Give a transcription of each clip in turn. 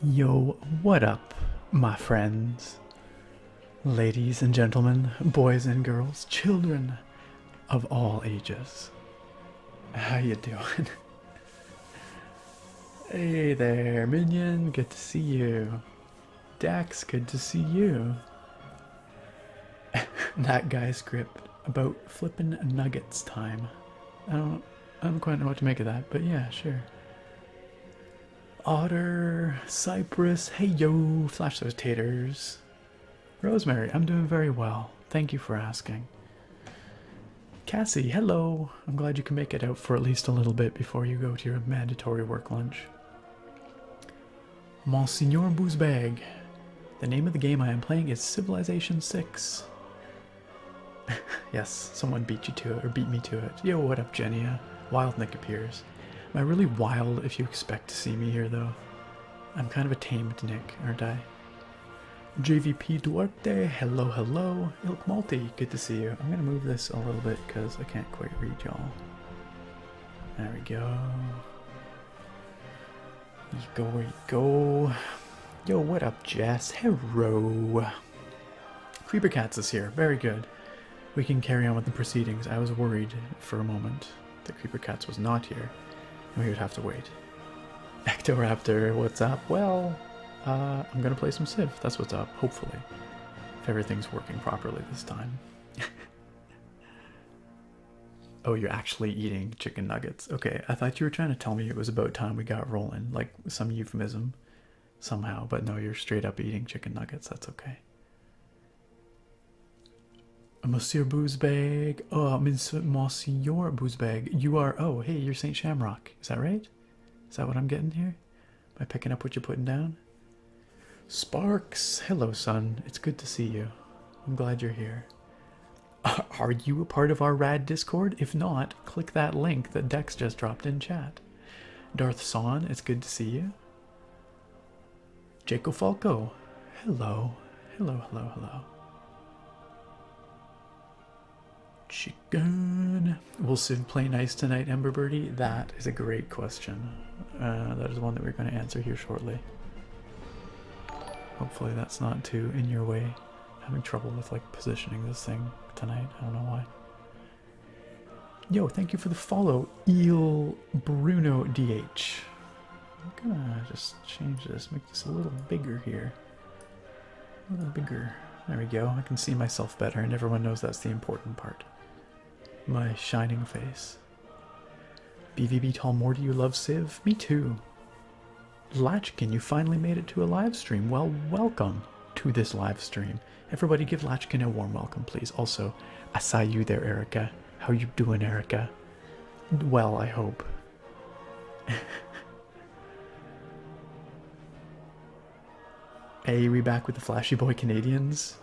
Yo, what up, my friends? Ladies and gentlemen, boys and girls, children of all ages. How you doing? hey there, minion, good to see you. Dax, good to see you. that guy's script about flippin' nuggets time. I don't I don't quite know what to make of that, but yeah, sure. Otter, Cypress, hey yo, flash those taters. Rosemary, I'm doing very well. Thank you for asking. Cassie, hello. I'm glad you can make it out for at least a little bit before you go to your mandatory work lunch. Monsignor Boozbag. The name of the game I am playing is Civilization 6. yes, someone beat you to it, or beat me to it. Yo, what up, Genia? Uh, wild Nick appears. Am I really wild if you expect to see me here, though? I'm kind of a tamed Nick, aren't I? JVP Duarte, hello, hello. Ilk Malty, good to see you. I'm gonna move this a little bit because I can't quite read y'all. There we go. You go where you go. Yo, what up, Jess? Hello. Creeper Cats is here. Very good. We can carry on with the proceedings. I was worried for a moment that Creeper Cats was not here, and we would have to wait. Ectoraptor, what's up? Well, uh, I'm gonna play some Civ. That's what's up, hopefully. If everything's working properly this time. Oh, you're actually eating chicken nuggets. Okay, I thought you were trying to tell me it was about time we got rolling, like some euphemism somehow, but no, you're straight up eating chicken nuggets. That's okay. Monsieur Boozbag, oh, Monsieur, Monsieur Boozbag, you are, oh, hey, you're St. Shamrock. Is that right? Is that what I'm getting here? Am I picking up what you're putting down? Sparks, hello, son. It's good to see you. I'm glad you're here. Are you a part of our rad Discord? If not, click that link that Dex just dropped in chat. Darth Son, it's good to see you. Jaco Falco, hello, hello, hello, hello. Chicken. Will Civ play nice tonight, Emberbirdie? That is a great question. Uh, that is one that we're going to answer here shortly. Hopefully that's not too in your way. having trouble with like positioning this thing tonight. I don't know why. Yo, thank you for the follow, Eel Bruno DH. I'm gonna just change this, make this a little bigger here. A little bigger. There we go. I can see myself better, and everyone knows that's the important part. My shining face. BVB Tall more do you love Civ? Me too. Latchkin, you finally made it to a live stream. Well, welcome to this live stream. Everybody give Latchkin a warm welcome, please. Also, I saw you there, Erica. How you doing, Erica? Well, I hope. hey, we back with the flashy boy Canadians.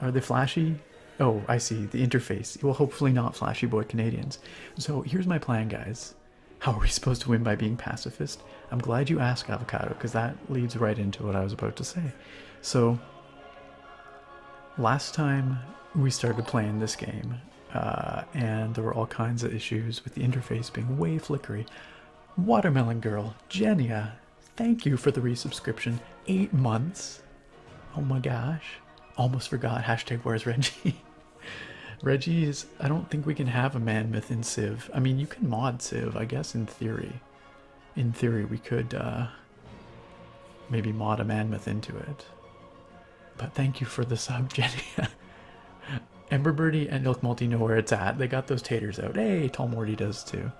Are they flashy? Oh, I see. The interface. Well, hopefully not flashy boy Canadians. So here's my plan, guys. How are we supposed to win by being pacifist? I'm glad you asked, Avocado, because that leads right into what I was about to say. So, last time we started playing this game, uh, and there were all kinds of issues with the interface being way flickery. Watermelon Girl, Jenya, Thank you for the resubscription. Eight months. Oh my gosh. Almost forgot. Hashtag where's Reggie? Reggie is. I don't think we can have a man myth in Civ. I mean, you can mod Civ, I guess, in theory. In theory, we could uh, maybe mod a man myth into it. But thank you for the sub, Jenny. Ember Birdie and Elk Multi know where it's at. They got those taters out. Hey, Tall Morty does too.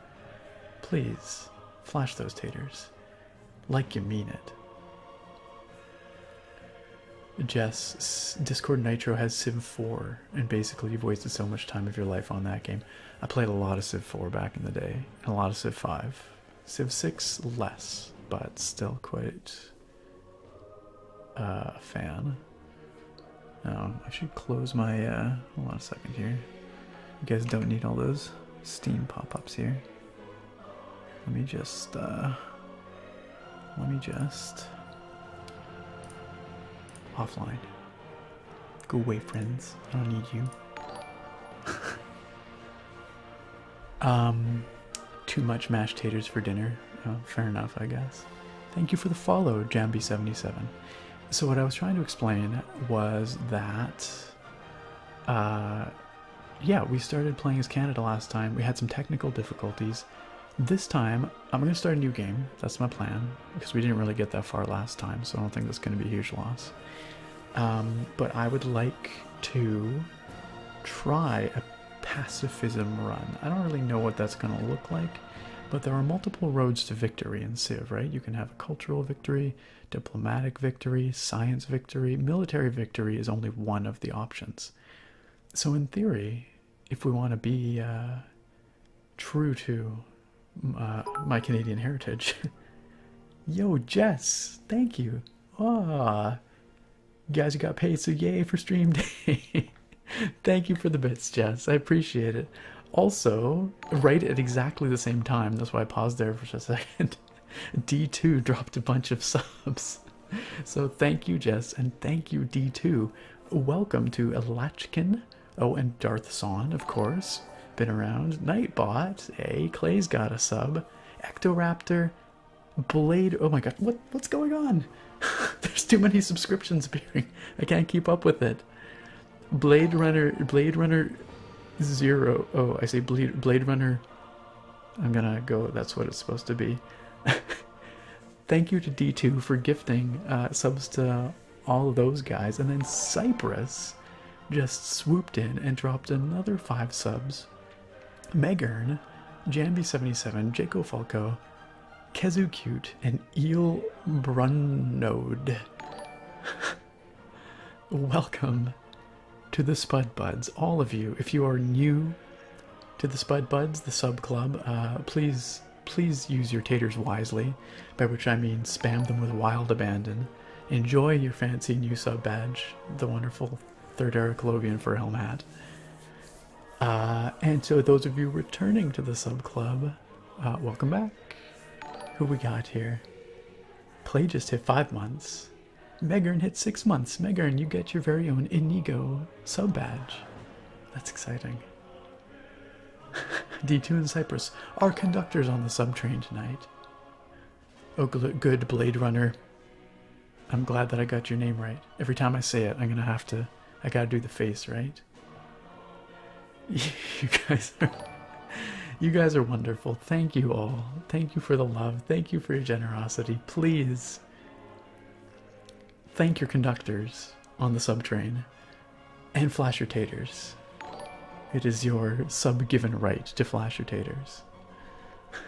Please. Flash those taters. Like you mean it. Jess, Discord Nitro has Civ 4, and basically you've wasted so much time of your life on that game. I played a lot of Civ 4 back in the day, and a lot of Civ 5. Civ 6, less, but still quite uh, a fan. Oh, I should close my, uh, second here. You guys don't need all those Steam pop-ups here. Let me just, uh, let me just offline. Go away, friends. I don't need you. um, too much mashed taters for dinner. Oh, fair enough, I guess. Thank you for the follow, Jambi77. So what I was trying to explain was that uh, yeah, we started playing as Canada last time. We had some technical difficulties. This time, I'm going to start a new game. That's my plan, because we didn't really get that far last time, so I don't think that's going to be a huge loss. Um, but I would like to try a pacifism run. I don't really know what that's going to look like, but there are multiple roads to victory in Civ, right? You can have a cultural victory, diplomatic victory, science victory, military victory is only one of the options. So, in theory, if we want to be uh, true to uh, my Canadian heritage, yo, Jess, thank you. Ah, you guys got paid, so yay for stream day. thank you for the bits, Jess. I appreciate it. Also, right at exactly the same time, that's why I paused there for a second, D2 dropped a bunch of subs. So thank you, Jess, and thank you, D2. Welcome to Latchkin. Oh, and Darth Son, of course. Been around. Nightbot. A Clay's got a sub. Ectoraptor. Blade. Oh my god, what what's going on? There's too many subscriptions appearing. I can't keep up with it. Blade Runner, Blade Runner Zero. Oh, I say Blade, Blade Runner. I'm gonna go, that's what it's supposed to be. Thank you to D2 for gifting uh, subs to all of those guys. And then Cypress just swooped in and dropped another five subs. Megern, Jambi77, Jaco Falco, Kezu Cute, and Eel Brunode. Welcome to the Spud Buds, all of you. If you are new to the Spud Buds, the sub club, uh, please please use your taters wisely, by which I mean spam them with wild abandon. Enjoy your fancy new sub badge, the wonderful third era Clovian for Helm hat. Uh, and so, those of you returning to the sub club, uh, welcome back. Who we got here? Play just hit five months. Megern hit six months. Megern, you get your very own Inigo sub badge. That's exciting. D2 and Cyprus. Our conductor's on the subtrain tonight. Oh, good Blade Runner. I'm glad that I got your name right. Every time I say it, I'm gonna have to. I gotta do the face, right? You guys are you guys are wonderful. Thank you all. Thank you for the love. Thank you for your generosity. Please thank your conductors on the subtrain and flash your taters. It is your sub-given right to flash your taters.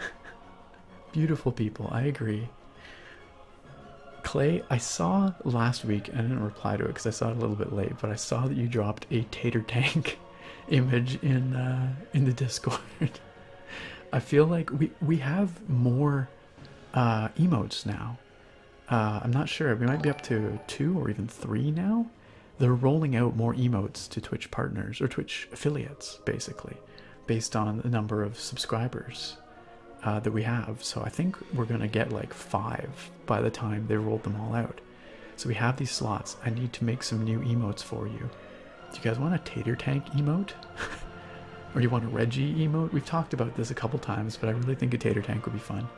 Beautiful people, I agree. Clay, I saw last week, I didn't reply to it because I saw it a little bit late, but I saw that you dropped a tater tank image in uh, in the Discord. I feel like we we have more uh, emotes now. Uh, I'm not sure. We might be up to two or even three now. They're rolling out more emotes to Twitch partners or Twitch affiliates, basically, based on the number of subscribers that we have. So I think we're gonna get like five by the time they rolled them all out. So we have these slots. I need to make some new emotes for you. Do you guys want a tater tank emote? or do you want a Reggie emote? We've talked about this a couple times, but I really think a tater tank would be fun.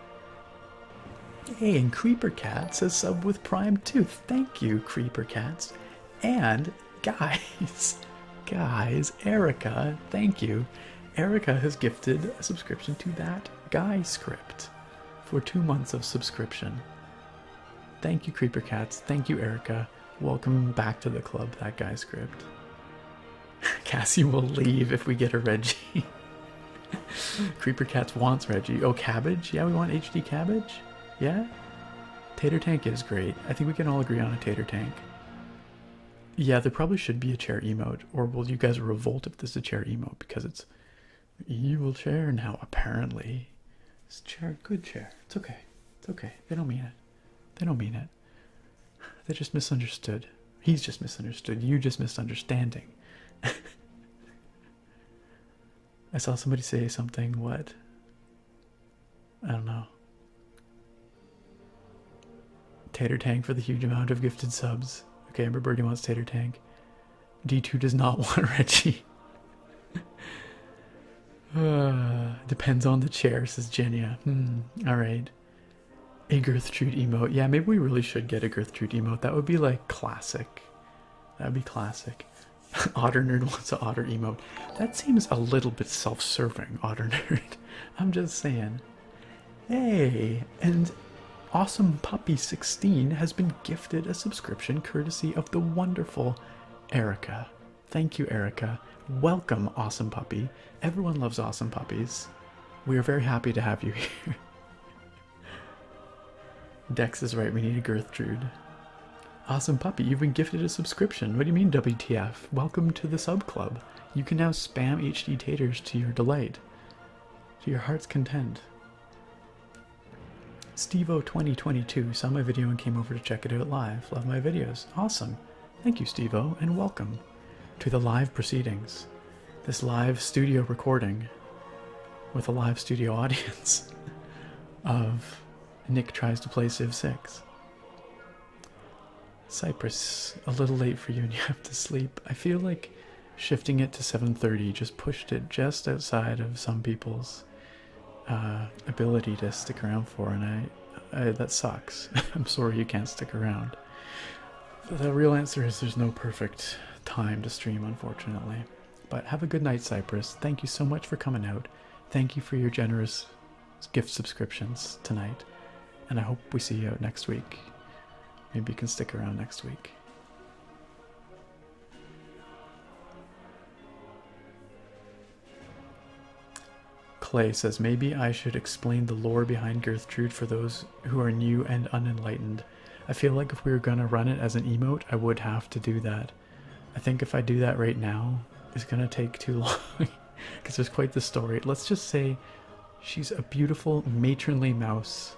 Hey, and Creeper Cats says sub with Prime too. Thank you, Creeper Cats. And guys, guys, Erica, thank you. Erica has gifted a subscription to that guy script for two months of subscription. Thank you, Creeper Cats. Thank you, Erica. Welcome back to the club, that guy script. Cassie will leave if we get a Reggie. Creeper Cats wants Reggie. Oh, cabbage? Yeah, we want HD cabbage? Yeah? Tater Tank is great. I think we can all agree on a Tater Tank. Yeah, there probably should be a chair emote, or will you guys revolt if this is a chair emote because it's evil chair now, apparently. This chair, good chair. It's okay. It's okay. They don't mean it. They don't mean it. They just misunderstood. He's just misunderstood. You just misunderstanding. I saw somebody say something. What? I don't know. Tater Tank for the huge amount of gifted subs. Okay, Amber Birdie wants Tater Tank. D2 does not want Reggie. Uh, depends on the chair, says Genia. Hmm, alright. A Gertrude emote. Yeah, maybe we really should get a Gertrude emote. That would be like classic. That would be classic. otter Nerd wants an Otter emote. That seems a little bit self serving, Otter Nerd. I'm just saying. Hey, and Awesome Puppy 16 has been gifted a subscription courtesy of the wonderful Erica. Thank you, Erica. Welcome, Awesome Puppy. Everyone loves Awesome Puppies. We are very happy to have you here. Dex is right, we need a Gertrude. Awesome Puppy, you've been gifted a subscription. What do you mean, WTF? Welcome to the sub club. You can now spam HD taters to your delight, to your heart's content. Stevo 2022 saw my video and came over to check it out live. Love my videos. Awesome. Thank you, Stevo, and welcome to the live proceedings. This live studio recording with a live studio audience of Nick tries to play Civ 6. Cyprus, a little late for you and you have to sleep. I feel like shifting it to 7:30 just pushed it just outside of some people's uh, ability to stick around for, and I, that sucks. I'm sorry you can't stick around. the real answer is there's no perfect time to stream, unfortunately. But have a good night, Cypress. Thank you so much for coming out. Thank you for your generous gift subscriptions tonight, and I hope we see you out next week. Maybe you can stick around next week. Clay says, maybe I should explain the lore behind Gertrude for those who are new and unenlightened. I feel like if we were gonna run it as an emote, I would have to do that. I think if I do that right now, it's gonna take too long because there's quite the story. Let's just say she's a beautiful matronly mouse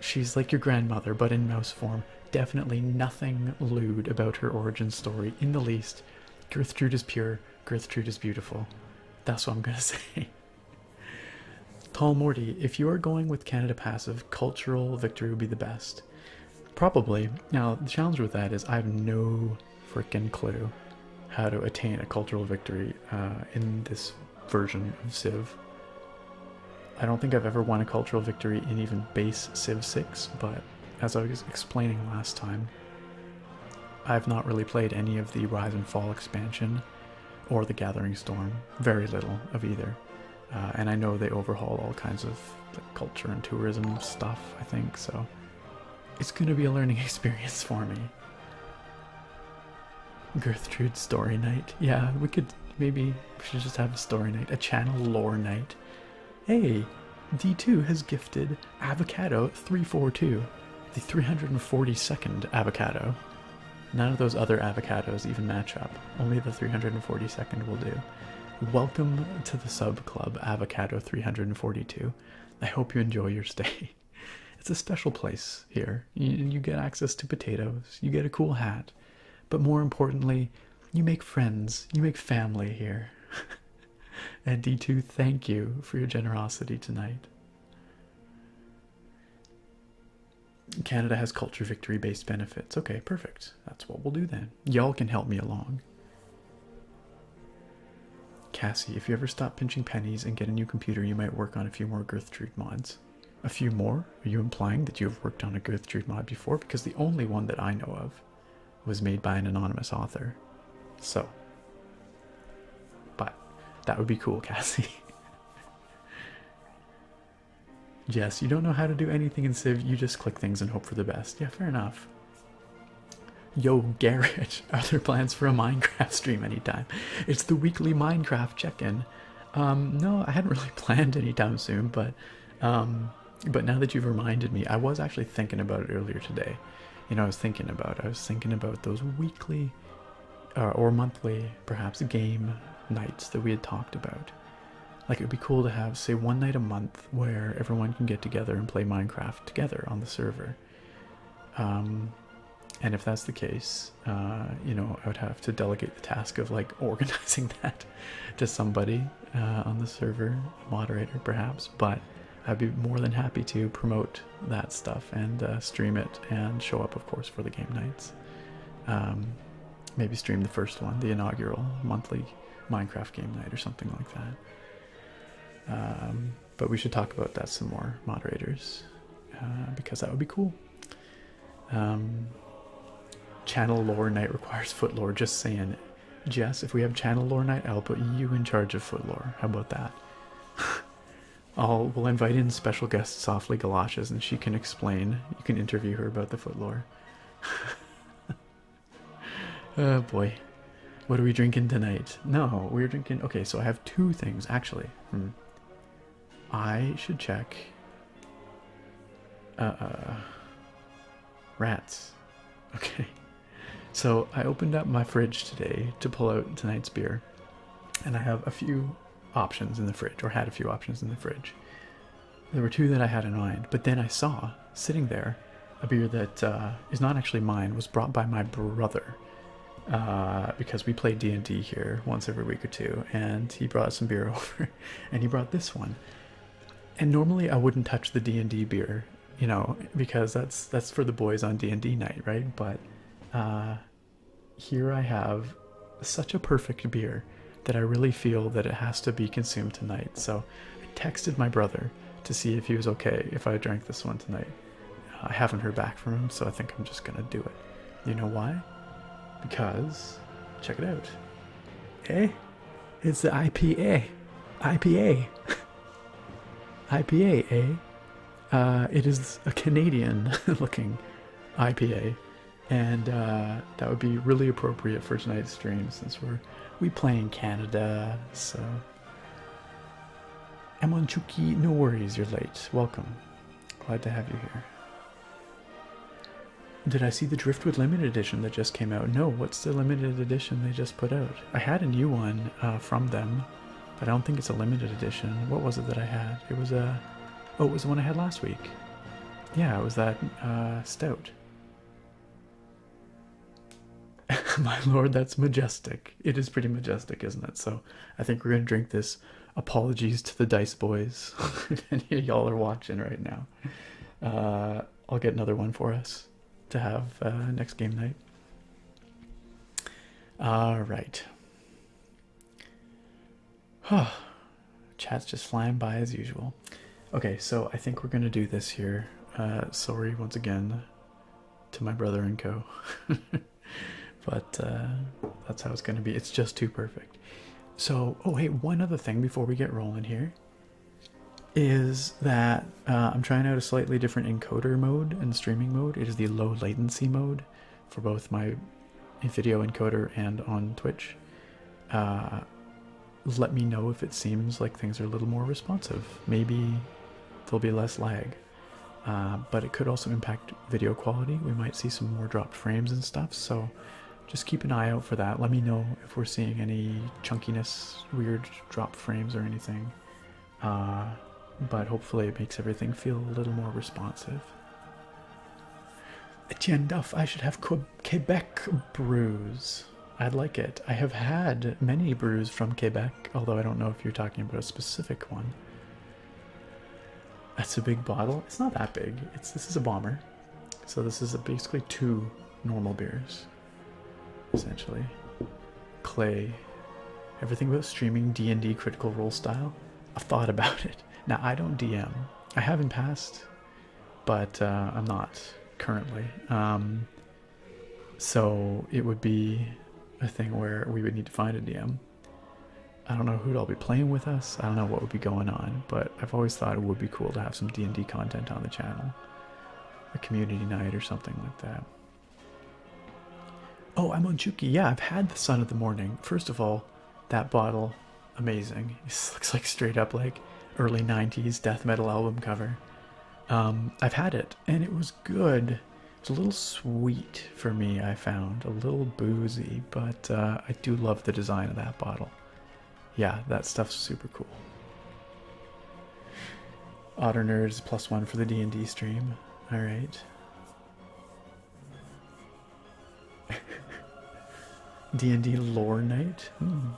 She's like your grandmother, but in mouse form. Definitely nothing lewd about her origin story in the least. Gertrude is pure, Gertrude is beautiful. That's what I'm gonna say. Tall Morty, if you are going with Canada Passive, cultural victory would be the best. Probably. Now, the challenge with that is I have no freaking clue how to attain a cultural victory uh, in this version of Civ. I don't think I've ever won a cultural victory in even base Civ 6, but as I was explaining last time, I've not really played any of the Rise and Fall expansion or the Gathering Storm, very little of either. Uh, and I know they overhaul all kinds of culture and tourism stuff, I think, so it's going to be a learning experience for me. Gertrude's story night. Yeah, we could maybe we should just have a story night, a channel lore night. Hey, D2 has gifted Avocado 342, the 342nd avocado. None of those other avocados even match up. Only the 342nd will do. Welcome to the sub club, Avocado 342. I hope you enjoy your stay. It's a special place here beer, you, get access to potatoes, you get a cool hat, but more importantly, you make friends, you make family here. and D2, thank you for your generosity tonight. Canada has culture victory based benefits. Okay, perfect. That's what we'll do then. Y'all can help me along. Cassie, if you ever stop pinching pennies and get a new computer, you might work on a few more Gertrude mods a few more? Are you implying that you have worked on a Gertrude mod before? Because the only one that I know of was made by an anonymous author. So. But that would be cool, Cassie. Jess, you don't know how to do anything in Civ, you just click things and hope for the best. Yeah, fair enough. Yo, Garrett, are there plans for a Minecraft stream anytime? It's the weekly Minecraft check in. Um, no, I hadn't really planned any time soon, but um, but now that you've reminded me, I was actually thinking about it earlier today. You know, I was thinking about I was thinking about those weekly uh, or monthly, perhaps game nights that we had talked about. Like it would be cool to have, say, one night a month where everyone can get together and play Minecraft together on the server. Um, and if that's the case, uh, you know, I would have to delegate the task of like organizing that to somebody uh, on the server, moderator perhaps, but I'd be more than happy to promote that stuff and uh, stream it and show up, of course, for the game nights. Um, maybe stream the first one, the inaugural monthly Minecraft game night or something like that. Um, but we should talk about that some more, moderators, because that would be cool. Um, channel lore night requires foot lore. Just saying, Jess, if we have channel lore night, I'll put you in charge of foot lore. How about that? I'll we'll invite in special guests, Softly Galoshes, and she can explain. You can interview her about the foot lore. oh boy, what are we drinking tonight? No, we're drinking. Okay, so I have two things actually. Hmm. I should check. Uh, uh, rats. Okay. So I opened up my fridge today to pull out tonight's beer, and I have a few options in the fridge, or had a few options in the fridge. There were two that I had in mind, but then I saw sitting there a beer that uh, is not actually mine was brought by my brother because we play D and D here once every week or two, and he brought some beer over. and he brought this one and normally i wouldn't touch the d&d beer you know because that's that's for the boys on d&d night right but uh, here i have such a perfect beer that i really feel that it has to be consumed tonight so i texted my brother to see if he was okay if i drank this one tonight uh, i haven't heard back from him so i think i'm just gonna do it you know why? Because, check it out. Eh? It's the IPA. IPA. IPA, eh? Uh, it is a Canadian looking IPA. And uh, that would be really appropriate for tonight's stream since we're we play in Canada, so Emonchuki, no worries, you're late. Welcome. Glad to have you here. Did I see the Driftwood Limited Edition that just came out? No, what's the limited edition they just put out? I had a new one uh, from them, but I don't think it's a limited edition. What was it that I had? It was a. Oh, it was the one I had last week. Yeah, it was that uh, stout. My lord, that's majestic. It is pretty majestic, isn't it? So I think we're going to drink this Apologies to the Dice Boys. y'all are watching right now. Uh, I'll get another one for us to have uh, next game night. All right. Chat's just flying by as usual. Okay, so I think we're gonna do this here. Uh, sorry once again to my brother and co. but that's how it's gonna be. It's just too perfect. So, oh, hey, one other thing before we get rolling here is that uh, I'm trying out a slightly different encoder mode and streaming mode. It is the low latency mode for both my video encoder and on Twitch. Uh, let me know if it seems like things are a little more responsive. Maybe there'll be less lag. Uh, but it could also impact video quality. We might see some more dropped frames and stuff. So just keep an eye out for that. Let me know if we're seeing any chunkiness, weird drop frames, or anything. Uh, but hopefully, it makes everything feel a little more responsive. Etienne Duff, I should have Quebec brews. I'd like it. I have had many brews from Quebec, although I don't know if you're talking about a specific one. That's a big bottle. It's not that big. It's this is a bomber. So this is basically two normal beers, essentially. Clay, everything about streaming D&D Critical Role style. i thought about it. Now I don't DM. I have not passed, but uh, I'm not currently. Um, so it would be a thing where we would need to find a DM. I don't know who'd all be playing with us. I don't know what would be going on, but I've always thought it would be cool to have some D&D content on the channel. A community night or something like that. Oh, I'm on Juki. Yeah, I've had the Sun of the Morning. First of all, that bottle, amazing. This looks like straight up like early 90s death metal album cover. Um, I've had it and it was good. It's a little sweet for me, I found, a little boozy, but uh, I do love the design of that bottle yeah, that stuff's super cool. Otter nerds plus one for the D and D stream. All right. D and D lore night. Hmm.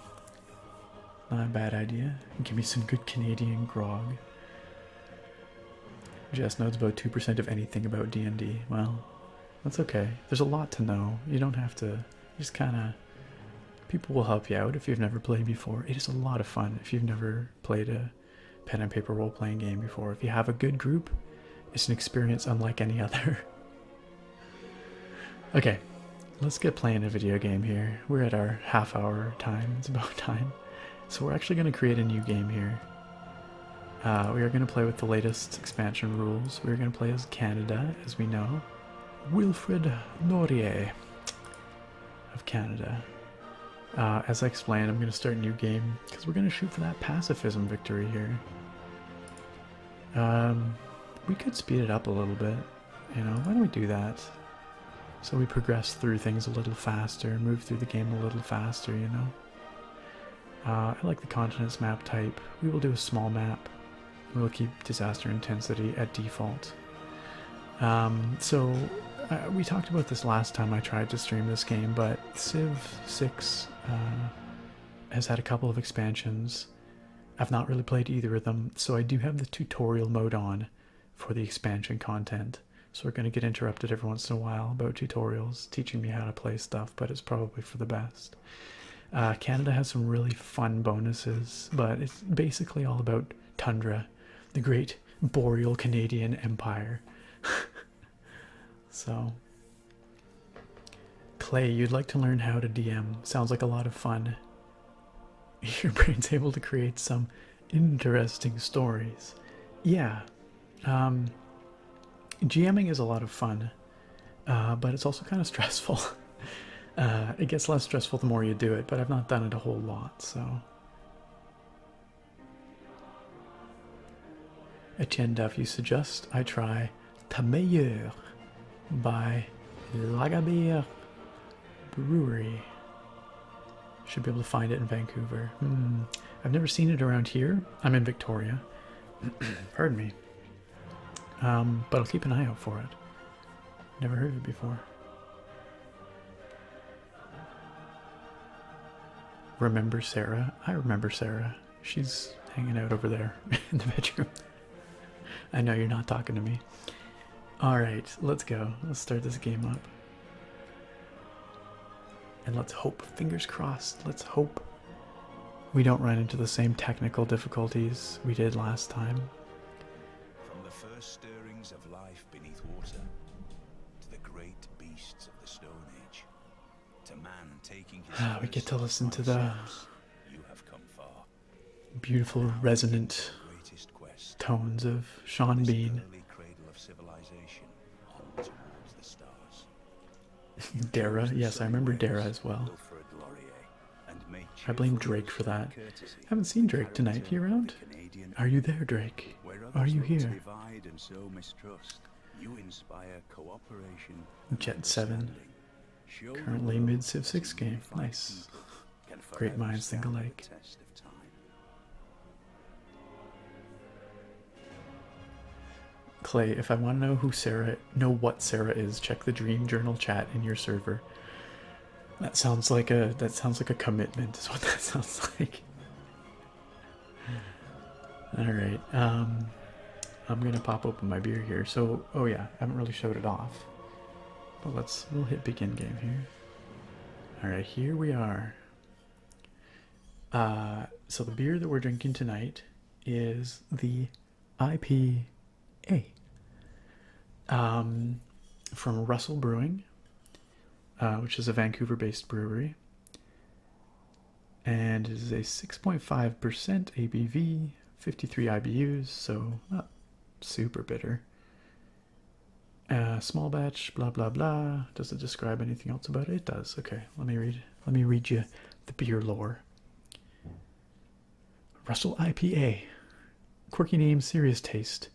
Not a bad idea. Give me some good Canadian grog. Jess knows about two percent of anything about D and D. Well, that's okay. There's a lot to know. You don't have to. just kind of. People will help you out if you've never played before. It is a lot of fun if you've never played a pen and paper role playing game before. If you have a good group, it's an experience unlike any other. okay, let's get playing a video game here. We're at our half hour time. It's about time. So we're actually going to create a new game here. Uh, we are going to play with the latest expansion rules. We are going to play as Canada, as we know. Wilfred Laurier of Canada. Uh, as I explained, I'm going to start new game because we're going to shoot for that pacifism victory here. Um, we could speed it up a little bit. You know, why don't we do that? So we progress through things a little faster, move through the game a little faster, you know? Uh, I like the continents map type. We will do a small map. We'll keep disaster intensity at default. Um, so uh, we talked about this last time I tried to stream this game, but Civ 6 uh, has had a couple of expansions. I've not really played either of them, so I do have the tutorial mode on for the expansion content. So we're going to get interrupted every once in a while about tutorials teaching me how to play stuff, but it's probably for the best. Uh, Canada has some really fun bonuses, but it's basically all about tundra, the great boreal Canadian empire. so, Clay, you'd like to learn how to DM. Sounds like a lot of fun. Your brain's able to create some interesting stories. Yeah. Um, GMing is a lot of fun, uh, but it's also kind of stressful. Uh, it gets less stressful the more you do it, but I've not done it a whole lot, so. Etienne if you suggest I try Ta by Lagabere Brewery. Should be able to find it in Vancouver. Hmm. I've never seen it around here. I'm in Victoria. Pardon me. Um, but I'll keep an eye out for it. Never heard of it before. Remember Sarah? I remember Sarah. She's hanging out over there in the bedroom. I know you're not talking to me. Alright, let's go. Let's start this game up. And let's hope, fingers crossed, let's hope we don't run into the same technical difficulties we did last time. From the first stirrings of life beneath water, to the great beasts of the Stone Age, to man taking his. Ah, we get to listen to the beautiful, resonant tones of Sean Bean. Dara, yes, I remember Dara as well. I blame Drake for that. haven't seen Drake tonight. He around? Are you there, Drake? Are you here? Jet 7. Currently mid Civ 6 game. Nice. Great minds think alike. Clay, if I want to know who Sarah, know what Sarah is, check the Dream Journal chat in your server. That sounds like a that sounds like a commitment. Is what that sounds like. All right, um, I'm gonna pop open my beer here. So, oh yeah, I haven't really showed it off, but let's we'll hit begin game here. All right, here we are. Uh, so the beer that we're drinking tonight is the IPA um, from Russell Brewing, uh, which is a Vancouver based brewery. And it is a 6.5% ABV, 53 IBUs, so not super bitter. Uh, small batch, blah blah blah. Does it describe anything else about it? It does. Okay, let me read. Let me read you the beer lore. Russell IPA. Quirky name, serious taste.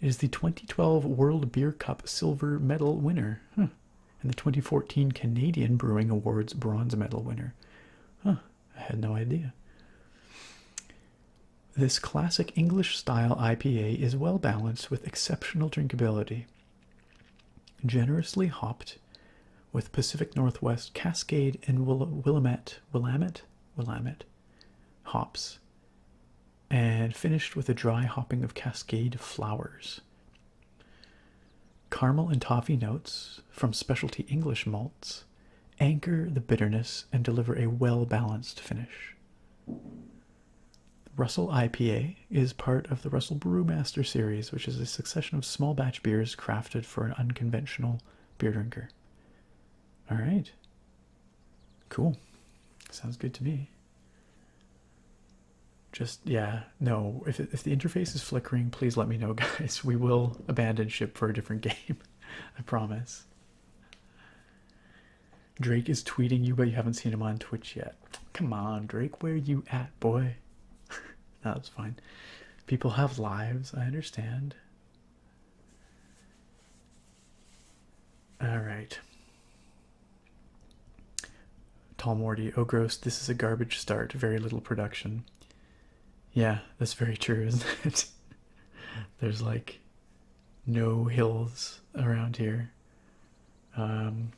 It is the 2012 World Beer Cup Silver Medal winner. And the 2014 Canadian Brewing Awards Bronze Medal winner. Huh, I had no idea. This classic English style IPA is well balanced with exceptional drinkability generously hopped with Pacific Northwest, Cascade, and Willamette, Willamette, Willamette hops, and finished with a dry hopping of Cascade flowers. Caramel and toffee notes from specialty English malts anchor the bitterness and deliver a well balanced finish. Russell IPA is part of the Russell Brewmaster series, which is a succession of small batch beers crafted for an unconventional beer drinker. All right. Cool. Sounds good to me. Just, yeah, no, if the interface is flickering, please let me know, guys. We will abandon ship for a different game. I promise. Drake is tweeting you, but you haven't seen him on Twitch yet. Come on, Drake, where you at, boy? That's fine. People have lives, I understand. All right. Tall Morty, oh gross, this is a garbage start, very little production. Yeah, that's very true, isn't it? There's like no hills around here. Um,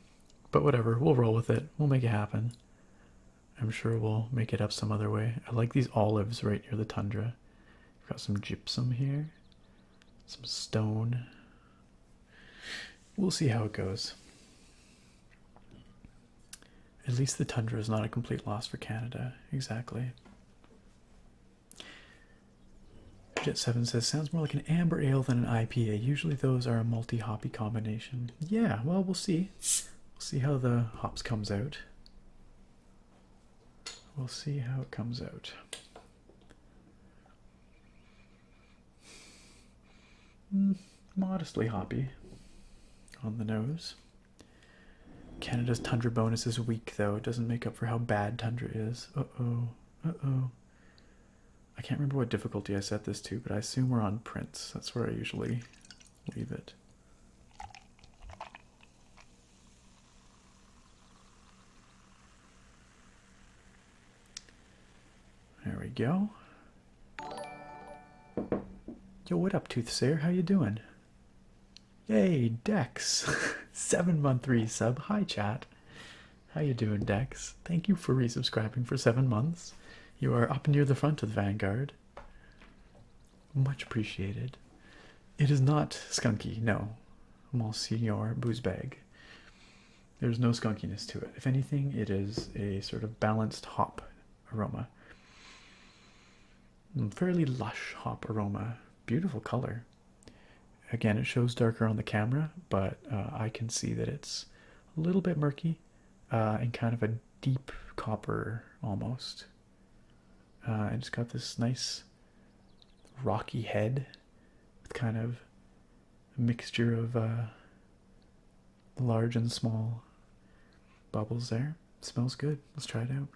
but whatever, we'll roll with it. We'll make it happen. I'm sure we'll make it up some other way. I like these olives right near the tundra. We've got some gypsum here, some stone. We'll see how it goes. At least the tundra is not a complete loss for Canada. Exactly. Jet7 says, sounds more like an amber ale than an IPA. Usually those are a multi hoppy combination. Yeah, well, we'll see. We'll see how the hops comes out. We'll see how it comes out. Hmm, modestly hoppy on the nose. Canada's tundra bonus is weak though. It doesn't make up for how bad tundra is. Uh-oh. Uh-oh. I can't remember what difficulty I set this to, but I assume we're on Prince. That's where I usually leave it. There we go. Yo, what up, Toothsayer? How you doing? Yay, Dex. 7-month sub. Hi, chat. How you doing, Dex? Thank you for resubscribing for seven months. You are up near the front of the Vanguard. Much appreciated. It is not skunky, no, Monsignor Boozbag. There's no skunkiness to it. If anything, it is a sort of balanced hop aroma. Mm, fairly lush hop aroma. Beautiful color. Again, it shows darker on the camera, but uh, I can see that it's a little bit murky and uh, kind of a deep copper almost. Uh, and it's got this nice rocky head with kind of a mixture of uh, large and small bubbles there. smells good. Let's try it out.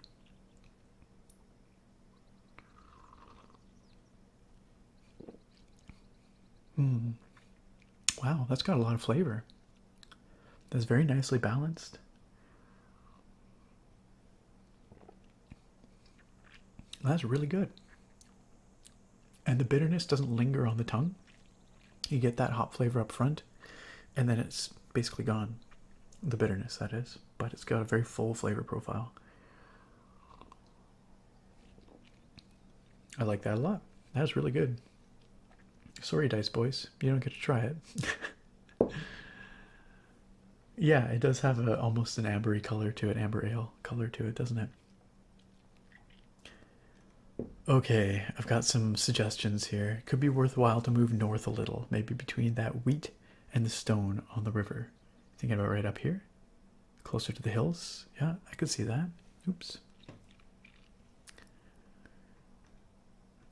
Mm. Wow, that's got a lot of flavor. That's very nicely balanced. That's really good. And the bitterness doesn't linger on the tongue. You get that hot flavor up front, and then it's basically gone. The bitterness, that is. But it's got a very full flavor profile. I like that a lot. That's really good. Sorry, Dice Boys, you don't get to try it. yeah, it does have a, almost an ambery color to it, amber ale color to it, doesn't it? Okay, I've got some suggestions here. Could be worthwhile to move north a little, maybe between that wheat and the stone on the river. Thinking about right up here, closer to the hills. Yeah, I could see that. Oops.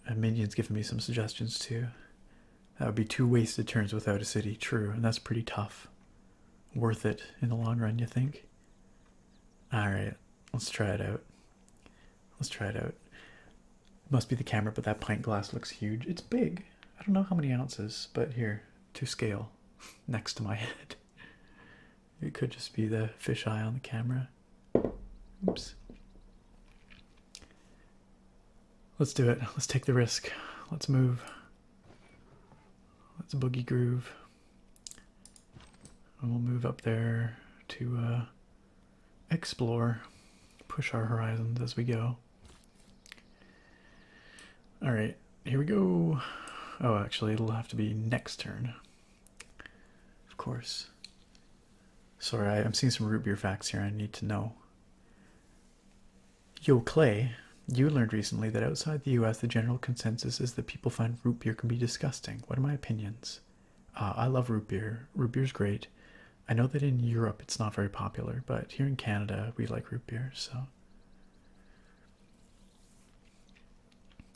A minion's given me some suggestions too. That would be two wasted turns without a city, true, and that's pretty tough. Worth it in the long run, you think? Alright, let's try it out. Let's try it out. Must be the camera, but that pint glass looks huge. It's big. I don't know how many ounces, but here, to scale, next to my head. It could just be the fish eye on the camera. Oops. Let's do it. Let's take the risk. Let's move. Let's boogie groove. And we'll move up there to uh, explore, push our horizons as we go. All right, here we go. Oh, actually, it'll have to be next turn. Of course. Sorry, I, am seeing some root beer facts here. I need to know. Yo, Clay, you learned recently that outside the US, the general consensus is that people find root beer can be disgusting. What are my opinions? Uh, I love root beer. Root beer's great. I know that in Europe it's not very popular, but here in Canada we like root beer, so.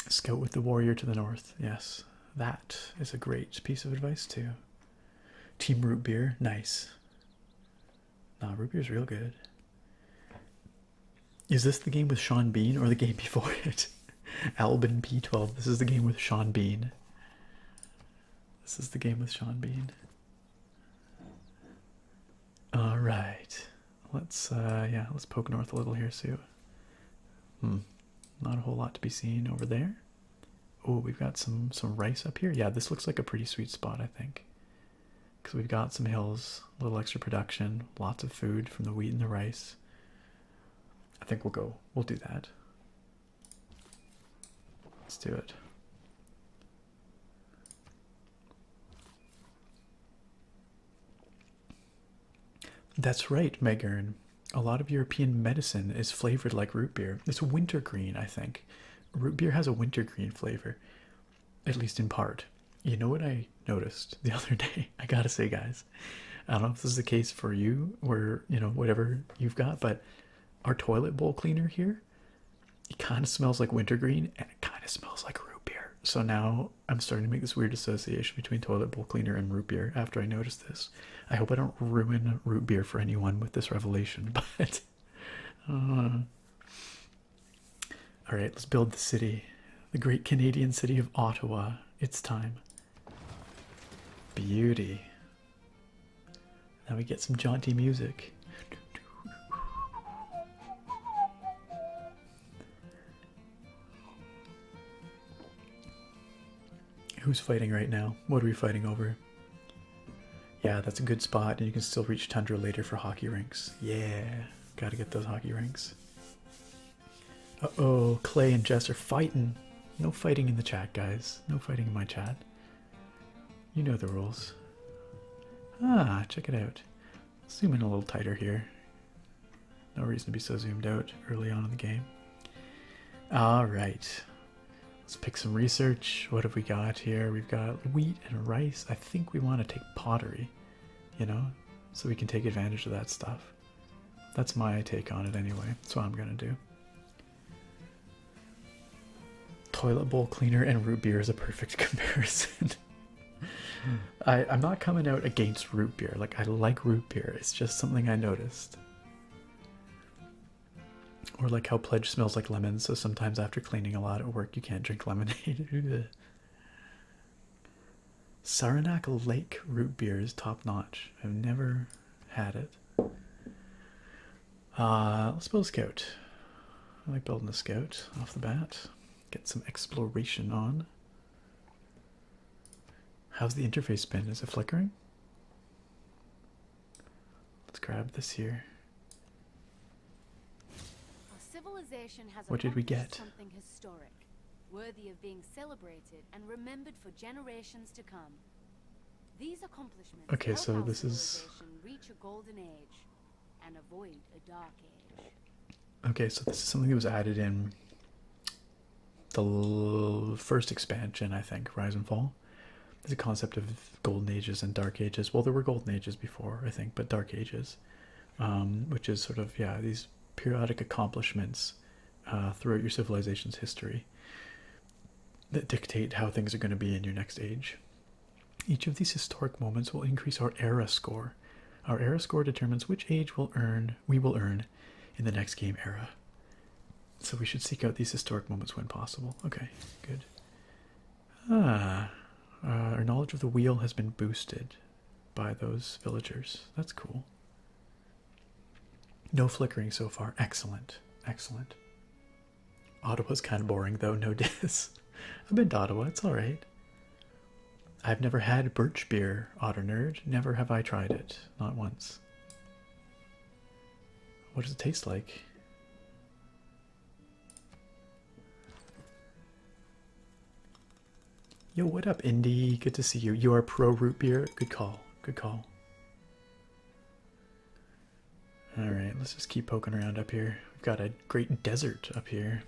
Scout with the warrior to the north. Yes, that is a great piece of advice, too. Team root beer. Nice. Nah, root beer is real good. Is this the game with Sean Bean or the game before it? Albin P12. This is the game with Sean Bean. This is the game with Sean Bean. All right. Let's uh yeah, let's poke north a little here, see. Hmm. Not a whole lot to be seen over there. Oh, we've got some some rice up here. Yeah, this looks like a pretty sweet spot, I think. Because we've got some hills, a little extra production, lots of food from the wheat and the rice. I think we'll go. We'll do that. Let's do it. That's right, Megarn. A lot of European medicine is flavored like root beer. It's wintergreen, I think. Root beer has a wintergreen flavor, at least in part. You know what I noticed the other day? I gotta say, guys, I don't know if this is the case for you or, you know, whatever you've got, but our toilet bowl cleaner here, it kind of smells like wintergreen and it kind of smells like root beer. So now I'm starting to make this weird association between toilet bowl cleaner and root beer after I notice this. I hope I don't ruin root beer for anyone with this revelation, but. Uh, all right, let's build the city. The great Canadian city of Ottawa. It's time. Beauty. Now we get some jaunty music. Who's fighting right now? What are we fighting over? Yeah, that's a good spot, and you can still reach Tundra later for hockey rinks. Yeah, gotta get those hockey rinks. Uh oh, Clay and Jess are fighting. No fighting in the chat, guys. No fighting in my chat. You know the rules. Ah, check it out. Zoom in a little tighter here. No reason to be so zoomed out early on in the game. All right. Let's pick some research. What have we got here? We've got wheat and rice. I think we want to take pottery, you know, so we can take advantage of that stuff. That's my take on it anyway. That's what I'm going to do. Toilet bowl cleaner and root beer is a perfect comparison. Hmm. I, am not coming out against root beer. I like root beer. It's just something I noticed. Or like how pledge smells like lemon, so sometimes after cleaning a lot at work you can't drink lemonade. Saranac Lake root beer is top notch. I've never had it. Uh, let's build a scout. I like building a scout off the bat. Get some exploration on. How's the interface been? Is it flickering? Let's grab this here. what did we get? Something historic, worthy of being celebrated and remembered for generations to come. okay, so this is Okay, so this is something that was added in the first expansion, I think, Rise and Fall. is a concept of golden ages and dark ages. Well, there were golden ages before, I think, but dark ages, um, which is sort of, yeah, these periodic accomplishments uh, throughout your civilization's history that dictate how things are going to be in your next age. Each of these historic moments will increase our era score. Our era score determines which age will earn we will earn in the next game era. So we should seek out these historic moments when possible. Okay, good. Ah, uh, our knowledge of the wheel has been boosted by those villagers. That's cool. No flickering so far. Excellent. Excellent. Ottawa's kind of boring though, no dis. I've been to Ottawa, it's alright. I've never had birch beer, Otter Nerd. Never have I tried it. Not once. What does it taste like? Yo, what up, Indy? Good to see you. You are pro root beer. Good call. Good call. Alright, let's just keep poking around up here. We've got a great desert up here.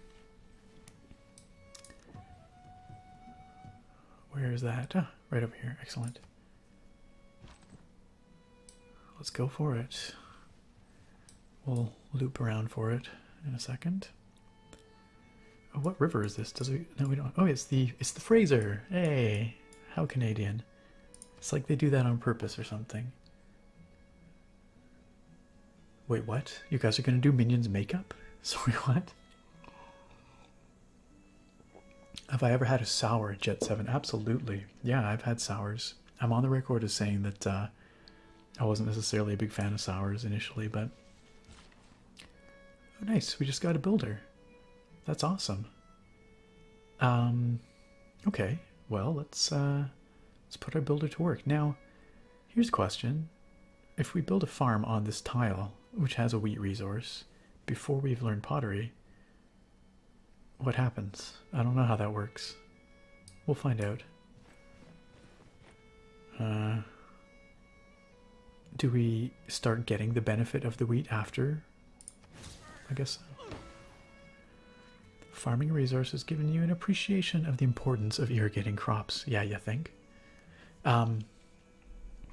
Where is that? Ah, right over here. Excellent. Let's go for it. We'll loop around for it in a second. Oh, what river is this? Does we? No, we don't. Oh, it's the it's the Fraser. Hey, how Canadian. It's like they do that on purpose or something. Wait, what? You guys are gonna do minions makeup? Sorry, what? Have I ever had a sour Jet 7? Absolutely. Yeah, I've had sours. I'm on the record as saying that uh, I wasn't necessarily a big fan of sours initially, but. Oh, nice. We just got a builder. That's awesome. Um, okay. Well, let's uh, let's put our builder to work. Now, here's a question if we build a farm on this tile, which has a wheat resource, before we've learned pottery, what happens? I don't know how that works. We'll find out. Uh, do we start getting the benefit of the wheat after? I guess Farming resource has given you an appreciation of the importance of irrigating crops. Yeah, you think? Um,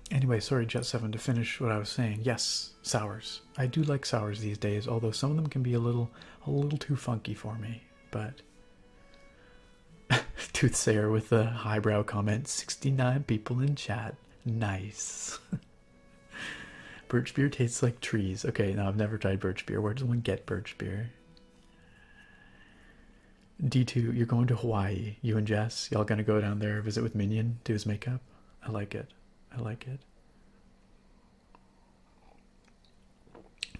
Anyway, sorry, Jet 7, to finish what I was saying. Yes, sours. I do like sours these days, although some of them can be a little a little too funky for me, but Toothsayer with the highbrow comment 69 people in chat. Nice. birch beer tastes like trees. Okay, now I've never tried birch beer. Where does one get birch beer? D2, you're going to Hawaii. You and Jess, y'all gonna go down there, visit with Minion, do his makeup. I like it. I like it.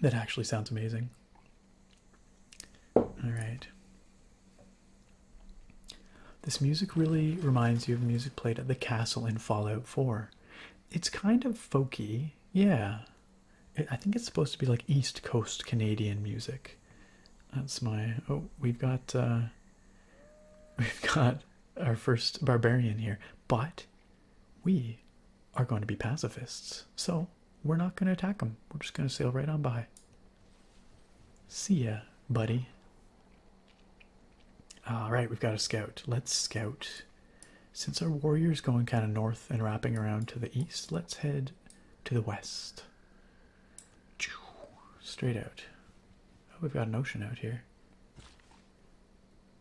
That actually sounds amazing. All right. This music really reminds you of music played at the castle in Fallout 4. It's kind of folky, yeah. I think it's supposed to be like East Coast Canadian music. That's my. Oh, we've got. Uh, we've got our first barbarian here, but we are going to be pacifists, so we're not going to attack them. We're just going to sail right on by. See ya, buddy. All right, we've got a scout. Let's scout. Since our warrior's going kind of north and wrapping around to the east, let's head to the west. Straight out. Oh, we've got an ocean out here.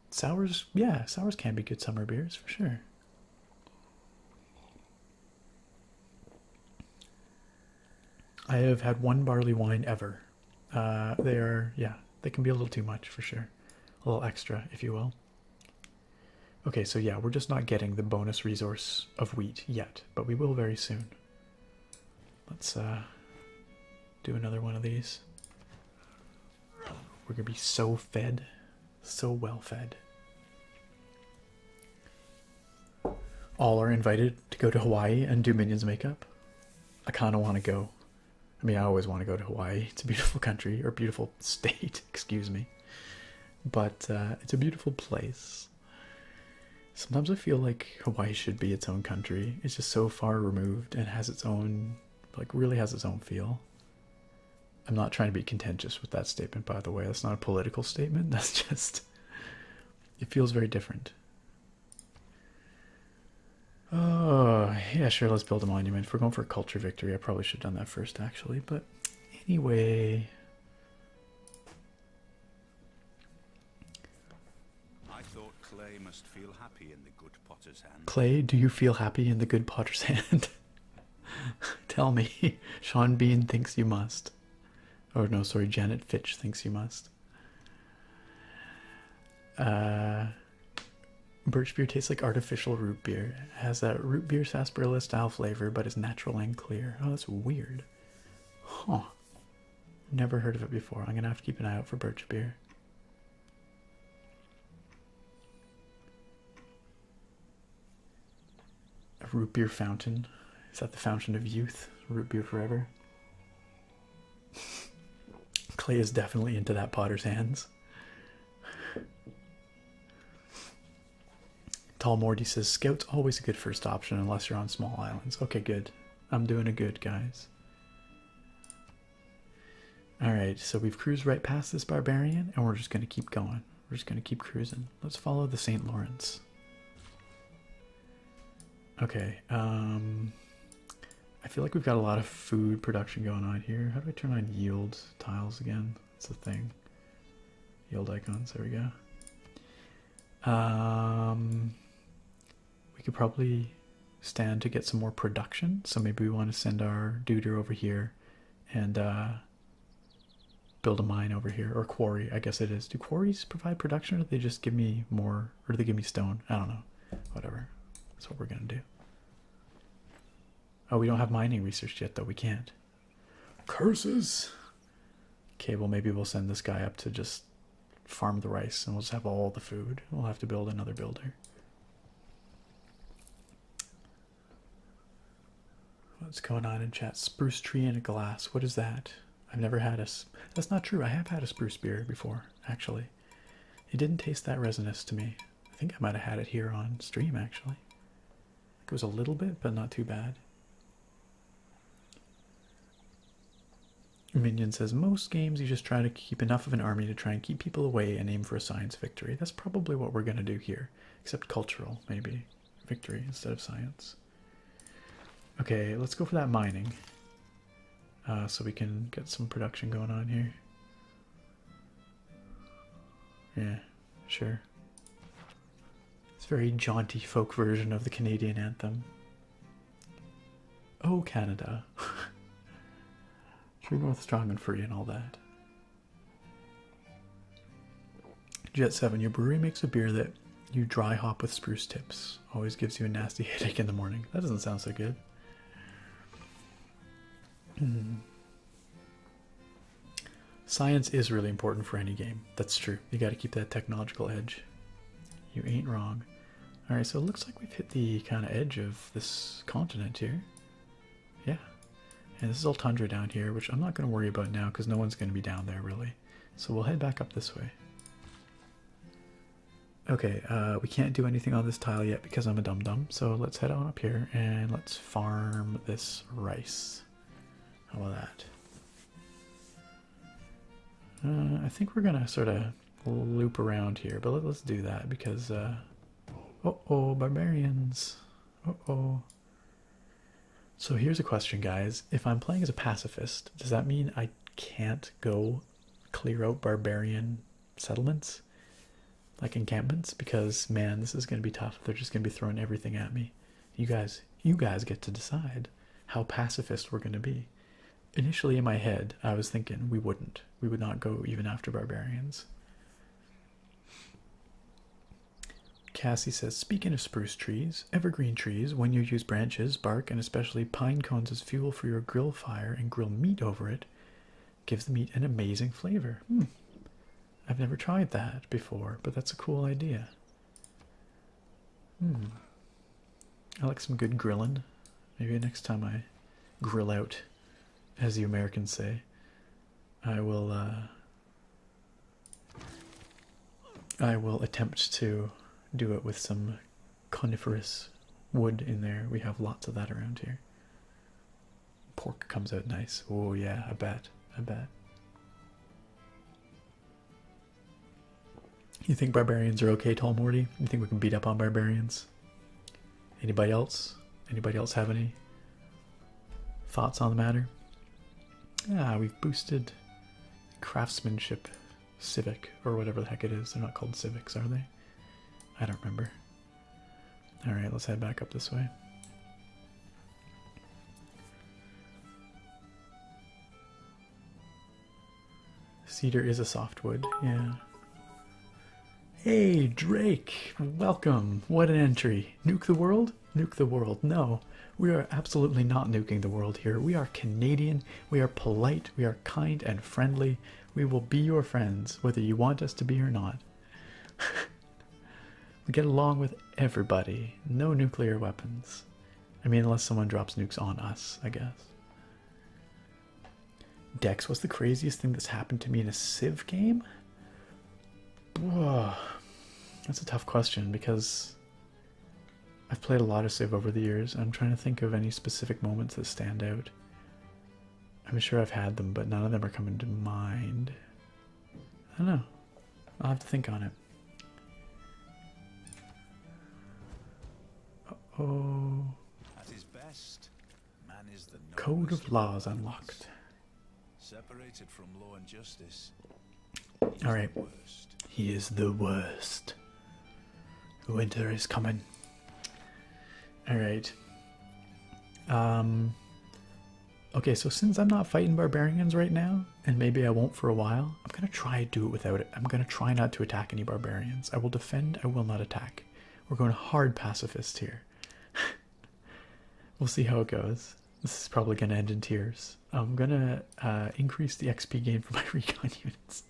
Sours, yeah, sours can be good summer beers for sure. I have had one barley wine ever. Uh, they are, yeah, they can be a little too much for sure. A little extra, if you will. Okay, so yeah, we're just not getting the bonus resource of wheat yet but we will very soon. Let's uh, do another one of these. We're gonna be so fed, so well fed. All are invited to go to Hawaii and do Minions makeup. I kind of want to go. I mean, I always want to go to Hawaii. It's a beautiful country or beautiful state, excuse me. But uh, it's a beautiful place. Sometimes I feel like Hawaii should be its own country. It's just so far removed and has its own, like, really has its own feel. I'm not trying to be contentious with that statement, by the way. That's not a political statement. That's just, it feels very different. Oh, yeah, sure, let's build a monument. If we're going for a culture victory, I probably should have done that first, actually. But anyway, I thought clay must feel happy in the good potter's hand. Clay, do you feel happy in the good potter's hand? Tell me. Sean Bean thinks you must. Or no, sorry, Janet Fitch thinks you must. Uh Birch beer tastes like artificial root beer. has that root beer sarsaparilla style flavor, but is natural and clear. Oh, that's weird. Huh. Never heard of it before. I'm gonna have to keep an eye out for birch beer. A root beer fountain. Is that the fountain of youth? Root beer forever. Clay is definitely into that potter's hands. Morty says scout's always a good first option unless you're on small islands. Okay, good. I'm doing a good, guys. All right, so we've cruised right past this barbarian, and we're just gonna keep going. We're just gonna keep cruising. Let's follow the St. Lawrence. Okay. Um, I feel like we've got a lot of food production going on here. How do I turn on yield tiles again? It's the thing. Yield icons. There we go. Um, we could probably stand to get some more production. So maybe we want to send our duder over here and uh, build a mine over here or quarry. I guess it is. Do quarries provide production or do they just give me more or do they give me stone? I don't know. Whatever. That's what we're going to do. Oh, we don't have mining research yet, though. We can't. Curses. Okay, well, maybe we'll send this guy up to just farm the rice and we'll just have all the food. We'll have to build another builder. What's going on in chat? Spruce tree and a glass. What is that? I've never had a. That's not true. I have had a spruce beer before, actually. It didn't taste that resinous to me. I think I might have had it here on stream, actually. It was a little bit, but not too bad. Minion says most games you just try to keep enough of an army to try and keep people away and aim for a science victory. That's probably what we're going to do here, except cultural, maybe. Victory instead of science. Okay, let's go for that mining uh, so we can get some production going on here. Yeah, sure. It's a very jaunty folk version of the Canadian anthem. Oh, Canada. True North, strong and free, and all that. Jet 7, your brewery makes a beer that you dry hop with spruce tips. Always gives you a nasty headache in the morning. That doesn't sound so good. Hmm. Science is really important for any game. That's true. You got to keep that technological edge. You ain't wrong. All right, so it looks like we've hit the kind of edge of this continent here. Yeah. And this is all tundra down here, which I'm not going to worry about now because no one's going to be down there, really. So we'll head back up this way. Okay, uh, we can't do anything on this tile yet because I'm a dum-dum. So let's head on up here and let's farm this rice. How about that? Uh, I think we're gonna sort of loop around here, but let, us do that because. oh, oh, barbarians. Oh, oh. So here's a question, guys. If I'm playing as a pacifist, does that mean I can't go clear out barbarian settlements? Like encampments? Because, man, this is going to be tough. They're just going to be throwing everything at me. You guys, you guys get to decide how pacifist we're going to be. Initially, in my head, I was thinking we wouldn't. We would not go even after barbarians. Cassie says, speaking of spruce trees, evergreen trees, when you use branches, bark, and especially pine cones as fuel for your grill fire and grill meat over it, gives the meat an amazing flavor. Hmm. I've never tried that before, but that's a cool idea. Hmm. I like some good grilling. Maybe next time I grill out, as the Americans say, I will. Uh, I will attempt to do it with some coniferous wood in there. We have lots of that around here. Pork comes out nice. Oh yeah, I bet. I bet. You think barbarians are okay, Tall Morty? You think we can beat up on barbarians? Anybody else? Anybody else have any thoughts on the matter? Ah, we've boosted craftsmanship civic or whatever the heck it is. They're not called civics, are they? I don't remember. Alright, let's head back up this way. Cedar is a softwood, yeah. Hey, Drake, welcome. What an entry. Nuke the world? Nuke the world. No, we are absolutely not nuking the world here. We are Canadian, we are polite, we are kind and friendly. We will be your friends, whether you want us to be or not. we get along with everybody. No nuclear weapons. I mean, unless someone drops nukes on us, I guess. Dex, what's the craziest thing that's happened to me in a Civ game? Whoa. That's a tough question because I've played a lot of Civ over the years. I'm trying to think of any specific moments that stand out. I'm sure I've had them, but none of them are coming to mind. I don't know. I'll have to think on it. oh. At his best, man is the Code of laws unlocked. Separated from law and justice. All right. He is the worst. Winter is coming. All right. Um. Okay, so since I'm not fighting barbarians right now, and maybe I won't for a while. I'm gonna try do it without it. I'm gonna try not to attack any barbarians. I will defend, I will not attack. We're going hard pacifist here. we'll see how it goes. This is probably gonna end in tears. I'm gonna uh, increase the XP gain for my recon units,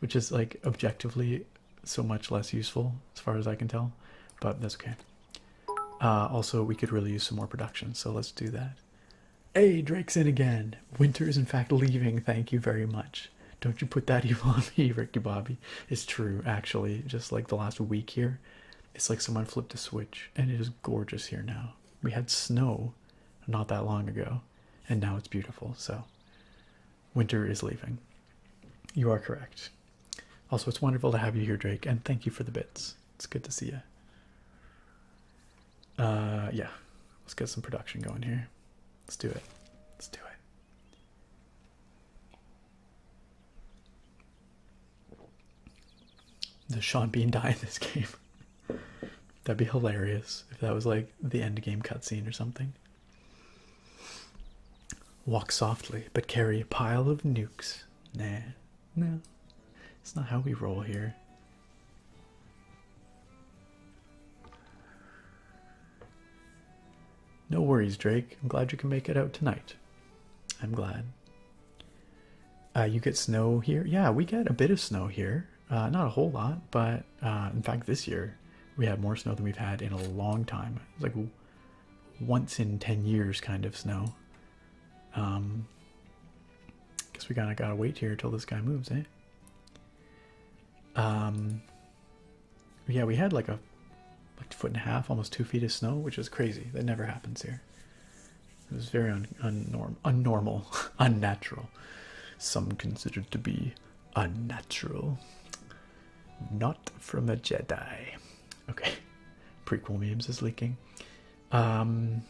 which is like objectively so much less useful as far as I can tell, but that's okay. Uh, also, we could really use some more production, so let's do that. Hey, Drake's in again. Winter is in fact leaving. Thank you very much. Don't you put that evil on me, Ricky Bobby. It's true, actually. Just like the last week here, it's like someone flipped a switch, and it is gorgeous here now. We had snow not that long ago, and now it's beautiful. So, winter is leaving. You are correct. Also, it's wonderful to have you here, Drake, and thank you for the bits. It's good to see you. Uh, yeah, let's get some production going here. Let's do it. Let's do it. Does Sean Bean die in this game? That'd be hilarious if that was like the end game cutscene or something. Walk softly, but carry a pile of nukes. Nah, no. Nah. It's not how we roll here. No worries, Drake. I'm glad you can make it out tonight. I'm glad. Uh, you get snow here? Yeah, we get a bit of snow here. Uh, not a whole lot, but uh, in fact, this year we had more snow than we've had in a long time. It's like once in 10 years kind of snow. Um, I guess we gotta gotta wait here until this guy moves, eh? Um, yeah, we had like a like foot and a half, almost two feet of snow, which is crazy. That never happens here. It was very un, unnormal, unnatural. Some considered to be unnatural. Not from a Jedi. Okay, prequel memes is leaking. Um,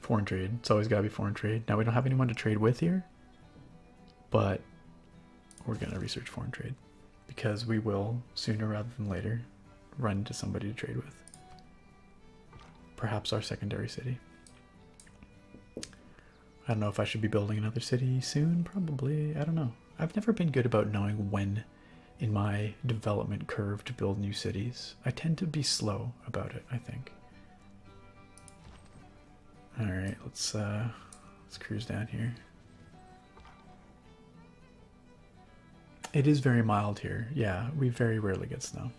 Foreign trade. It's always got to be foreign trade. Now we don't have anyone to trade with here, but we're going to research foreign trade because we will sooner rather than later run into somebody to trade with. Perhaps our secondary city. I don't know if I should be building another city soon, probably. I don't know. I've never been good about knowing when in my development curve to build new cities. I tend to be slow about it, I think. All right, let's uh, let's cruise down here. It is very mild here. Yeah, we very rarely get snow.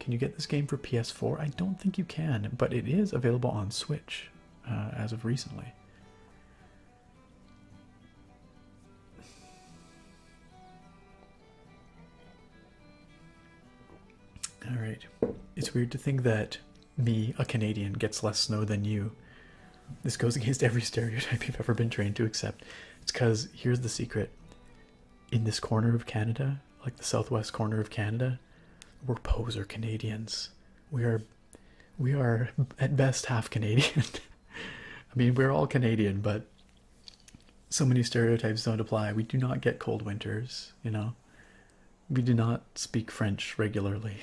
Can you get this game for PS4? I don't think you can, but it is available on Switch uh, as of recently. All right. It's weird to think that me, a Canadian, gets less snow than you. This goes against every stereotype you've ever been trained to accept. It's because here's the secret in this corner of Canada, like the southwest corner of Canada, we're poser Canadians. We are, we are at best half Canadian. I mean, we're all Canadian, but so many stereotypes don't apply. We do not get cold winters, you know. We do not speak French regularly.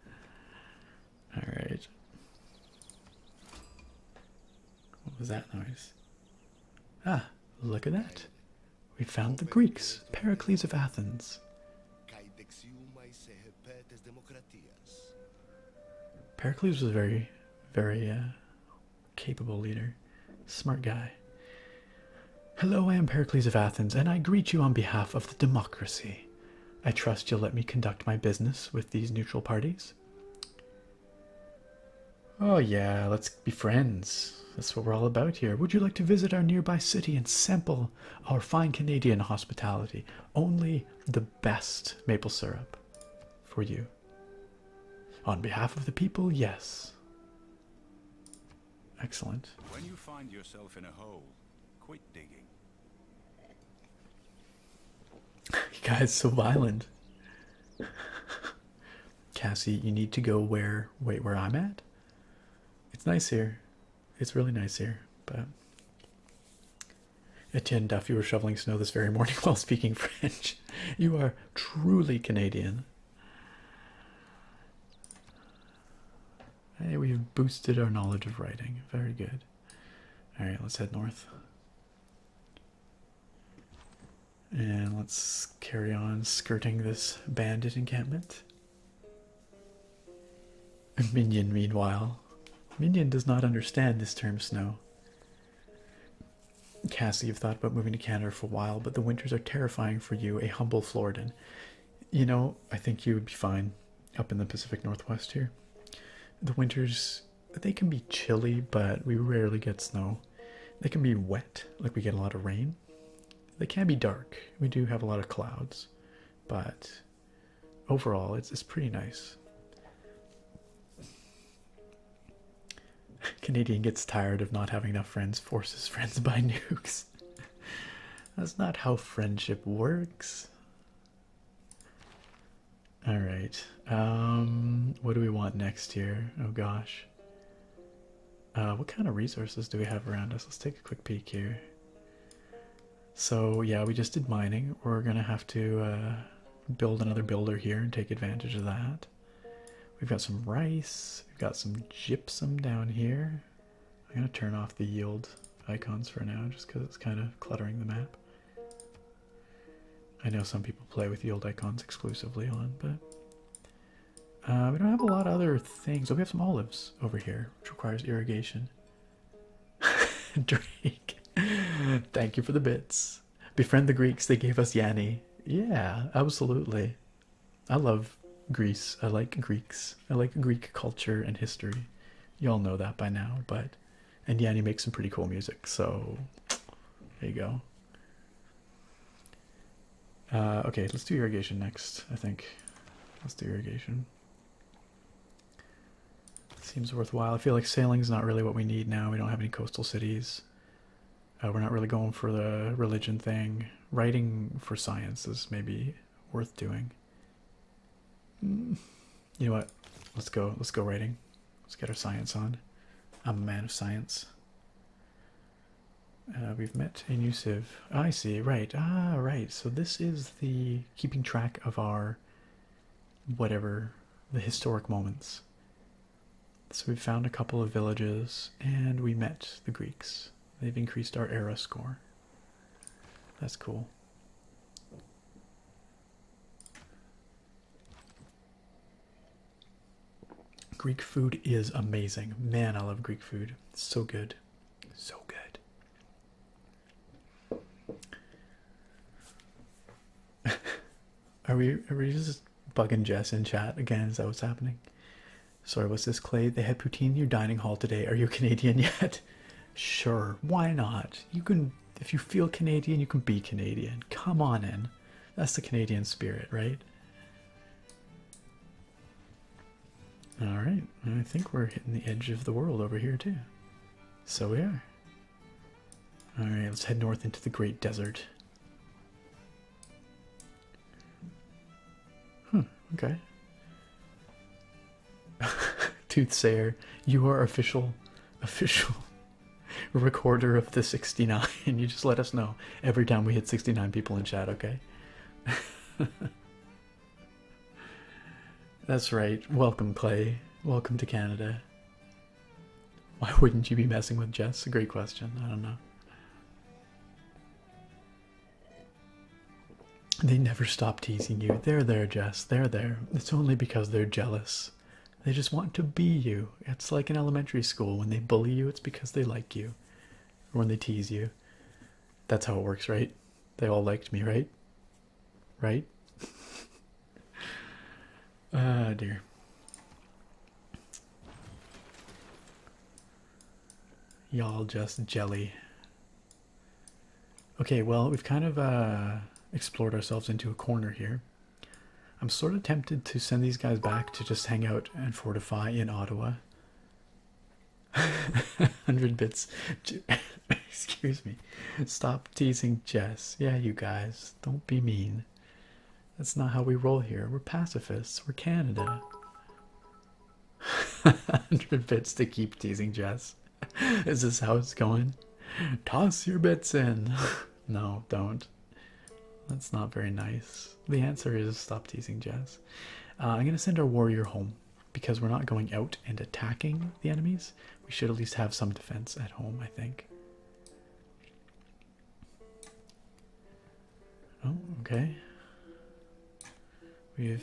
All right. What was that noise? Ah, look at that. We found the Greeks, Pericles of Athens. Pericles was very, very uh, capable leader, smart guy. Hello, I am Pericles of Athens, and I greet you on behalf of the democracy. I trust you'll let me conduct my business with these neutral parties. Oh, yeah, let's be friends. That's what we're all about here. Would you like to visit our nearby city and sample our fine Canadian hospitality? Only the best maple syrup for you. On behalf of the people, yes. Excellent. When you find yourself in a hole, quit digging. you guys so violent. Cassie, you need to go where wait where I'm at? It's nice here. It's really nice here, but Etienne Duff, you were shoveling snow this very morning while speaking French. You are truly Canadian. Hey, we've boosted our knowledge of writing. Very good. All right, let's head north. And let's carry on skirting this bandit encampment. Minion, meanwhile. Minion does not understand this term snow. Cassie, you've thought about moving to Canada for a while, but the winters are terrifying for you, a humble Floridan. You know, I think you would be fine up in the Pacific Northwest here. The winters, they can be chilly, but we rarely get snow. They can be wet, like we get a lot of rain. They can be dark. We do have a lot of clouds, but overall, it's, it's pretty nice. Canadian gets tired of not having enough friends, forces friends by nukes. That's not how friendship works. All right. Um, what do we want next here? Oh gosh. Uh, what kind of resources do we have around us? Let's take a quick peek here. So yeah, we just did mining. We're gonna have to uh, build another builder here and take advantage of that. We've got some rice, we've got some gypsum down here. I'm going to turn off the yield icons for now just because it's kind of cluttering the map. I know some people play with yield icons exclusively on, but uh, we don't have a lot of other things. Oh, we have some olives over here, which requires irrigation. Drink. thank you for the bits. Befriend the Greeks, they gave us Yanni. Yeah, absolutely. I love Greece. I like Greeks. I like Greek culture and history. You all know that by now, but and Yanni makes some pretty cool music, so there you go. Uh, okay, let's do irrigation next. I think let's do irrigation. Seems worthwhile. I feel like sailing's not really what we need now. We don't have any coastal cities. Uh, we're not really going for the religion thing. Writing for science is maybe worth doing. Mm. you know what? Let's go. Let's go writing. Let's get our science on. I'm a man of science. Uh, we've met a new sieve. I see. Right. Ah, right. So this is the keeping track of our whatever the historic moments. So we found a couple of villages and we met the Greeks. They've increased our era score. That's cool. Greek food is amazing. Man, I love Greek food. so good. So good. are we are we just bugging Jess in chat again. Is that what's happening? Sorry, what's this, Clay? They had poutine in your dining hall today. Are you Canadian yet? sure, why not? You can, if you feel Canadian, you can be Canadian. Come on in. That's the Canadian spirit, right? All right, I think we're hitting the edge of the world over here, too. So we are. All right, let's head north into the Great Desert. Hmm, okay. Toothsayer, you are official official recorder of the 69. You just let us know every time we hit 69 people in chat, okay? That's right. Welcome, Clay. Welcome to Canada. Why wouldn't you be messing with Jess? A great question. I don't know. They never stop teasing you. They're there, Jess. They're there. It's only because they're jealous. They just want to be you. It's like in elementary school. When they bully you, it's because they like you. when they tease you. That's how it works, right? They all liked me, right? Right? Ah, dear. Y'all just jelly. Okay, well, we've kind of uh, explored ourselves into a corner here. I'm sort of tempted to send these guys back to just hang out and fortify in Ottawa. 100 bits. Excuse me. Stop teasing Jess. Yeah, you guys. Don't be mean. That's not how we roll here. We're pacifists. We're Canada. 100 bits to keep teasing Jess. Is this how it's going? Toss your bits in. no, don't. That's not very nice. The answer is stop teasing Jess. Uh, I'm going to send our warrior home because we're not going out and attacking the enemies. We should at least have some defense at home, I think. Oh, okay. We have.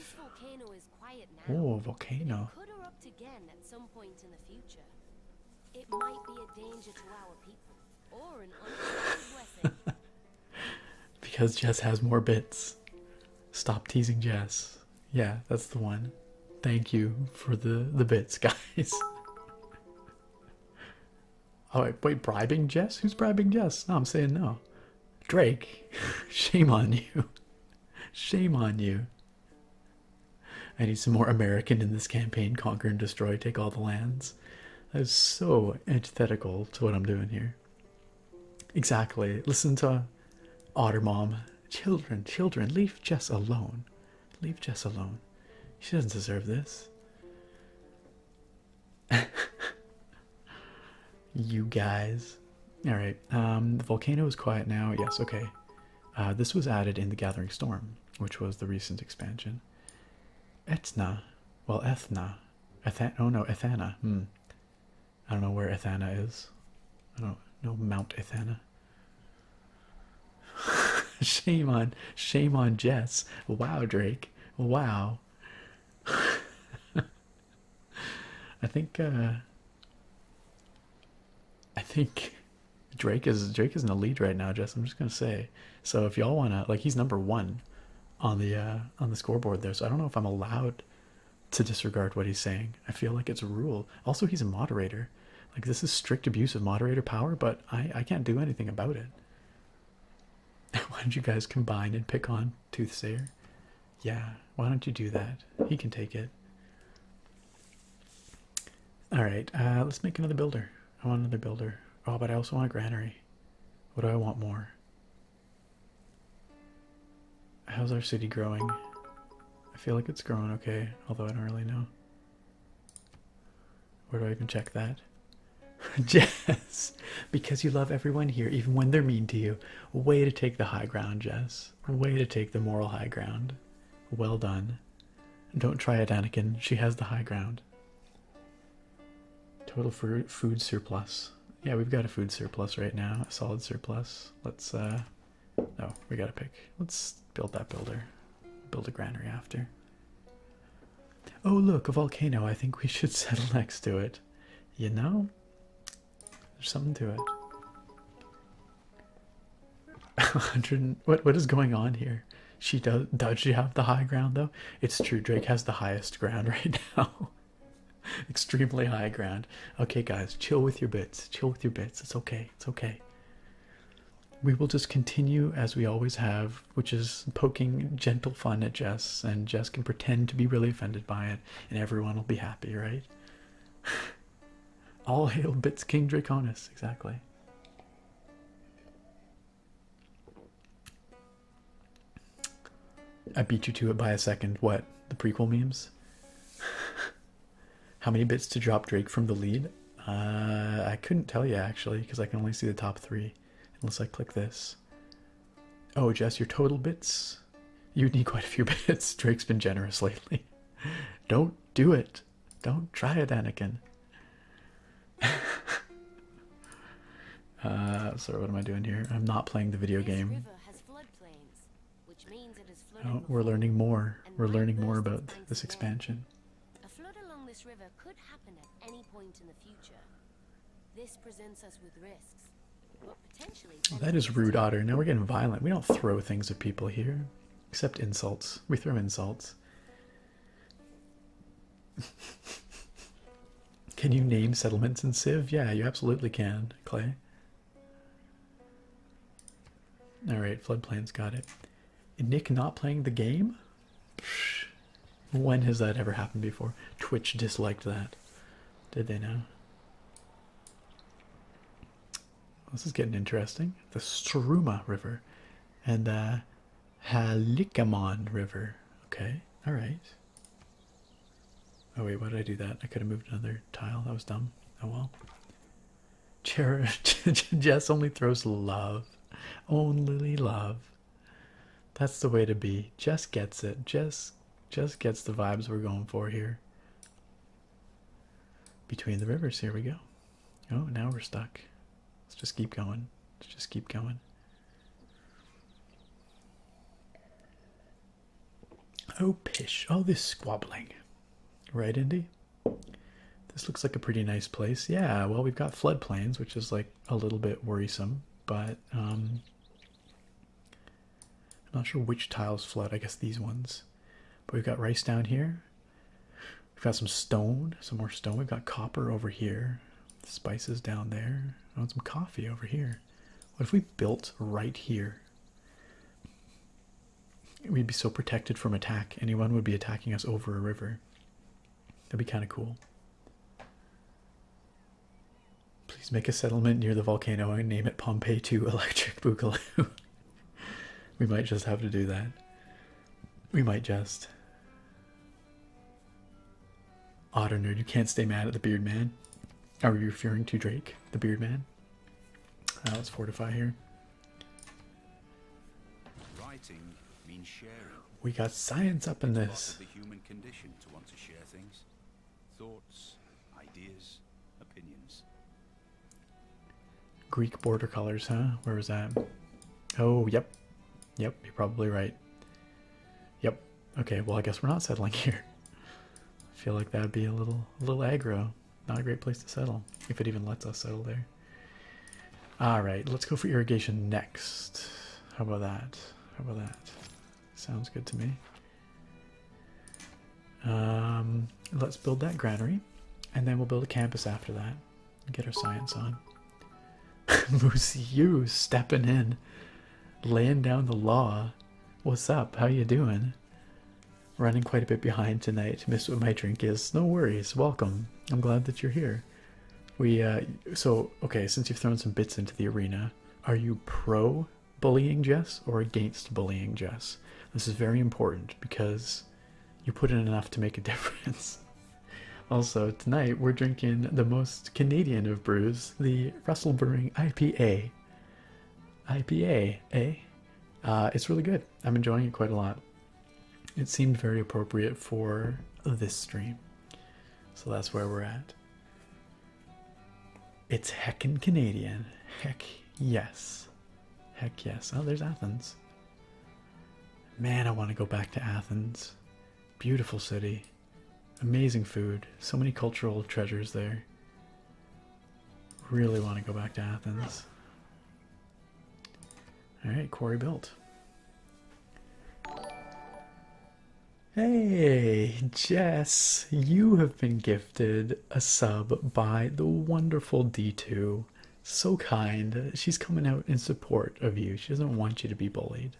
Oh, volcano. because Jess has more bits. Stop teasing Jess. Yeah, that's the one. Thank you for the the bits, guys. Oh, wait, wait, bribing Jess? Who's bribing Jess? No, I'm saying no. Drake, shame on you. Shame on you. I need some more American in this campaign. Conquer and destroy, take all the lands. That is so antithetical to what I'm doing here. Exactly. Listen to Otter Mom. Children, children, leave Jess alone. Leave Jess alone. She doesn't deserve this. you guys. All right. Um, the volcano is quiet now. Yes. Okay. Uh, this was added in the Gathering Storm, which was the recent expansion. Etna. Well, Ethna. Ethan oh no, Ethana. Hmm. I don't know where Ethana is. I don't know Mount Ethana. shame on shame on Jess. Wow, Drake. Wow. I think uh I think Drake is Drake is in the lead right now, Jess. I'm just gonna say. So if y'all wanna like he's number one on the uh on the scoreboard there, so I don't know if I'm allowed to disregard what he's saying. I feel like it's a rule. Also he's a moderator. Like this is strict abuse of moderator power, but I I can't do anything about it. why don't you guys combine and pick on Toothsayer? Yeah, why don't you do that? He can take it. All right, uh, let's make another builder. I want another builder. Oh, but I also want a granary. What do I want more? How's our city growing? I feel like it's growing okay, although I don't really know. Where do I even check that? Jess, because you love everyone here, even when they're mean to you. A Way to take the high ground, Jess. A Way to take the moral high ground. Well done. Don't try it, Anakin. She has the high ground. Total for food surplus. Yeah, we've got a food surplus right now, a solid surplus. Let's, uh, no, oh, we gotta pick. Let's build that builder build a granary after. Oh, look, a volcano. I think we should settle next to it. You know? There's something to it. 100 what what is going on here? She does does she have the high ground though? It's true Drake has the highest ground right now. Extremely high ground. Okay guys, chill with your bits. Chill with your bits. It's okay. It's okay we will just continue as we always have, which is poking gentle fun at Jess, and Jess can pretend to be really offended by it, and everyone will be happy, right? All hail Bits King Draconis, exactly. I beat you to it by a second. What? The prequel memes? How many bits to drop Drake from the lead? Uh, I couldn't tell you actually because I can only see the top three unless I click this. Oh, Jess, your total bits. You need quite a few bits. Drake's been generous lately. Don't do it. Don't try it, Anakin. uh, sorry, what am I doing here? I'm not playing the video game. Oh, we're learning more. We're learning more about this expansion. A flood along this river could happen at any point in the future. This presents us with risks. But potentially oh, that is rude, Otter. Now we're getting violent. We don't throw things at people here, except insults. We throw insults. can you name settlements in Civ? Yeah, you absolutely can, Clay. All right, floodplains got it. Nick not playing the game? When has that ever happened before? Twitch disliked that. Did they now? This is getting interesting. The Struma River and the Halikamon River. Okay, all right. Oh wait, why did I do that? I could have moved another tile. That was dumb. Oh well. Jess only throws love. Only love. That's the way to be. Just gets it. Just just gets the vibes we're going for here. Between the rivers, here we go. Oh, now we're stuck. Let's just keep going. Let's just keep going. Oh, pish. All oh, this squabbling. Right, Indy? This looks like a pretty nice place. Yeah, well, we've got flood plains, which is like a little bit worrisome, but um, I'm not sure which tiles flood. I guess these ones. But we've got rice down here. We've got some stone, some more stone. We've got copper over here, spices down there. I want some coffee over here. What if we built right here? We'd be so protected from attack. Anyone would be attacking us over a river. That'd be kind of cool. Please make a settlement near the volcano and name it Pompeii 2 Electric Boogaloo. we might just have to do that. We might just. Otter nerd, you can't stay mad at the beard man. Are you referring to Drake, the beard man? Uh, let's fortify here. Writing means sharing. We got science up in this. thoughts, ideas, opinions. Greek border colors, huh? Where was that? Oh, yep. Yep, you're probably right. Yep. Okay, well I guess we're not settling here. I feel like that'd be a little little aggro. Not a great place to settle. If it even lets us settle there. All right, let's go for irrigation next. How about that? How about that? Sounds good to me. Um, let's build that granary, and then we'll build a campus after that. Get our science on. Moose, you stepping in, laying down the law. What's up? How you doing? Running quite a bit behind tonight. Miss what my drink is. No worries. Welcome. I'm glad that you're here. We uh, so okay. Since you've thrown some bits into the arena, are you pro bullying Jess or against bullying Jess? This is very important because you put in enough to make a difference. also, tonight we're drinking the most Canadian of brews, the Russell Brewing IPA. IPA, eh? Uh, it's really good. I'm enjoying it quite a lot. It seemed very appropriate for this stream. So that's where we're at. It's heckin' Canadian. Heck yes. Heck yes. Oh, there's Athens. Man, I want to go back to Athens. Beautiful city. Amazing food. So many cultural treasures there. Really want to go back to Athens. All right, Corey built. Hey, Jess, you have been gifted a sub by the wonderful D2. So kind. She's coming out in support of you. She doesn't want you to be bullied.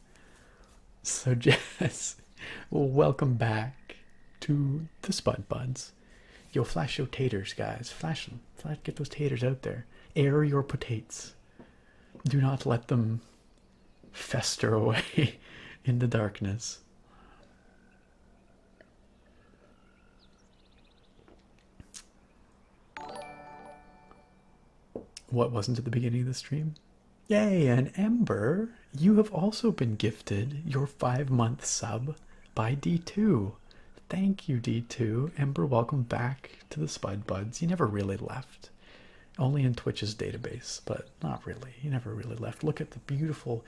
So, Jess, welcome back to the Spud Buds. Yo, flash your taters, guys. Flash them. Flash, get those taters out there. Air your potates. Do not let them fester away in the darkness. What wasn't at the beginning of the stream? Yay, and Ember, you have also been gifted your five month sub by D2. Thank you, D2. Ember, welcome back to the Spud Buds. You never really left. Only in Twitch's database, but not really. You never really left. Look at the beautiful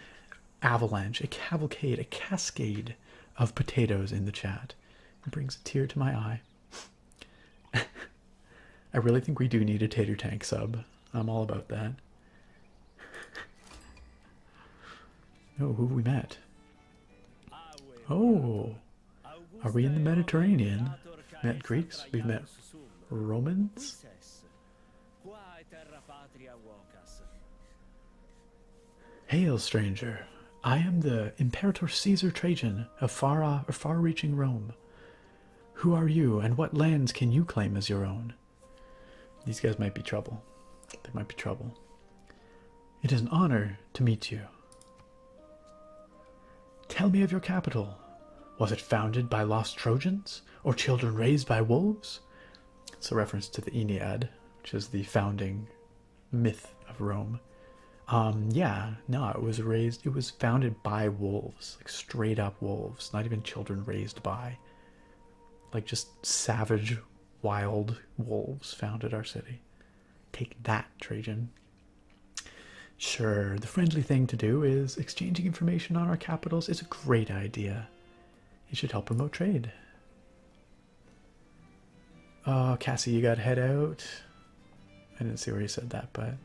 avalanche, a cavalcade, a cascade of potatoes in the chat. It brings a tear to my eye. I really think we do need a tater tank sub. I'm all about that. Oh, who we met? Oh, are we in the Mediterranean? met Greeks, we've met Romans. Hail, stranger. I am the Imperator Caesar Trajan of far, far reaching Rome. Who are you, and what lands can you claim as your own? These guys might be trouble. They might be trouble. It is an honor to meet you. Tell me of your capital. Was it founded by lost Trojans or children raised by wolves? It's a reference to the Aeneid, which is the founding myth of Rome. Um, yeah, no, it was raised, it was founded by wolves, like straight up wolves, not even children raised by, like just savage, wild wolves founded our city. Take that, Trajan. Sure, the friendly thing to do is exchanging information on our capitals is a great idea. It should help promote trade. Oh, Cassie, you gotta head out. I didn't see where you said that, but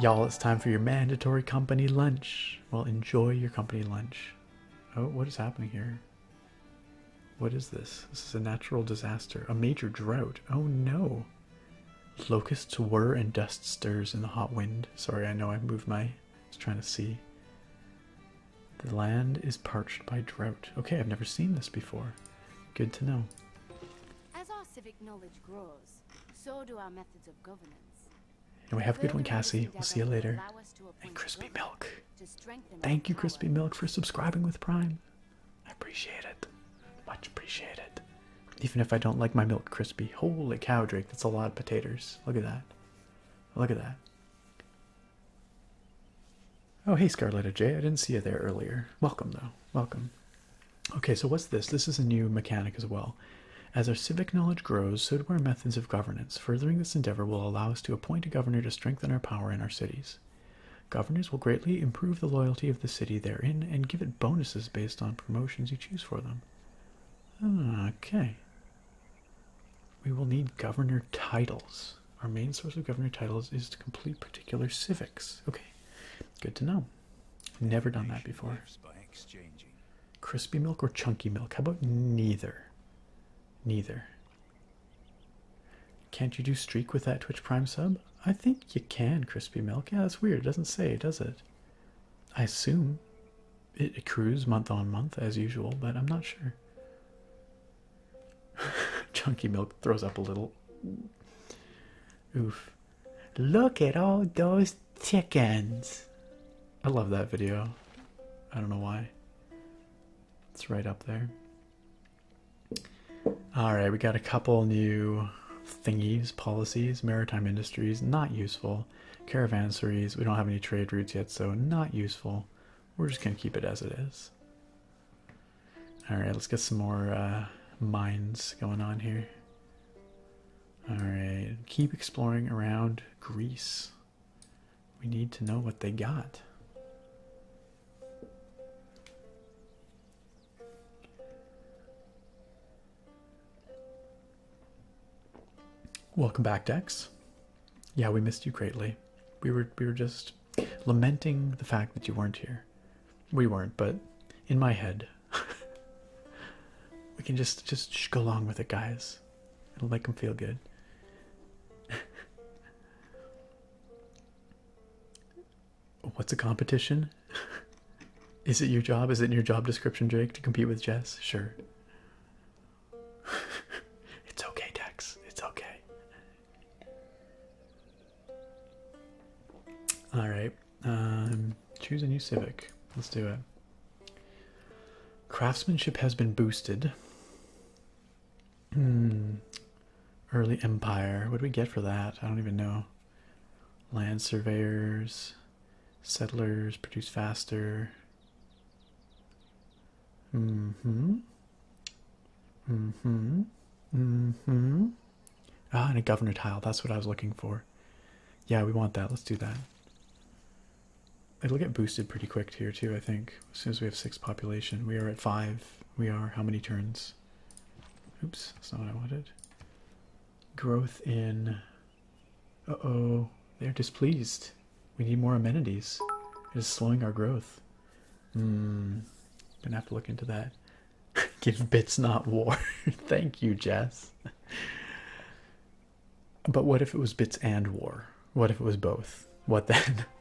y'all, it's time for your mandatory company lunch. Well, enjoy your company lunch. Oh, what is happening here? What is this? This is a natural disaster, a major drought. Oh no. Locusts whir and dust stirs in the hot wind. Sorry, I know I moved my. I was trying to see. The land is parched by drought. Okay, I've never seen this before. Good to know. As our civic knowledge grows, so do our methods of governance. And we have a good one, Cassie. We'll see you later. And Crispy Milk. Thank you, Crispy Milk, for subscribing with Prime. I appreciate it. Much appreciated. Even if I don't like my milk crispy. Holy cow, Drake, that's a lot of potatoes. Look at that. Look at that. Oh, hey, Scarletta J. I didn't see you there earlier. Welcome, though. Welcome. Okay, so what's this? This is a new mechanic as well. As our civic knowledge grows, so do our methods of governance. Furthering this endeavor will allow us to appoint a governor to strengthen our power in our cities. Governors will greatly improve the loyalty of the city therein and give it bonuses based on promotions you choose for them. Okay. We will need governor titles. Our main source of governor titles is to complete particular civics. Okay, good to know. Never done that before. Crispy milk or chunky milk? How about neither? Neither. Can't you do streak with that Twitch Prime sub? I think you can, Crispy Milk. Yeah, that's weird. It doesn't say, does it? I assume it accrues month on month as usual, but I'm not sure. Chunky Milk throws up a little. Oof. Look at all those chickens. I love that video. I don't know why. It's right up there. All right, we got a couple new thingies, policies, maritime industries, not useful. Caravanseries, we don't have any trade routes yet, so not useful. We're just going to keep it as it is. All right, let's get some more uh, mines going on here. All right, keep exploring around Greece. We need to know what they got. Welcome back, Dex. Yeah, we missed you greatly. We were we were just lamenting the fact that you weren't here. We weren't, but in my head, we can just just go along with it, guys. It'll make them feel good. what's a competition? Is it your job? Is it in your job description, Drake, to compete with Jess? Sure. it's okay, Dex. It's okay. All right. Um, choose a new civic. Let's do it. Craftsmanship has been boosted. Hmm. Early Empire. What do we get for that? I don't even know. Land surveyors, settlers, produce faster. hmm. hmm. hmm. Ah, and a governor tile. That's what I was looking for. Yeah, we want that. Let's do that. It'll get boosted pretty quick here, too, I think. As soon as we have six population, we are at five. We are how many turns? Oops, that's not what I wanted. Growth in. Uh oh, they're displeased. We need more amenities. It is slowing our growth. Hmm, gonna have to look into that. Give bits, not war. Thank you, Jess. But what if it was bits and war? What if it was both? What then?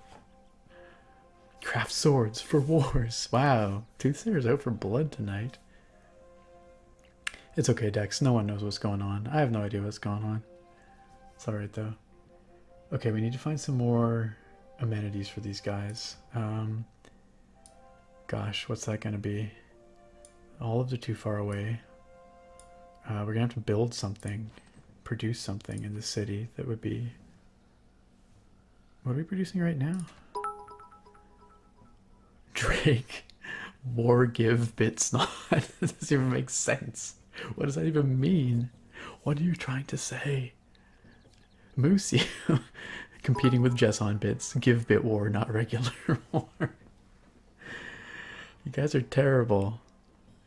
Craft swords for wars. Wow. Toothsayer's out for blood tonight. It's okay, Dex. No one knows what's going on. I have no idea what's going on. It's alright, though. Okay, we need to find some more amenities for these guys. Um, gosh, what's that going to be? All of the too far away. Uh, we're going to have to build something, produce something in the city that would be what are we producing right now? Drake war give bits not. doesn't even make sense. What does that even mean? What are you trying to say? Moosey competing with Jess on bits. Give bit war, not regular war. you guys are terrible.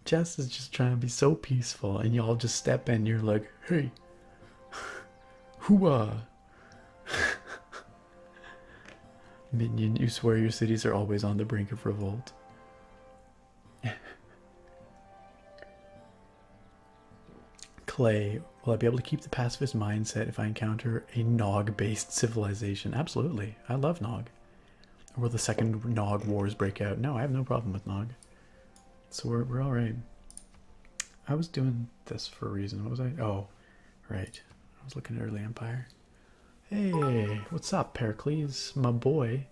Jess is just trying to be so peaceful, and y'all just step in. You're like, hey, hooah. Uh? Minion, you swear your cities are always on the brink of revolt. Clay, will I be able to keep the pacifist mindset if I encounter a Nog based civilization? Absolutely. I love Nog. will the second Nog wars break out? No, I have no problem with Nog. So we're right. I was doing this for a reason. What was I? Oh, right. I was looking at early empire. Hey, what's up, Pericles, my boy?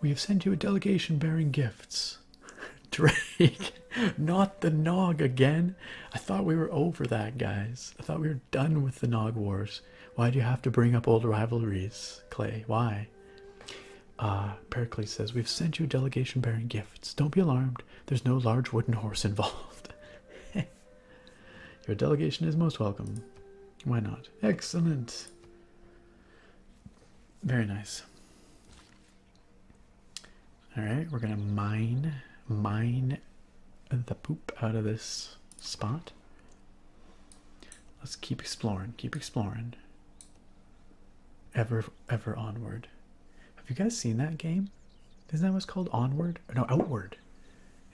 We have sent you a delegation bearing gifts. Drake, not the Nog again. I thought we were over that, guys. I thought we were done with the Nog Wars. Why do you have to bring up old rivalries, Clay? Why? Uh, Pericles says, We've sent you delegation bearing gifts. Don't be alarmed. There's no large wooden horse involved. Your delegation is most welcome. Why not? Excellent. Very nice. All right, we're gonna mine, mine the poop out of this spot. Let's keep exploring, keep exploring ever ever onward have you guys seen that game isn't that what's called onward or no outward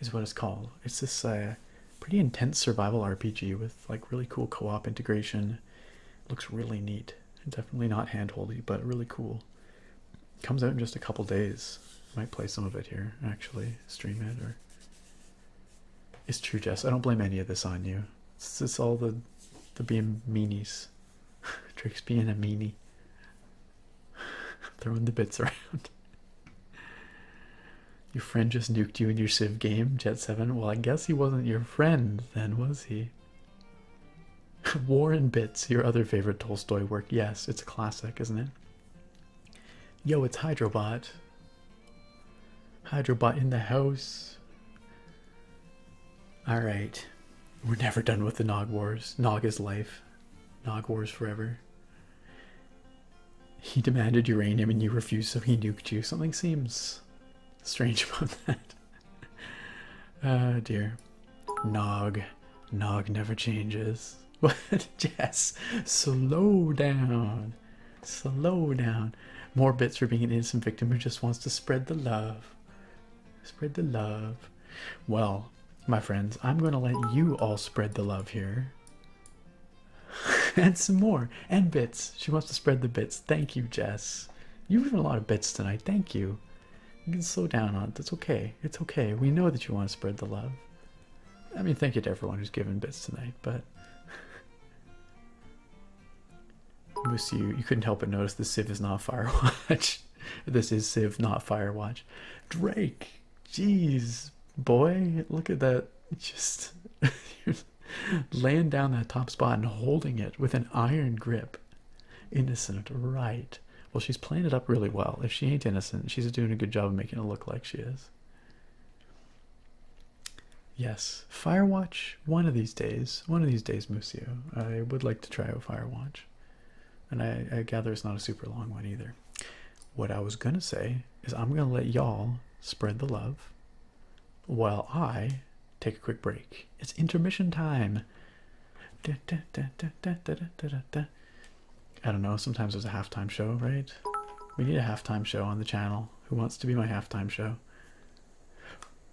is what it's called it's this uh, pretty intense survival rpg with like really cool co-op integration looks really neat definitely not handholdy but really cool comes out in just a couple days might play some of it here actually stream it or it's true jess i don't blame any of this on you it's just all the the being meanies. Drake's being a meanie. Throwing the bits around. Your friend just nuked you in your Civ game, Jet7. Well, I guess he wasn't your friend then, was he? War and Bits, your other favorite Tolstoy work. Yes, it's a classic, isn't it? Yo, it's Hydrobot. Hydrobot in the house. All right, we're never done with the Nog Wars. Nog is life, Nog Wars forever. He demanded uranium and you refused, so he nuked you. Something seems strange about that. Oh dear. Nog. Nog never changes. What? Jess, slow down. Slow down. More bits for being an innocent victim who just wants to spread the love. Spread the love. Well, my friends, I'm going to let you all spread the love here. and some more. And bits. She wants to spread the bits. Thank you, Jess. You've given a lot of bits tonight. Thank you. You can slow down on That's okay. It's okay. We know that you want to spread the love. I mean, thank you to everyone who's given bits tonight, but Musu, you couldn't help but notice this Civ is not Firewatch. this is Civ, not Firewatch. Drake, jeez, boy, look at that. Just laying down that top spot and holding it with an iron grip. Innocent, right. Well, she's playing it up really well. If she ain't innocent, she's doing a good job of making it look like she is. Yes, fire watch. One of these days, one of these days, Musio. I would like to try a fire watch, and I, gather it's not a super long one either. What I was gonna say is I'm gonna let y'all spread the love, while I take a quick break. It's intermission time. I don't know, sometimes it's a halftime show, right? We need a halftime show on the channel. Who wants to be my halftime show?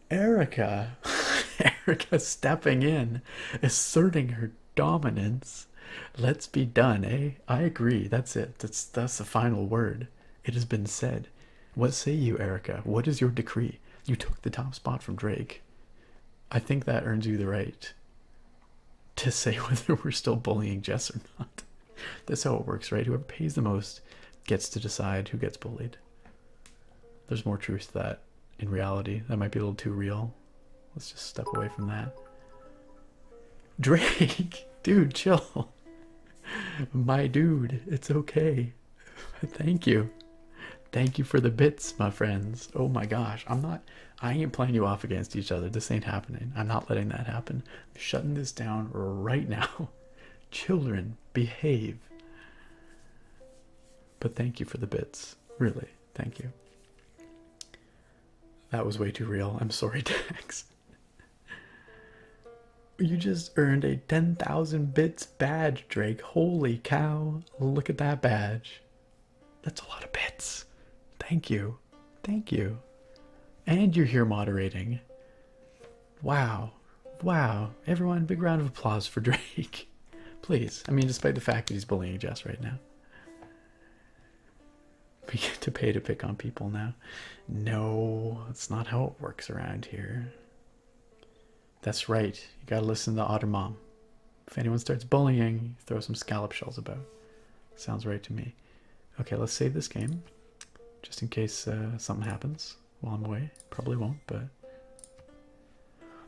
Erica, Erica stepping in, asserting her dominance. Let's be done, eh? I agree. That's it. That's that's the final word. It has been said. What say you, Erica? What is your decree? You took the top spot from Drake. I think that earns you the right to say whether we're still bullying Jess or not. That's how it works, right? Whoever pays the most gets to decide who gets bullied. There's more truth to that in reality. That might be a little too real. Let's just step away from that. Drake, dude, chill. My dude, it's okay. Thank you. Thank you for the bits, my friends. Oh my gosh, I'm not, I ain't playing you off against each other. This ain't happening. I'm not letting that happen. I'm shutting this down right now. Children, behave. But thank you for the bits. Really, thank you. That was way too real. I'm sorry, Dax. You just earned a 10,000 bits badge, Drake. Holy cow. Look at that badge. That's a lot of bits. Thank you. Thank you. And you're here moderating. Wow. Wow. Everyone, big round of applause for Drake. Please. I mean, despite the fact that he's bullying Jess right now. We get to pay to pick on people now. No, that's not how it works around here. That's right. You gotta listen to Otter Mom. If anyone starts bullying, throw some scallop shells about. Sounds right to me. Okay, let's save this game. Just in case uh, something happens while I'm away. Probably won't, but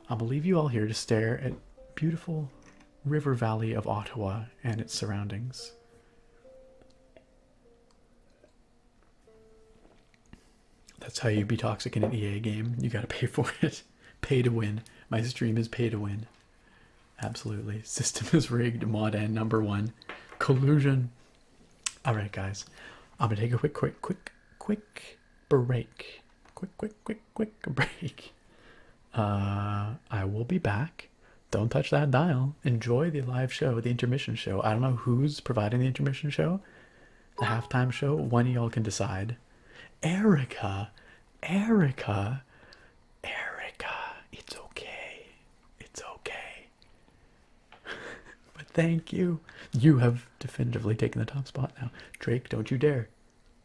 I will leave you all here to stare at beautiful river valley of Ottawa and its surroundings. That's how you be toxic in an EA game. You gotta pay for it. pay to win. My stream is pay to win. Absolutely. System is rigged. Mod and number one. Collusion. Alright guys. I'm gonna take a quick quick quick quick break. Quick, quick, quick, quick break. Uh, I will be back. Don't touch that dial. Enjoy the live show, the intermission show. I don't know who's providing the intermission show, the halftime show. One y'all can decide. Erica, Erica, Erica, it's okay. It's okay. but thank you. You have definitively taken the top spot now. Drake, don't you dare.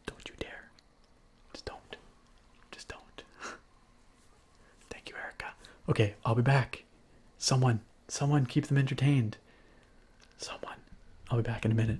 Don't you dare. Just don't. Just don't. thank you, Erica. Okay, I'll be back. Someone, someone keep them entertained. Someone. I'll be back in a minute.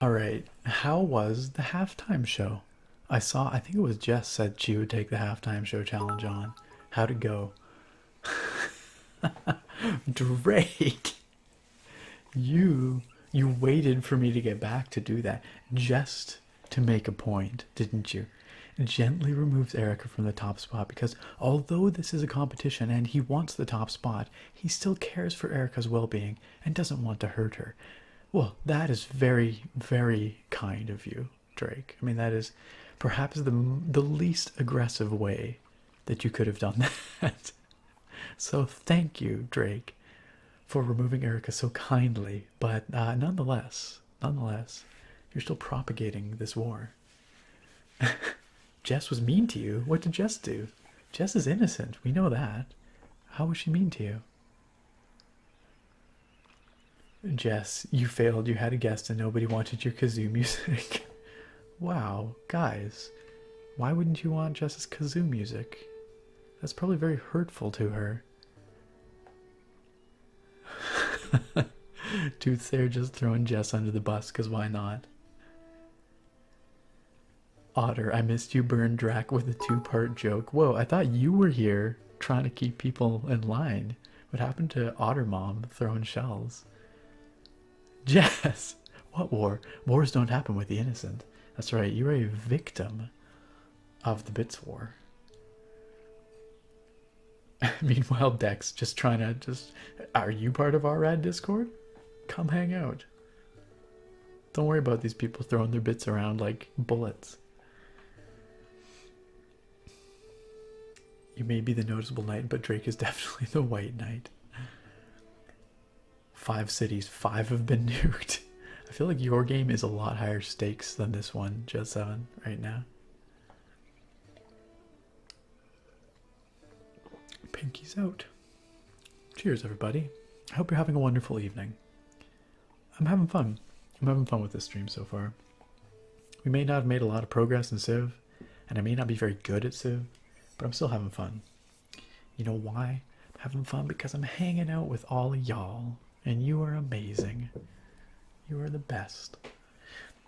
All right, how was the halftime show? I saw, I think it was Jess said she would take the halftime show challenge on. How'd it go? Drake, you you waited for me to get back to do that just to make a point, didn't you? Gently removes Erica from the top spot because although this is a competition and he wants the top spot, he still cares for Erica's well being and doesn't want to hurt her. Well, that is very, very kind of you, Drake. I mean, that is perhaps the, the least aggressive way that you could have done that. so, thank you, Drake, for removing Erica so kindly. But uh, nonetheless, nonetheless, you're still propagating this war. Jess was mean to you. What did Jess do? Jess is innocent. We know that. How was she mean to you? Jess, you failed. You had a guest and nobody wanted your kazoo music. wow, guys, why wouldn't you want Jess's kazoo music? That's probably very hurtful to her. Dudes, they're just throwing Jess under the bus because why not? Otter, I missed you burn Drac with a two-part joke. Whoa, I thought you were here trying to keep people in line. What happened to Otter Mom throwing shells? Jess, what war? Wars don't happen with the innocent. That's right, you're a victim of the Bits War. Meanwhile, Dex just trying to just are you part of our rad Discord? Come hang out. Don't worry about these people throwing their bits around like bullets. You may be the noticeable knight, but Drake is definitely the white knight. Five cities, five have been nuked. I feel like your game is a lot higher stakes than this one, Jet 7, right now. Pinkies out. Cheers, everybody. I hope you're having a wonderful evening. I'm having fun. I'm having fun with this stream so far. We may not have made a lot of progress in Civ, and I may not be very good at Civ, but I'm still having fun. You know why? having fun because I'm hanging out with all y'all, and you are amazing. You are the best.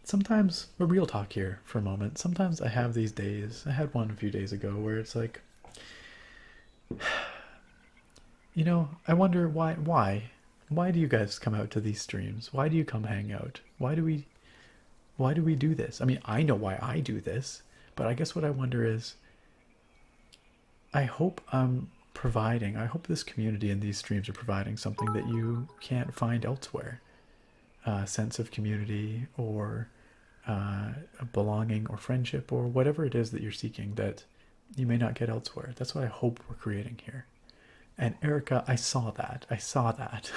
Sometimes, a real talk here for a moment, sometimes I have these days, I had one a few days ago, where it's like, You know, I wonder why why why do you guys come out to these streams? Why do you come hang out? Why do we why do we do this? I mean, I know why I do this, but I guess what I wonder is I hope I'm providing, I hope this community and these streams are providing something that you can't find elsewhere. Uh, sense of community or uh, belonging or friendship or whatever it is that you're seeking that you may not get elsewhere. That's what I hope we're creating here. And Erica, I saw that. I saw that.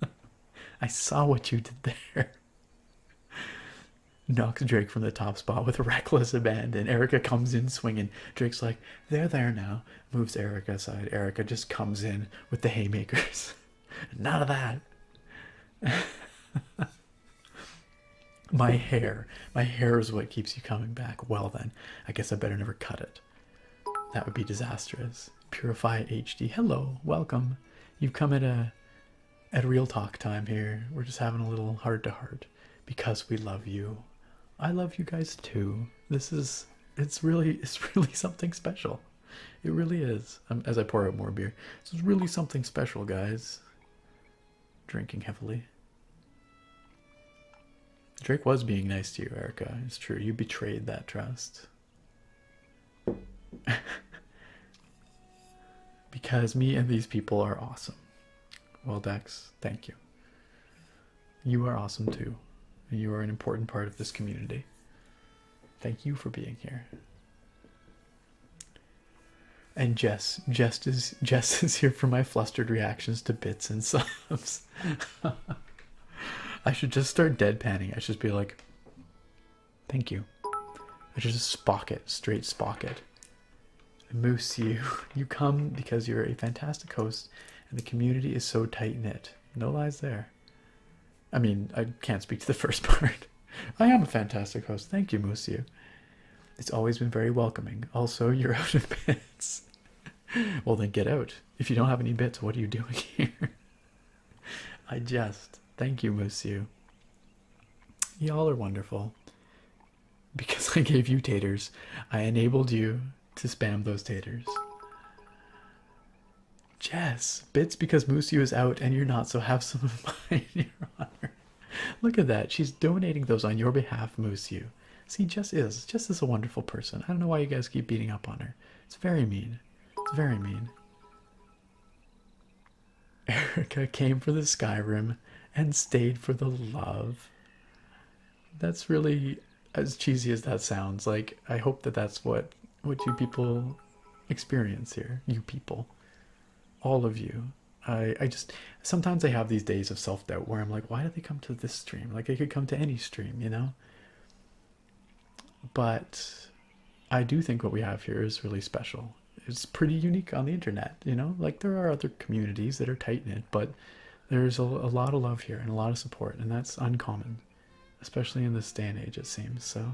I saw what you did there. Knocks Drake from the top spot with reckless abandon. Erica comes in swinging. Drake's like, they're there now. Moves Erica aside. Erica just comes in with the haymakers. None of that. my hair. My hair is what keeps you coming back. Well, then, I guess I better never cut it. That would be disastrous. Purify HD. Hello, welcome. You've come at a at real talk time here. We're just having a little heart to heart because we love you. I love you guys too. This is it's really it's really something special. It really is. Um, as I pour out more beer, this is really something special, guys. Drinking heavily. Drake was being nice to you, Erica. It's true. You betrayed that trust. because me and these people are awesome. Well, Dex, thank you. You are awesome too. You are an important part of this community. Thank you for being here. And Jess, Jess is Jess is here for my flustered reactions to bits and subs. I should just start deadpanning. I should just be like, "Thank you." I should just spock it, straight spock it. Moose, you you come because you're a fantastic host, and the community is so tight knit. No lies there. I mean, I can't speak to the first part. I am a fantastic host. Thank you, Musiu. It's always been very welcoming. Also, you're out of bits. well, then get out. If you don't have any bits, what are you doing here? I just. Thank you, Musiu. Y'all are wonderful. Because I gave you taters, I enabled you to spam those taters. Jess, bits because Musu is out and you're not, so have some of mine, Your Honor. Look at that. She's donating those on your behalf, Musu. See, Jess is. Jess is a wonderful person. I don't know why you guys keep beating up on her. It's very mean. It's very mean. Erica came for the Skyrim and stayed for the love. That's really as cheesy as that sounds. Like, I hope that that's what what you people experience here. You people, all of you. I I just sometimes I have these days of self doubt where I'm like, why do they come to this stream? Like they could come to any stream, you know. But I do think what we have here is really special. It's pretty unique on the internet, you know. Like there are other communities that are tight knit, but there's a lot of love here and a lot of support, and that's uncommon, especially in this day and age, it seems. So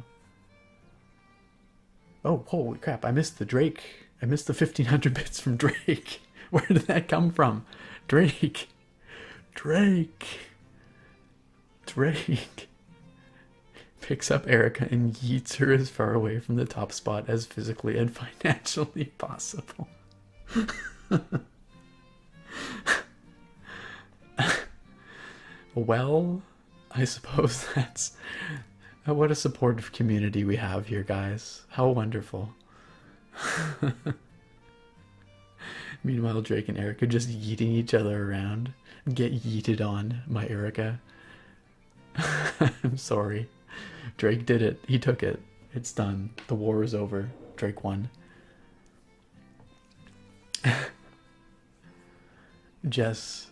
Oh, holy crap, I missed the Drake. I missed the 1500 bits from Drake. Where did that come from? Drake. Drake. Drake. Picks up Erica and yeets her as far away from the top spot as physically and financially possible. well. I suppose that's uh, what a supportive community we have here, guys. How wonderful. Meanwhile, Drake and Erica just yeeting each other around. Get yeeted on, my Erica. I'm sorry. Drake did it. He took it. It's done. The war is over. Drake won. Jess,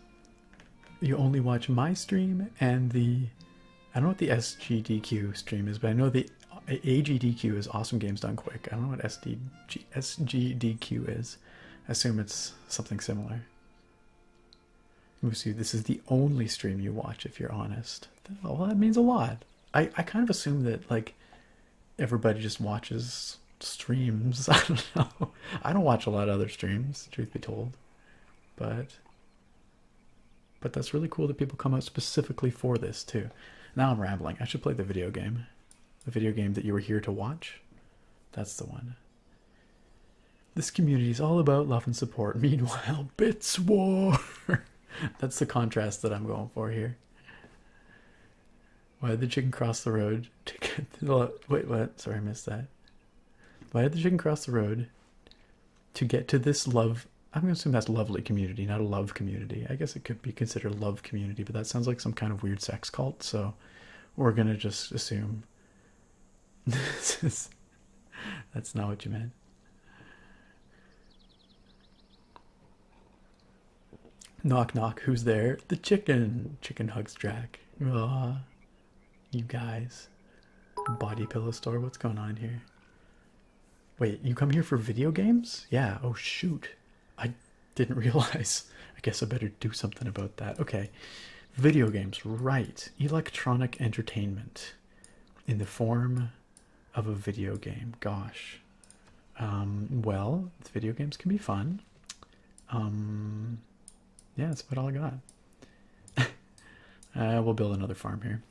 you only watch my stream and the I don't know what the SGDQ stream is, but I know the AGDQ is Awesome Games Done Quick. I don't know what SDG, SGDQ is. assume it's something similar. Musu, this is the only stream you watch if you're honest. Well, that means a lot. I, I kind of assume that, like, everybody just watches streams. I don't know. I don't watch a lot of other streams, truth be told. But but that's really cool that people come out specifically for this too. Now I'm rambling. I should play the video game. The video game that you were here to watch. That's the one. This community is all about love and support. Meanwhile, bits war. that's the contrast that I'm going for here. Why did the chicken cross the road to get the wait what? Sorry, I missed that. Why did the chicken cross the road to get to this love? I'm gonna assume that's lovely community, not a love community. I guess it could be considered love community, but that sounds like some kind of weird sex cult, so we're gonna just assume this is that's not what you meant. Knock knock, who's there? The chicken. Chicken hugs Jack. Uh, you guys. Body pillow store, what's going on here? Wait, you come here for video games? Yeah, oh shoot. I didn't realize. I guess I better do something about that. Okay. Video games, right. Electronic entertainment in the form of a video game. Gosh. Um, well, video games can be fun. Um, yeah, that's about all I got. Uh, we'll build another farm here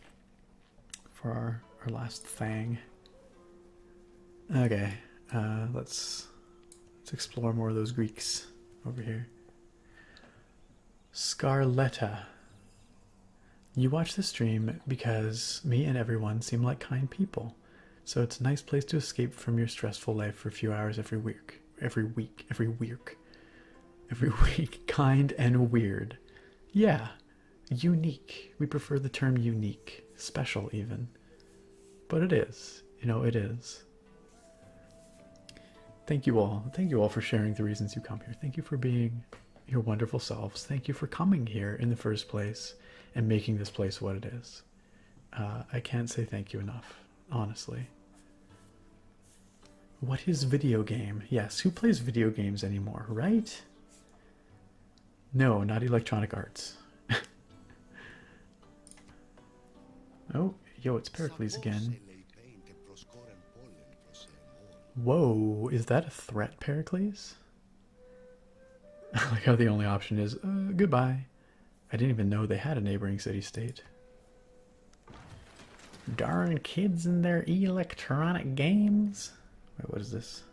for our, our last thing. Okay, uh, let's let's explore more of those Greeks over here. Scarletta. You watch the stream because me and everyone seem like kind people. So it's a nice place to escape from your stressful life for a few hours every week. Every week. Every week. Every week. kind and weird. Yeah. Unique. We prefer the term unique. Special, even. But it is. You know, it is. Thank you all. Thank you all for sharing the reasons you come here. Thank you for being your wonderful selves. Thank you for coming here in the first place and making this place what it is. Uh, I can't say thank you enough, honestly. What is video game? Yes, who plays video games anymore, right? No, not Electronic Arts. oh, yo, it's Pericles again. Whoa, is that a threat, Pericles? I how the only option is uh, goodbye. I didn't even know they had a neighboring city state. Darn kids and their electronic games. what is this?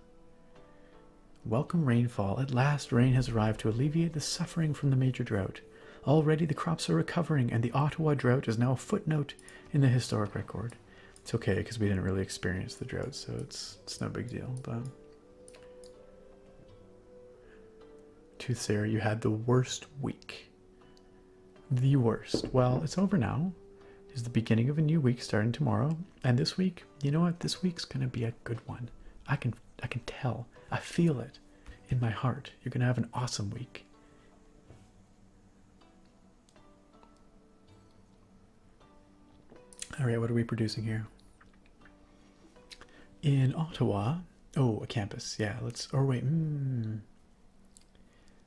Welcome rainfall. At last, rain has arrived to alleviate the suffering from the major drought. Already the crops are recovering, and the Ottawa drought is now a footnote in the historic record. It's okay because we didn't really experience the drought, so it's, it's no big deal. But Tooth Sarah, you had the worst week. The worst. Well, it's over now. It's the beginning of a new week starting tomorrow. And this week, you know what? This week's gonna be a good one. I can I can tell. I feel it in my heart. You're gonna have an awesome week. Alright, what are we producing here? in Ottawa. Oh, a campus. Yeah, let's. Or wait. Hmm.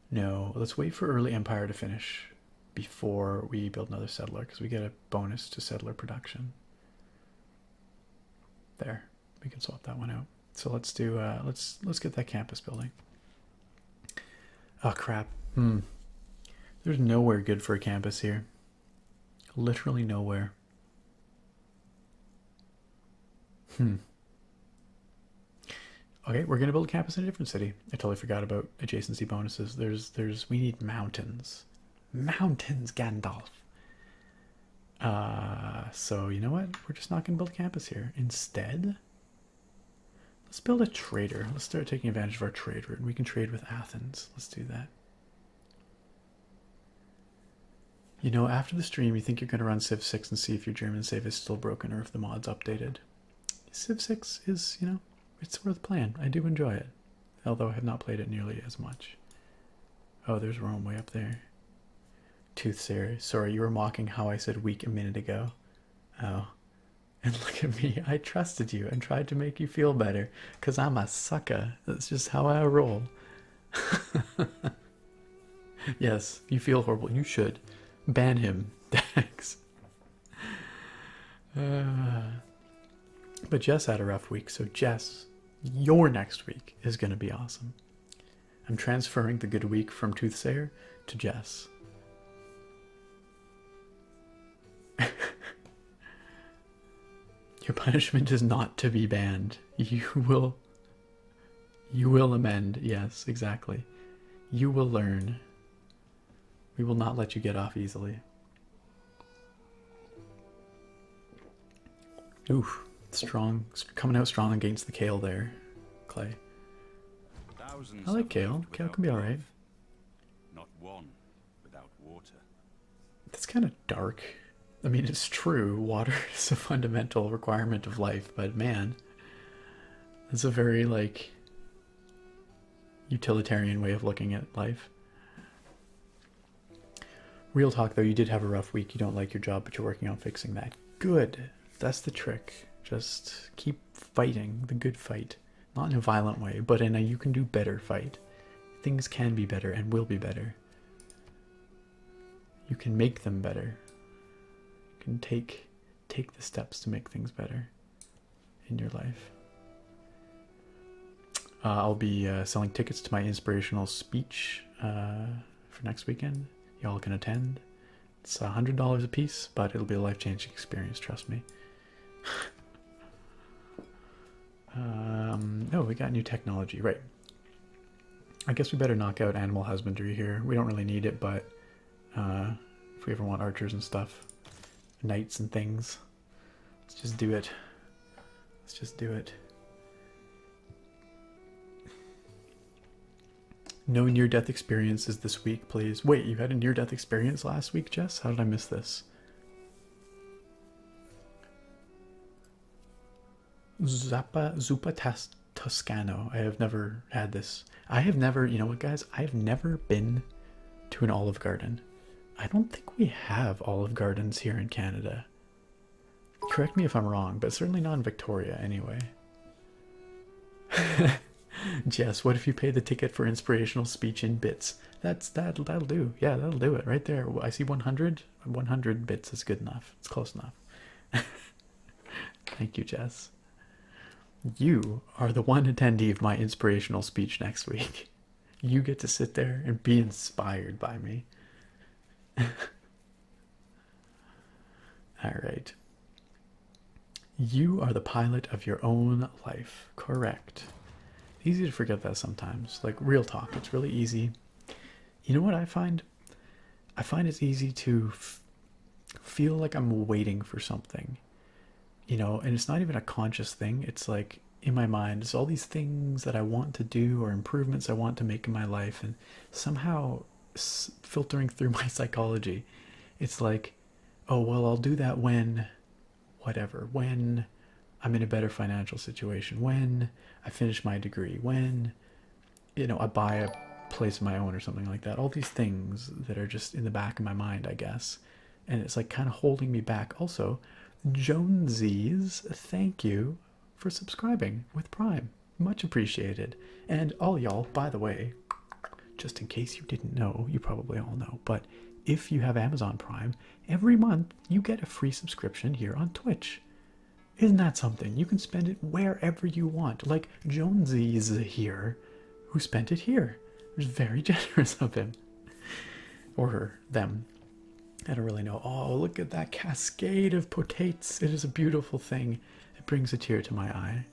no, let's wait for early empire to finish before we build another settler because we get a bonus to settler production. There, we can swap that one out. So let's do. Uh, let's let's get that campus building. Oh crap. Hmm. There's nowhere good for a campus here. Literally nowhere. Hmm. Okay, we're gonna build a campus in a different city. I totally forgot about adjacency bonuses. There's there's we need mountains. Mountains, Gandalf. Uh so you know what? We're just not gonna build a campus here. Instead, let's build a trader. Let's start taking advantage of our trade route. We can trade with Athens. Let's do that. You know, after the stream, you think you're going to run Civ 6 and see if your German save is still broken or if the mod's updated. Civ 6 is, you know, it's worth playing. I do enjoy it, although I have not played it nearly as much. Oh, there's Rome way up there. Tooth Toothsayer, sorry, you were mocking how I said weak a minute ago. Oh, and look at me. I trusted you and tried to make you feel better because I'm a sucker. That's just how I roll. yes, you feel horrible. You should ban him. Thanks. Uh, but Jess had a rough week, so Jess, your next week is going to be awesome. I'm transferring the good week from Toothsayer to Jess. Your punishment is not to be banned. You will. You will amend. Yes, exactly. You will learn. We will not let you get off easily. Oof. Strong. Coming out strong against the Kale there, Clay. Thousands I like Kale. Kale can be alright. Not one without water. That's kind of dark. I mean, it's true, water is a fundamental requirement of life, but man, that's a very like utilitarian way of looking at life. Real talk though, you did have a rough week. You don't like your job, but you're working on fixing that. Good. That's the trick. Just keep fighting the good fight. Not in a violent way, but in a you can do better fight. Things can be better and will be better you can make them better you can take take the steps to make things better in your life uh, i'll be uh, selling tickets to my inspirational speech uh, for next weekend y'all can attend it's a hundred dollars a piece but it'll be a life-changing experience trust me Um, oh, we got new technology, right. I guess we better knock out animal husbandry here. We don't really need it, but uh, if we ever want archers and stuff, knights and things, let's just do it. Let's just do it. No near-death experiences this week, please. Wait, you had a near-death experience last week, Jess? How did I miss this? Zappa Zuppa Tas Toscano. I have never had this. I have never, you know what, guys? I've never been to an Olive Garden. I don't think we have Olive Gardens here in Canada. Correct me if I'm wrong, but certainly not in Victoria anyway. Jess, what if you pay the ticket for inspirational speech in bits? That's that that'll do. Yeah, that'll do it right there. I see 100. 100. bits is good enough. It's close enough. Thank you, Jess. You are the one attendee of my inspirational speech next week. You get to sit there and be inspired by me. All right. You are the pilot of your own life. Correct. Easy to forget that sometimes. Like real talk, it's really easy you know what I find? I find it's easy to feel like I'm waiting for something, you know, and it's not even a conscious thing. It's like in my mind, it's all these things that I want to do or improvements I want to make in my life, and somehow filtering through my psychology, it's like, oh, well, I'll do that when whatever, when I'm in a better financial situation when I finish my degree, when you know I buy a place of my own or something like that. All these things that are just in the back of my mind, I guess, and it's like kind of holding me back. Also, Jonesies, thank you for subscribing with Prime, much appreciated. And all y'all, by the way, just in case you didn't know, you probably all know, but if you have Amazon Prime, every month you get a free subscription here on Twitch. Isn't that something? You can spend it wherever you want. Like Jonesy's here, who spent it here. It was very generous of him. Or her, them. I don't really know. Oh, look at that cascade of potates. It is a beautiful thing. It brings a tear to my eye.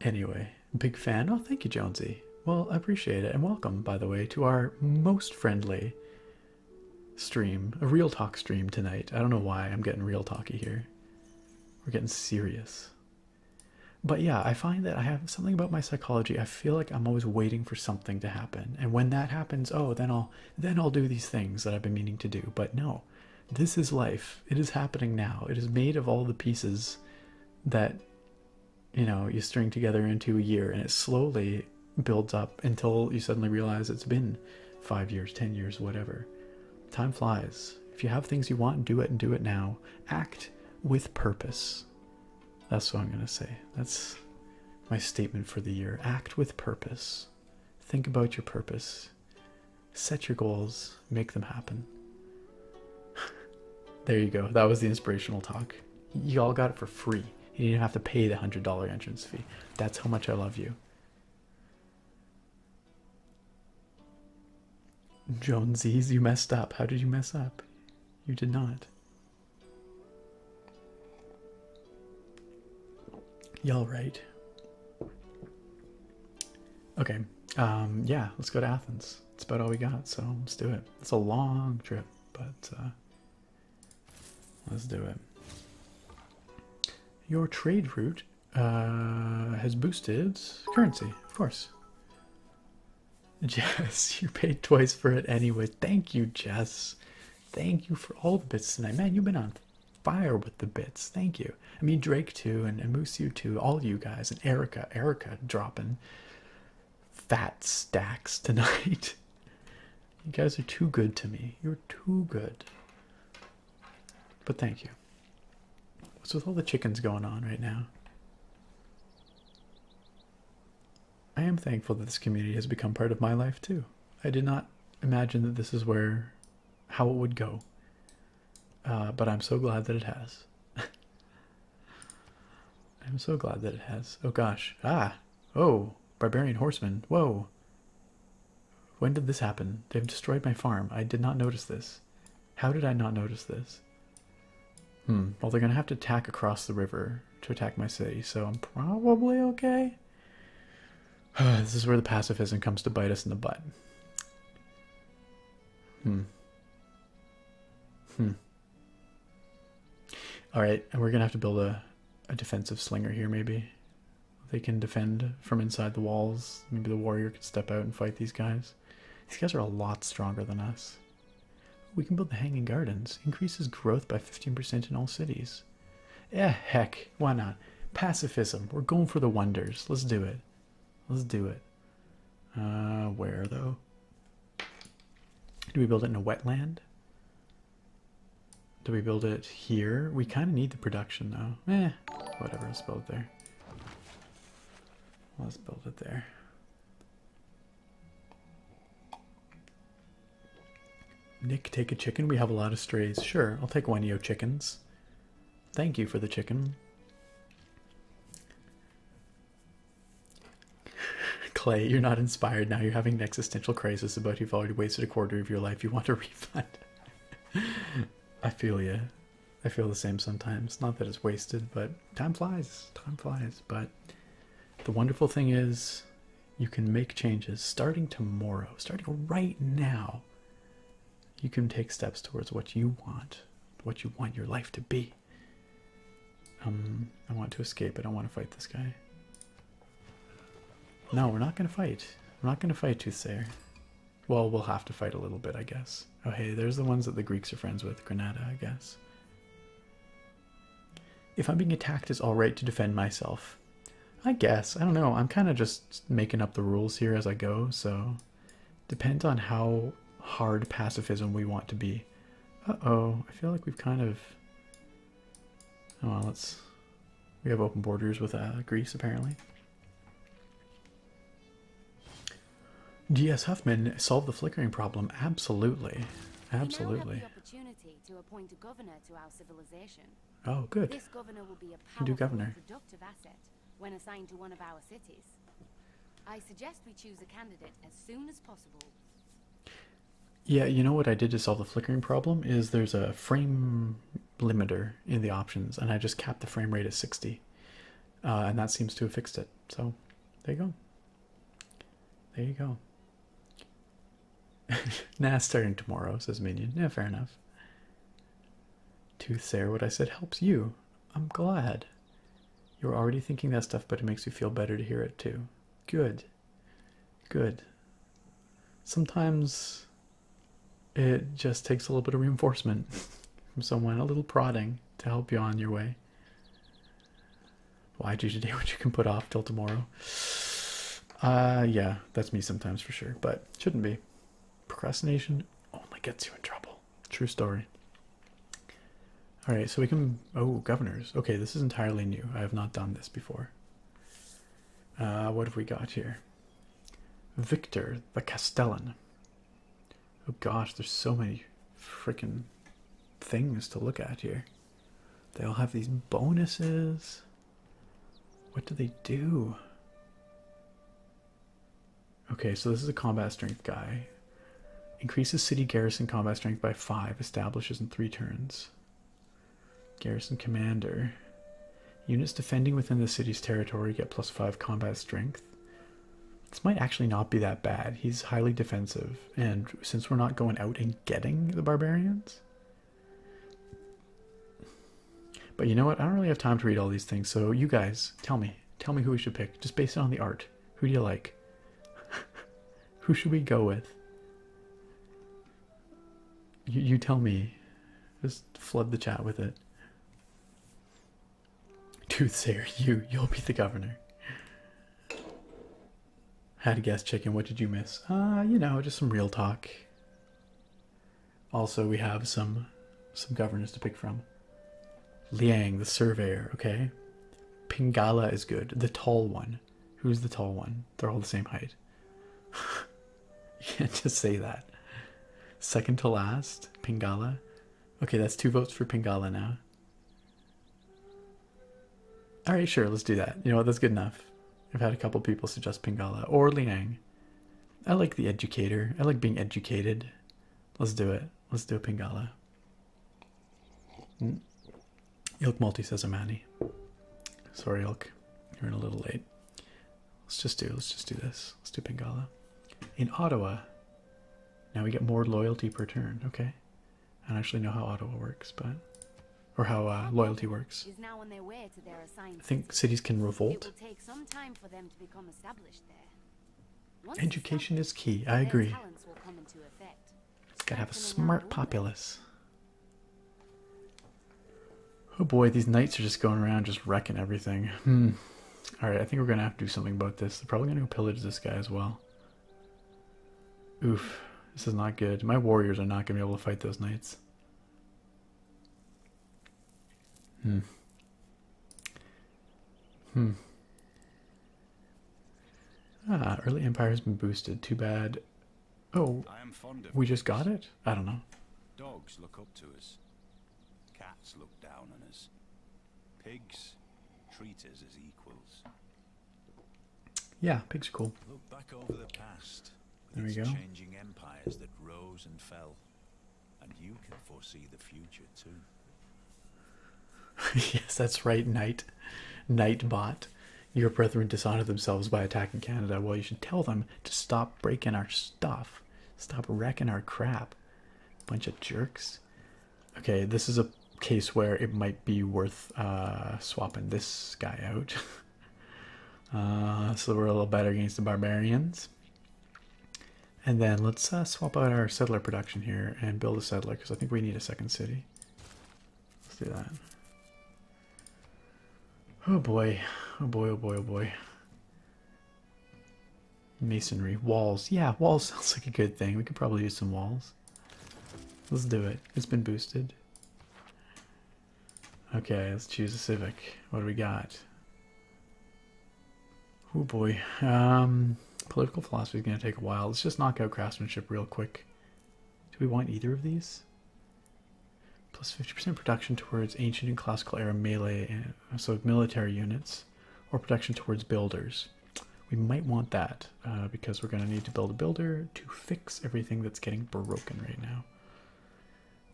Anyway, big fan. Oh, thank you, Jonesy. Well, I appreciate it. And welcome, by the way, to our most friendly stream, a real talk stream tonight. I don't know why I'm getting real talky here. We're getting serious. But yeah, I find that I have something about my psychology. I feel like I'm always waiting for something to happen. And when that happens, oh, then I'll then I'll do these things that I've been meaning to do. But no. This is life. It is happening now. It is made of all the pieces that you know you string together into a year and it's slowly builds up until you suddenly realize it's been five years, ten years, whatever. Time flies. If you have things you want, do it and do it now. Act with purpose. That's what I'm going to say. That's my statement for the year. Act with purpose. Think about your purpose. Set your goals. Make them happen. there you go. That was the inspirational talk you all got it for free. You didn't have to pay the hundred dollar entrance fee. That's how much I love you. Jonesies. you messed up. How did you mess up? You did not. Y'all right. Okay. Um, yeah, let's go to Athens. That's about all we got, so let's do it. It's a long trip, but uh, Let's do it. Your trade route uh, has boosted currency, of course. Jess, you paid twice for it anyway. Thank you, Jess. Thank you for all the bits tonight. Man, you've been on fire with the bits. Thank you. I mean, Drake too, and, and Moose you too, all you guys, and Erica. Erica dropping fat stacks tonight. You guys are too good to me. You're too good. But thank you. What's with all the chickens going on right now? I am thankful that this community has become part of my life too. I did not imagine that this is where, how it would go. Uh, but I'm so glad that it has. I'm so glad that it has. Oh gosh. Ah. Oh barbarian horsemen. Whoa. When did this happen? They've destroyed my farm. I did not notice this. How did I not notice this? Hmm. Well, they're going to have to attack across the river to attack my city, so I'm probably okay. this is where the pacifism comes to bite us in the butt. Hmm. Hmm. All right, and we're going to have to build a a defensive slinger here, maybe. They can defend from inside the walls. Maybe the warrior could step out and fight these guys. These guys are a lot stronger than us. We can build the Hanging Gardens. Increases growth by 15% in all cities. Eh, heck, why not? Pacifism. We're going for the wonders. Let's do it. Let's do it. Uh, where, though? Do we build it in a wetland? Do we build it here? We kind of need the production though. Eh, whatever, let's build there. Let's build it there. Nick, take a chicken. We have a lot of strays. Sure, I'll take one of your chickens. Thank you for the chicken. Clay, you're not inspired now. You're having an existential crisis about you've already wasted a quarter of your life. You want a refund. I feel you. I feel the same sometimes. Not that it's wasted, but time flies. Time flies. But the wonderful thing is you can make changes starting tomorrow, starting right now. You can take steps towards what you want, what you want your life to be. Um, I want to escape. I don't want to fight this guy. No, we're not going to fight. We're not going to fight Toothsayer. Well, we'll have to fight a little bit, I guess. Oh, hey, there's the ones that the Greeks are friends with. Granada, I guess. If I'm being attacked, it's alright to defend myself. I guess. I don't know. I'm kind of just making up the rules here as I go, so... Depends on how hard pacifism we want to be. Uh-oh. I feel like we've kind of Oh, well, let's. We have open borders with uh, Greece apparently. D.S. Huffman solved the flickering problem. Absolutely, absolutely. Oh, good. This governor governor. productive asset when assigned to one of our cities. I suggest we choose a candidate as soon as possible yeah, you know what I did to solve the flickering problem is there's a frame limiter in the options, and I just capped the frame rate at 60, uh, and that seems to have fixed it. So there you go. There you go. Now starting tomorrow, says Minion. Yeah, fair enough. Tooth Sayer, what I said helps you. I'm glad. You're already thinking that stuff, but it makes you feel better to hear it too. Good. Good. Sometimes it just takes a little bit of reinforcement from someone, a little prodding to help you on your way. Why do you today what you can put off till tomorrow? Uh, yeah, that's me sometimes for sure, but shouldn't be. Procrastination only gets you in trouble. True story. All right, so we can. Oh, governors. Okay, this is entirely new. I have not done this before. Uh, what have we got here? Victor the Castellan. Oh gosh, there's so many freaking things to look at here. They all have these bonuses. What do they do? Okay, so this is a combat strength guy. Increases city garrison combat strength by five, establishes in three turns. Garrison commander. Units defending within the city's territory get plus five combat strength. This might actually not be that bad. He's highly defensive, and since we're not going out and getting the barbarians. But you know what? I don't really have time to read all these things, so you guys, tell me. Tell me who we should pick, just based on the art. Who do you like? who should we go with? You, tell me. Just flood the chat with it. Toothsayer, you you'll be the governor. Had a guess, chicken. What did you miss? Uh, you know, just some real talk. Also, we have some some governors to pick from. Liang, the surveyor. Okay, Pingala is good. The tall one. Who's the tall one? They're all the same height. you can't just say that. Second to last, Pingala. Okay, that's two votes for Pingala now. All right, sure, let's do that. You know what? That's good enough. I've had a couple people suggest Pingala or Liang. I like the educator. I like being educated. Let's do it. Let's do Pingala. Hmm. Ilk multi says Amani. Sorry, Ilk, you're in a little late. Let's just do. Let's just do this. Let's do Pingala. In Ottawa. Now we get more loyalty per turn. Okay. I actually know how Ottawa works, but or how uh, loyalty works. I think cities can revolt. Education is key. I agree. It's gotta have a smart populace. Oh boy, these knights are just going around just wrecking everything. Hmm. Alright, I think we're gonna have to do something about this. They're probably gonna go pillage this guy as well. Oof. This is not good. My warriors are not gonna be able to fight those knights. Hmm. Hmm. Ah, early empire's been boosted. Too bad Oh, I am fond of we just got it? I don't know. Dogs look up to us. Cats look down on us. Pigs treat us as equals. Yeah, pigs are cool. Look back over the past. There we go. Changing empires that rose and fell, and you can foresee the future too. yes, that's right, Night, Nightbot. Your brethren dishonor themselves by attacking Canada. Well, you should tell them to stop breaking our stuff, stop wrecking our crap. Bunch of jerks. Okay, this is a case where it might be worth uh, swapping this guy out. uh, so we're a little better against the barbarians. And then let's uh, swap out our settler production here and build a settler because I think we need a second city. Let's do that. Oh boy. Oh boy, oh boy, oh boy. Masonry. Walls. Yeah, walls sounds like a good thing. We could probably use some walls. Let's do it. It's been boosted. Okay, let's choose a Civic. What do we got? Oh boy. Um, political philosophy is going to take a while. Let's just knock out craftsmanship real quick. Do we want either of these? Plus 50% production towards ancient and classical era melee, uh, so military units, or production towards builders. We might want that uh, because we're going to need to build a builder to fix everything that's getting broken right now.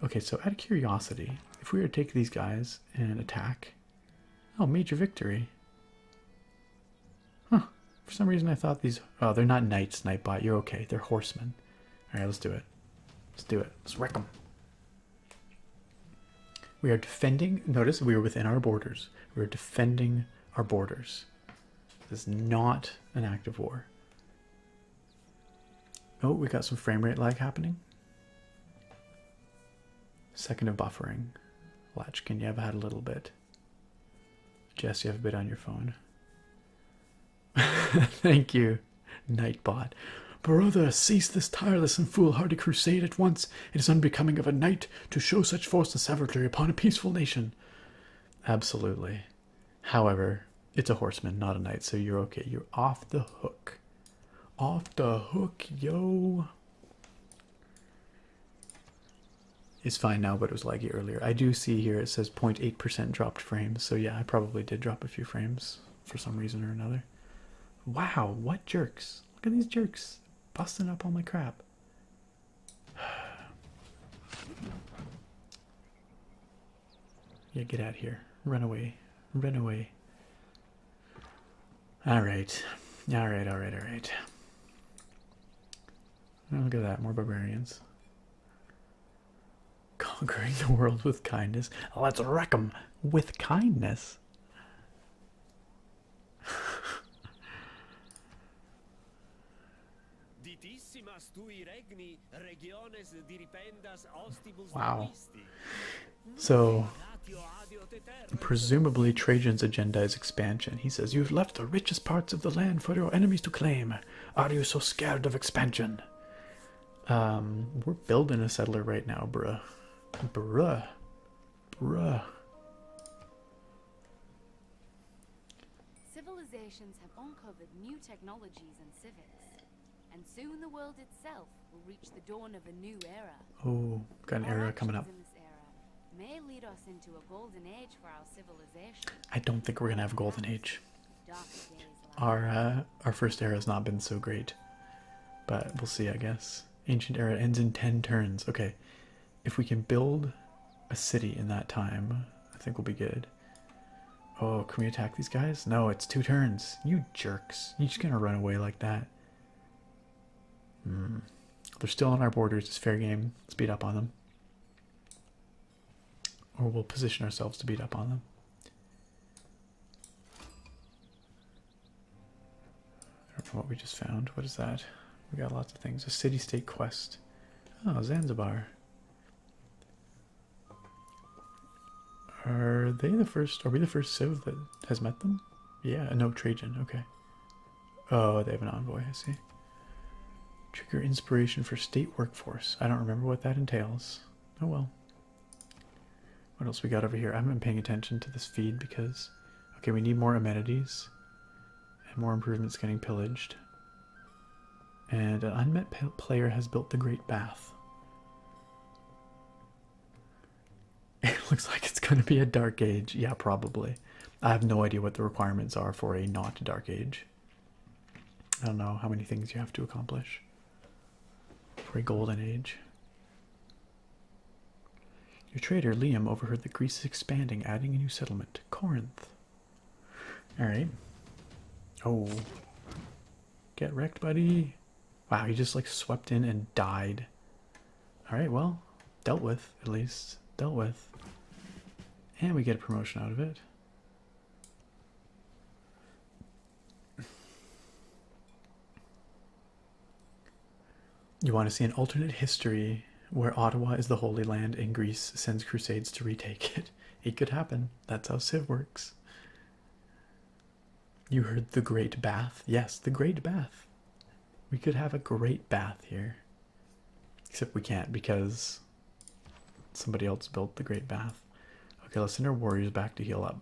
Okay, so out of curiosity, if we were to take these guys and attack, oh, major victory. Huh, for some reason, I thought these. Oh, they're not knights, Nightbot. You're okay. They're horsemen. All right, let's do it. Let's do it. Let's wreck them. We are defending. Notice we are within our borders. We are defending our borders. This is not an act of war. Oh, we got some frame rate lag happening. Second of buffering. Latchkin, you have had a little bit. Jess, you have a bit on your phone. Thank you, Nightbot. Brother, cease this tireless and foolhardy crusade at once. It is unbecoming of a knight to show such force and savagery upon a peaceful nation. Absolutely. However, it's a horseman, not a knight, so you're okay. You're off the hook. Off the hook, yo is fine now, but it was laggy earlier. I do see here it says 0.8% dropped frames, so yeah, I probably did drop a few frames for some reason or another. Wow, what jerks! Look at these jerks busting up all my crap. Yeah, get out here. Run away. Run away. Alright. Alright, alright, alright. Oh, look at that, more barbarians. Conquering the world with kindness. Let's wreck them with kindness. wow. So, presumably Trajan's agenda is expansion. He says, You've left the richest parts of the land for your enemies to claim. Are you so scared of expansion? Um, we're building a settler right now, bruh. Bruh. Bruh. Civilizations have uncovered new technologies and civics, and soon the world itself will reach the dawn of a new era. Oh, got an era coming up. may lead us into a golden age for our civilization. I don't think we're gonna have a golden age. Our uh, our first era has not been so great, but we'll see. I guess ancient era ends in ten turns. Okay, if we can build a city in that time, I think we'll be good. Oh, can we attack these guys? No, it's two turns. You jerks! You're just gonna run away like that. Hmm. They're still on our borders. It's fair game. Speed up on them or we'll position ourselves to beat up on them. what we just found, what is that? We got lots of things. A city-state quest. Oh, Zanzibar. Are they the first? Are we the first civ that has met them? Yeah, no Trajan. Okay. Oh, they have an envoy. I see. Trigger inspiration for state workforce. I don't remember what that entails. Oh well. What else we got over here? I have been paying attention to this feed because. Okay, we need more amenities. And more improvements getting pillaged. And an unmet player has built the Great Bath. It looks like it's going to be a Dark Age. Yeah, probably. I have no idea what the requirements are for a not Dark Age. I don't know how many things you have to accomplish for a golden age. Your trader, Liam, overheard that Greece is expanding, adding a new settlement, Corinth. Alright. Oh. Get wrecked, buddy. Wow, he just like swept in and died. Alright, well, dealt with, at least. Dealt with. And we get a promotion out of it. You want to see an alternate history where Ottawa is the Holy Land and Greece sends crusades to retake it. It could happen. That's how Civ works. You heard the Great Bath? Yes, the Great Bath. We could have a great bath here. Except we can't because Somebody else built the Great Bath. Okay, let's send our warriors back to heal up.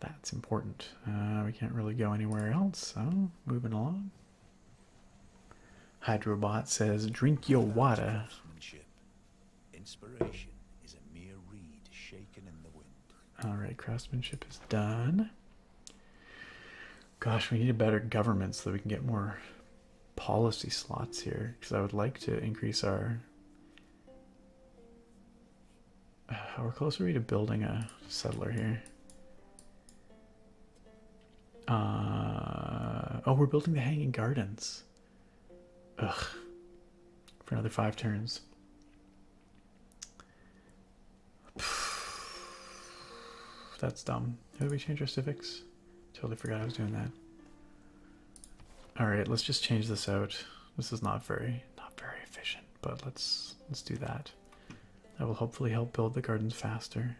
That's important. Uh, we can't really go anywhere else, so moving along. Hydrobot says, drink your water. Alright, craftsmanship is done. Gosh, we need a better government so that we can get more policy slots here. Because I would like to increase our. How uh, close are we to building a settler here? Uh, oh, we're building the Hanging Gardens. Ugh. For another five turns. That's dumb. How do we change our civics? Totally forgot I was doing that. Alright, let's just change this out. This is not very not very efficient, but let's let's do that. That will hopefully help build the gardens faster.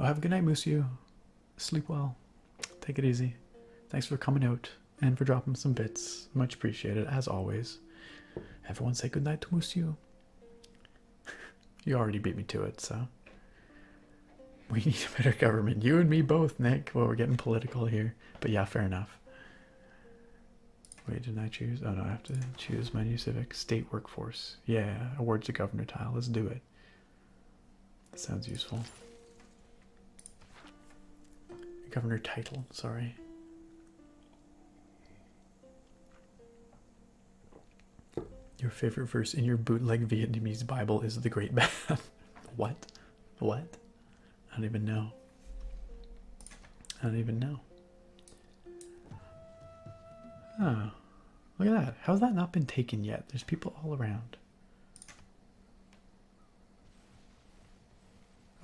Oh have a good night, Musio. Sleep well. Take it easy. Thanks for coming out and for dropping some bits. Much appreciated, as always. Everyone say goodnight to Monsieur. you already beat me to it, so. We need a better government. You and me both, Nick. Well, we're getting political here. But yeah, fair enough. Wait, didn't I choose? Oh no, I have to choose my new civic. State workforce. Yeah, awards to governor tile. Let's do it. sounds useful. Governor title, sorry. Your favorite verse in your bootleg Vietnamese Bible is the Great Bath. what? What? I don't even know. I don't even know. Oh, look at that. How's that not been taken yet? There's people all around.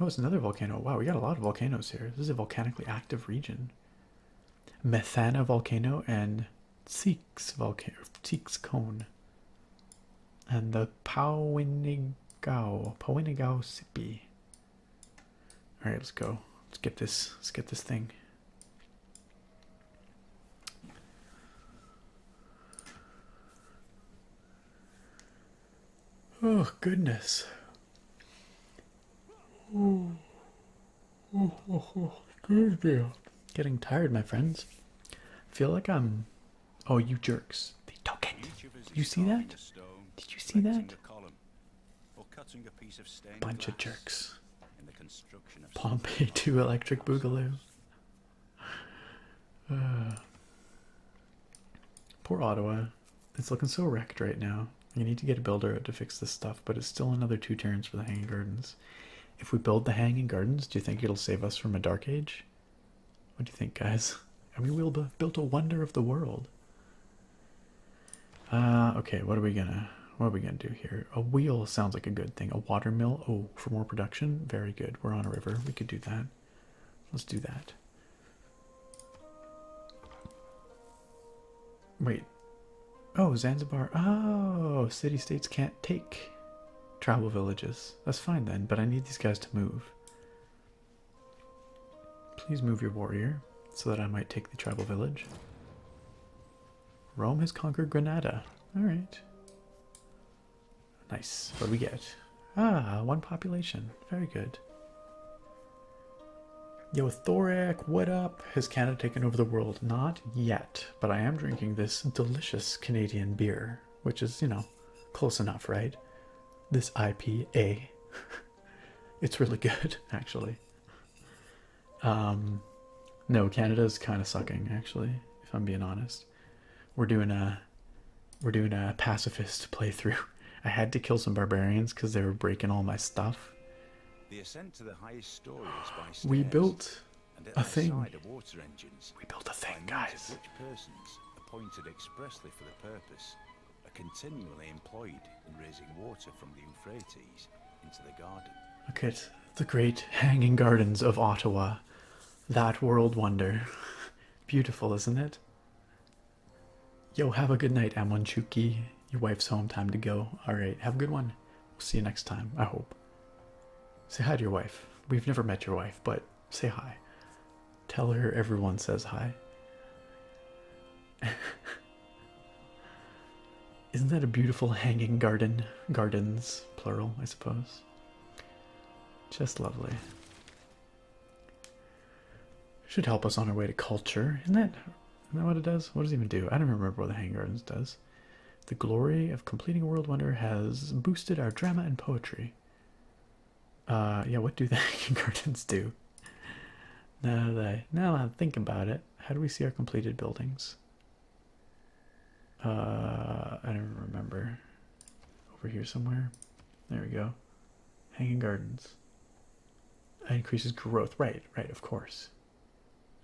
Oh, it's another volcano. Wow, we got a lot of volcanoes here. This is a volcanically active region. Methana volcano and Tseeks volcano, Tseeks cone. And the Powinigao, Powinigao Sipi. All right, let's go. Let's get this. Let's get this thing. Oh, goodness. Oh, oh, oh, Good deal. Getting tired, my friends. feel like I'm. Oh, you jerks. They took it. Did you see that? Did you see that? Bunch of jerks. Pompeii 2 Electric Boogaloo. Uh. Poor Ottawa. It's looking so wrecked right now. You need to get a builder to fix this stuff, but it's still another two turns for the Hanging Gardens. If we build the Hanging Gardens, do you think it'll save us from a Dark Age? What do you think, guys? Have we built a wonder of the world. Uh, okay, what are we gonna, what are we gonna do here? A wheel sounds like a good thing. A watermill, oh, for more production? Very good, we're on a river, we could do that. Let's do that. Wait. Oh, Zanzibar. Oh, city states can't take tribal villages. That's fine then, but I need these guys to move. Please move your warrior so that I might take the tribal village. Rome has conquered Granada. Alright. Nice. What do we get? Ah, one population. Very good. Yo, Thorac, what up? Has Canada taken over the world? Not yet, but I am drinking this delicious Canadian beer, which is, you know, close enough, right? This IPA. it's really good, actually. Um, no, Canada's kind of sucking, actually, if I'm being honest. We're doing a we're doing a pacifist playthrough. I had to kill some barbarians because they were breaking all my stuff. The ascent to the highest story We built a thing. we built a thing, guys. Which persons appointed expressly for the purpose are continually employed in raising water from the Euphrates Look at the great hanging gardens of Ottawa. That world wonder. Beautiful, isn't it? Yo, have a good night, Amonchuki. Your wife's home, time to go. Alright, have a good one. We'll see you next time, I hope. Say hi to your wife. We've never met your wife, but say hi. Tell her everyone says hi. Isn't that a beautiful hanging garden? Gardens, plural, I suppose. Just lovely. Should help us on our way to culture, isn't it? that what it does? What does it even do? I don't remember what the Hang Gardens does. The glory of completing a world wonder has boosted our drama and poetry. Uh, yeah, what do the hang Gardens do? Now that now that I think about it, how do we see our completed buildings? Uh, I don't remember. Over here somewhere. There we go. Hanging gardens. Increases growth. Right, right, of course.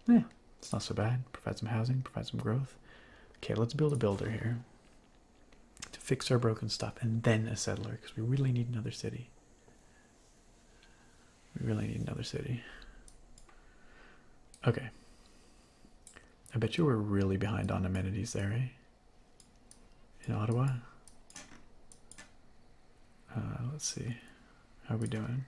Yeah, it's not so bad. Provide some housing, provide some growth. Okay, let's build a builder here to fix our broken stuff and then a settler because we really need another city. We really need another city. Okay. I bet you we're really behind on amenities there, eh? in Ottawa. Uh, let's see, how are we doing?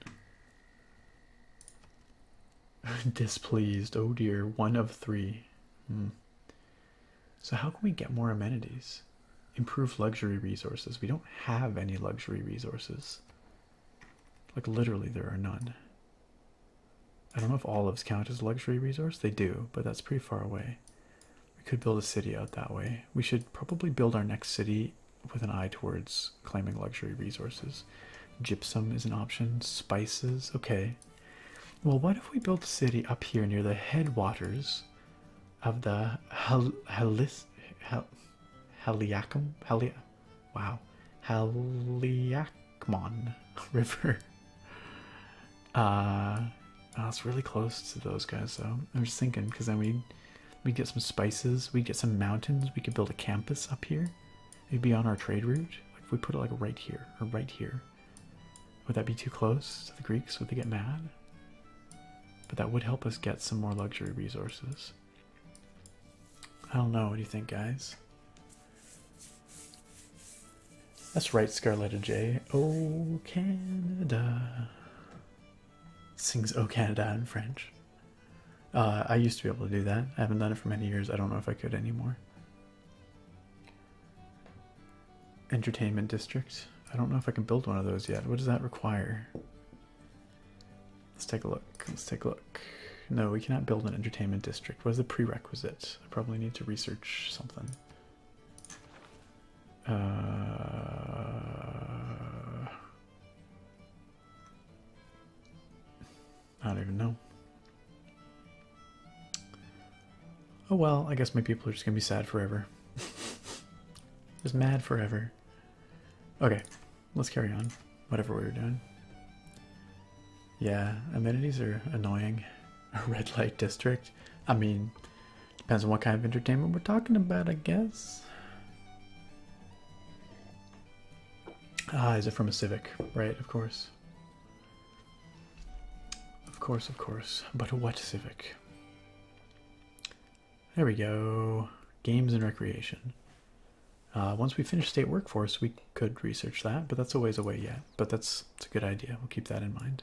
Displeased. Oh dear, one of three. Hmm. So how can we get more amenities? Improve luxury resources. We don't have any luxury resources. Like literally, there are none. I don't know if olives count as luxury resource. They do, but that's pretty far away. We could build a city out that way. We should probably build our next city with an eye towards claiming luxury resources. Gypsum is an option. Spices, okay. Well, what if we build a city up here near the headwaters of the Hal Halis Hal Haliacum Halia Wow Haliacmon River? Uh, oh, it's really close to those guys, so I was thinking because then we we get some spices, we get some mountains, we could build a campus up here. It'd be on our trade route. if we put it like right here or right here, would that be too close to the Greeks? Would they get mad? But that would help us get some more luxury resources. I don't know. What do you think, guys? That's right, Scarletta J. Oh, Canada. Sings Oh Canada in French. Uh, I used to be able to do that. I haven't done it for many years. I don't know if I could anymore. Entertainment district. I don't know if I can build one of those yet. What does that require? Let's take a look. Let's take a look. No, we cannot build an entertainment district. What is the prerequisite? I probably need to research something. Uh, I don't even know. Oh well, I guess my people are just gonna be sad forever. just mad forever. Okay, let's carry on. Whatever we were doing. Yeah, amenities are annoying. A red light district. I mean, Depends on what kind of entertainment we're talking about, I guess. Ah, is it from a Civic? Right, of course. Of course, of course. But what Civic? There we go. Games and recreation. Uh, once we finish state workforce, we could research that, but that's a ways away yet. But that's a good idea. We'll keep that in mind.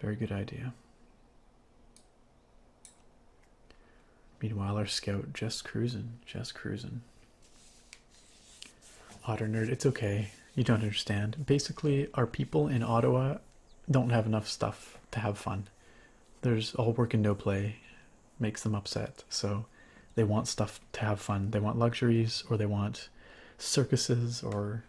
Very good idea. Meanwhile, our scout just cruising, just cruising. Otter nerd, it's okay. You don't understand. Basically, our people in Ottawa don't have enough stuff to have fun. There's all work and no play, makes them upset. So they want stuff to have fun. They want luxuries, or they want circuses, or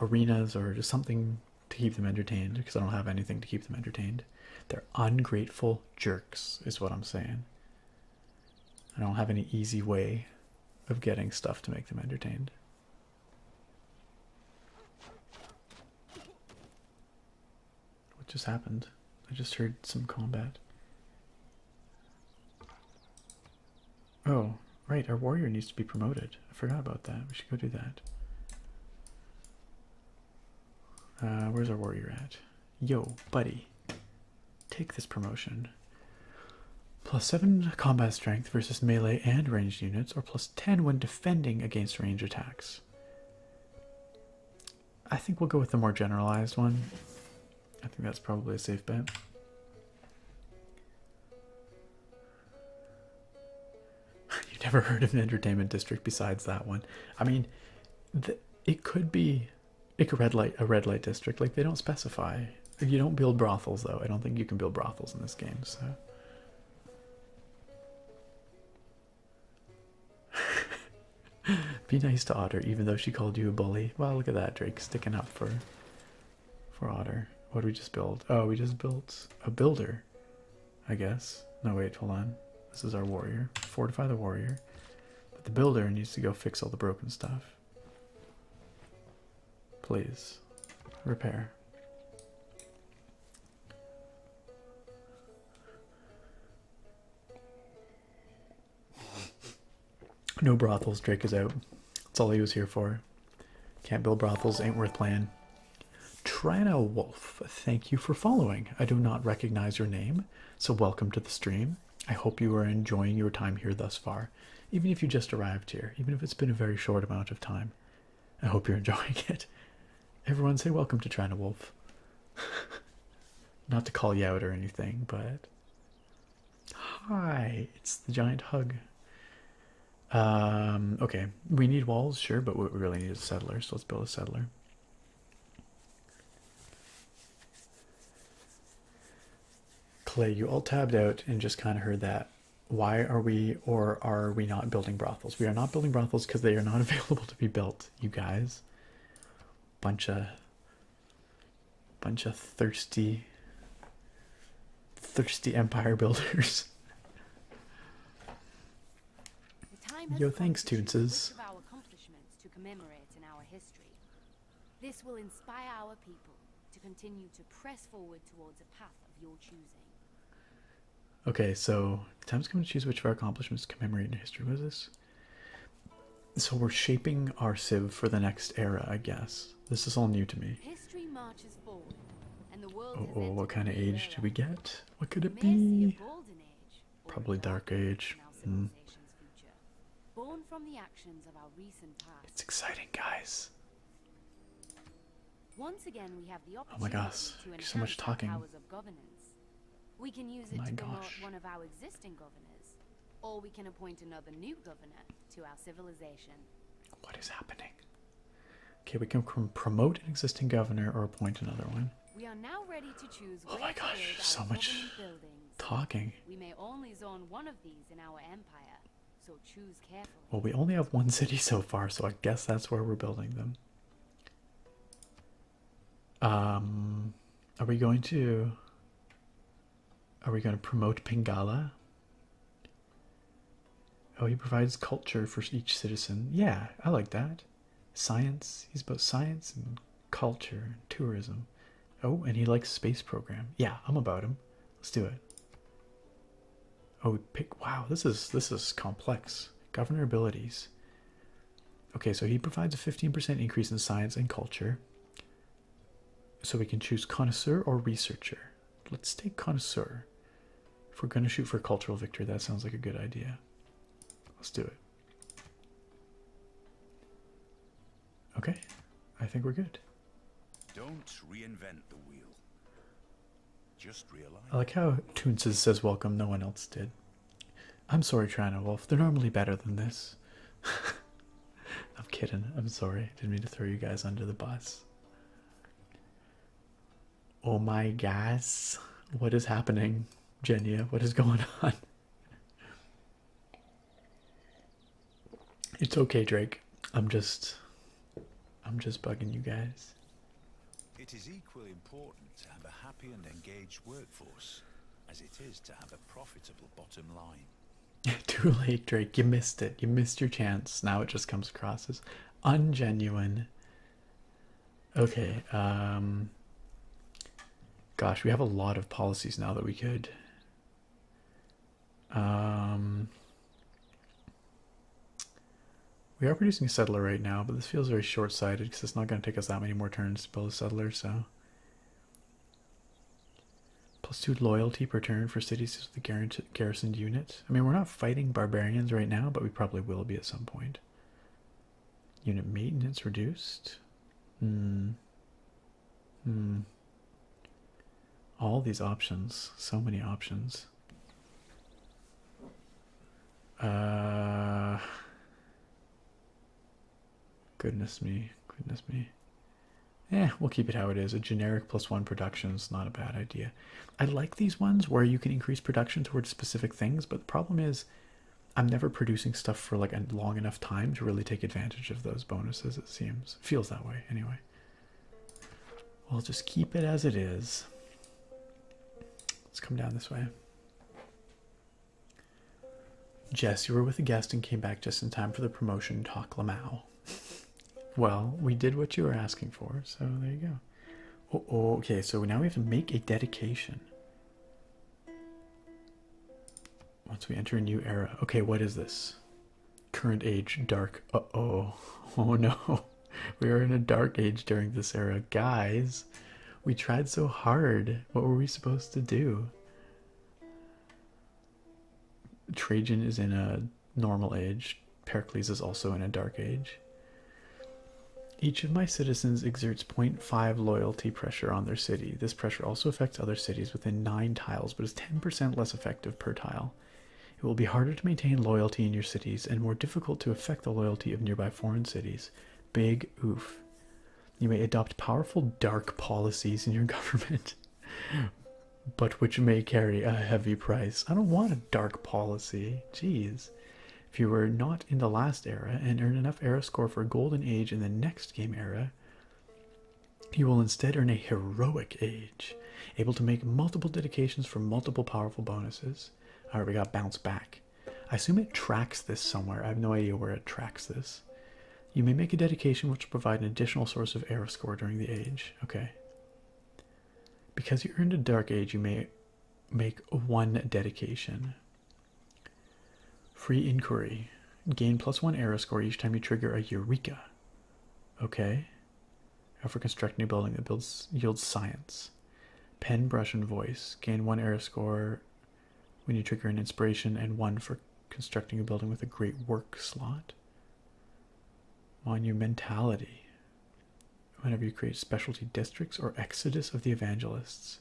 arenas or just something to keep them entertained because I don't have anything to keep them entertained. They're ungrateful jerks, is what I'm saying. I don't have any easy way of getting stuff to make them entertained. What just happened? I just heard some combat. Oh, right, our warrior needs to be promoted. I forgot about that. We should go do that. Uh, where's our warrior at? Yo, buddy. Take this promotion. Plus 7 combat strength versus melee and ranged units, or plus 10 when defending against range attacks. I think we'll go with the more generalized one. I think that's probably a safe bet. you never heard of an entertainment district besides that one. I mean, it could be like a red light, a red light district. Like they don't specify. You don't build brothels though. I don't think you can build brothels in this game. So. Be nice to Otter, even though she called you a bully. Well, look at that, Drake, sticking up for for otter. What did we just build? Oh, we just built a builder, I guess. No, wait, hold on. This is our warrior. Fortify the warrior. But the builder needs to go fix all the broken stuff. Please. Repair. No brothels, Drake is out. That's all he was here for. Can't build brothels, ain't worth playing. Trina Wolf, thank you for following. I do not recognize your name, so welcome to the stream. I hope you are enjoying your time here thus far, even if you just arrived here, even if it's been a very short amount of time. I hope you're enjoying it. Everyone say welcome to Trina Wolf. not to call you out or anything, but Hi, it's the giant hug. Um, okay, we need walls, sure, but what we really need is a settler, so let's build a settler. Clay, you all tabbed out and just kind of heard that. Why are we or are we not building brothels? We are not building brothels because they are not available to be built, you guys. Bunch of bunch of thirsty thirsty empire builders. Yo, thanks, Toonses. This will inspire our people to continue to press forward towards a path of your choosing. Okay, so the time's come to choose which of our accomplishments commemorate in history. What is this? So we're shaping our civ for the next era, I guess this. is all new to me. oh, oh what kind of age do we get? What could it be? Probably dark age. Hmm. It's exciting, guys. oh my gosh, so much talking. We can use it my to gosh. one of our existing governors, or we can appoint another new governor to our civilization. What is happening? Okay, we can promote an existing governor or appoint another one. We are now ready to choose. Oh my gosh, so much talking. We may only zone one of these in our empire, so choose carefully. Well, we only have one city so far, so I guess that's where we're building them. Um, are we going to? Are we going to promote Pingala? Oh, he provides culture for each citizen. Yeah, I like that. Science. He's about science and culture and tourism. Oh, and he likes space program. Yeah, I'm about him. Let's do it. Oh, pick. Wow, this is this is complex. Governor abilities. Okay, so he provides a 15% increase in science and culture. So we can choose connoisseur or researcher. Let's take connoisseur. If we're gonna shoot for cultural victory, that sounds like a good idea. Let's do it. Okay, I think we're good. Don't reinvent the wheel. Just realize. I like how Toonces says welcome, no one else did. I'm sorry, Trina Wolf. They're normally better than this. I'm kidding. I'm sorry. Didn't mean to throw you guys under the bus. Oh my gosh, what is happening, Jenya? What is going on? It's okay, Drake. I'm just I'm just bugging you guys. It is equally important to have a happy and engaged workforce as it is to have a profitable bottom line. Too late, Drake. You missed it. You missed your chance. Now it just comes across as ungenuine. Okay. Um, gosh, we have a lot of policies now that we could. Um, we are producing a settler right now, but this feels very short-sighted because it's not going to take us that many more turns to build a settler. So, plus two loyalty per turn for cities is the guarantee garrisoned unit. I mean, we're not fighting barbarians right now, but we probably will be at some point. Unit maintenance reduced. Hmm. Hmm. All these options. So many options. Uh. Goodness me. Goodness me. Eh, we'll keep it how it is. A generic plus one production is not a bad idea. I like these ones where you can increase production towards specific things, but the problem is I'm never producing stuff for like a long enough time to really take advantage of those bonuses, it seems. Feels that way, anyway. We'll just keep it as it is. Let's come down this way. Jess, you were with a guest and came back just in time for the promotion talk Lamau. Well, we did what you were asking for, so there you go. Oh, oh, okay, so now we have to make a dedication. Once we enter a new era. Okay, what is this? Current age, dark. Uh oh. Oh no. We are in a dark age during this era. Guys, we tried so hard. What were we supposed to do? Trajan is in a normal age. Pericles is also in a dark age. Each of my citizens exerts 0.5 loyalty pressure on their city. This pressure also affects other cities within 9 tiles, but is 10% less effective per tile. It will be harder to maintain loyalty in your cities and more difficult to affect the loyalty of nearby foreign cities. Big oof. You may adopt powerful dark policies in your government but which may carry a heavy price. I don't want a dark policy. Geez, If you were not in the last era and earn enough era score for golden age in the next game era, you will instead earn a heroic age, able to make multiple dedications for multiple powerful bonuses. Alright, we got bounce back. I assume it tracks this somewhere. I have no idea where it tracks this. You may make a dedication which will provide an additional source of era score during the age. Okay. Because you are in a dark age, you may make one dedication. Free inquiry. Gain plus one arrow score each time you trigger a Eureka. Okay. for constructing a building that builds yields science. Pen, brush, and voice. Gain one arrow score when you trigger an inspiration and one for constructing a building with a great work slot monumentality whenever you create specialty districts or exodus of the evangelists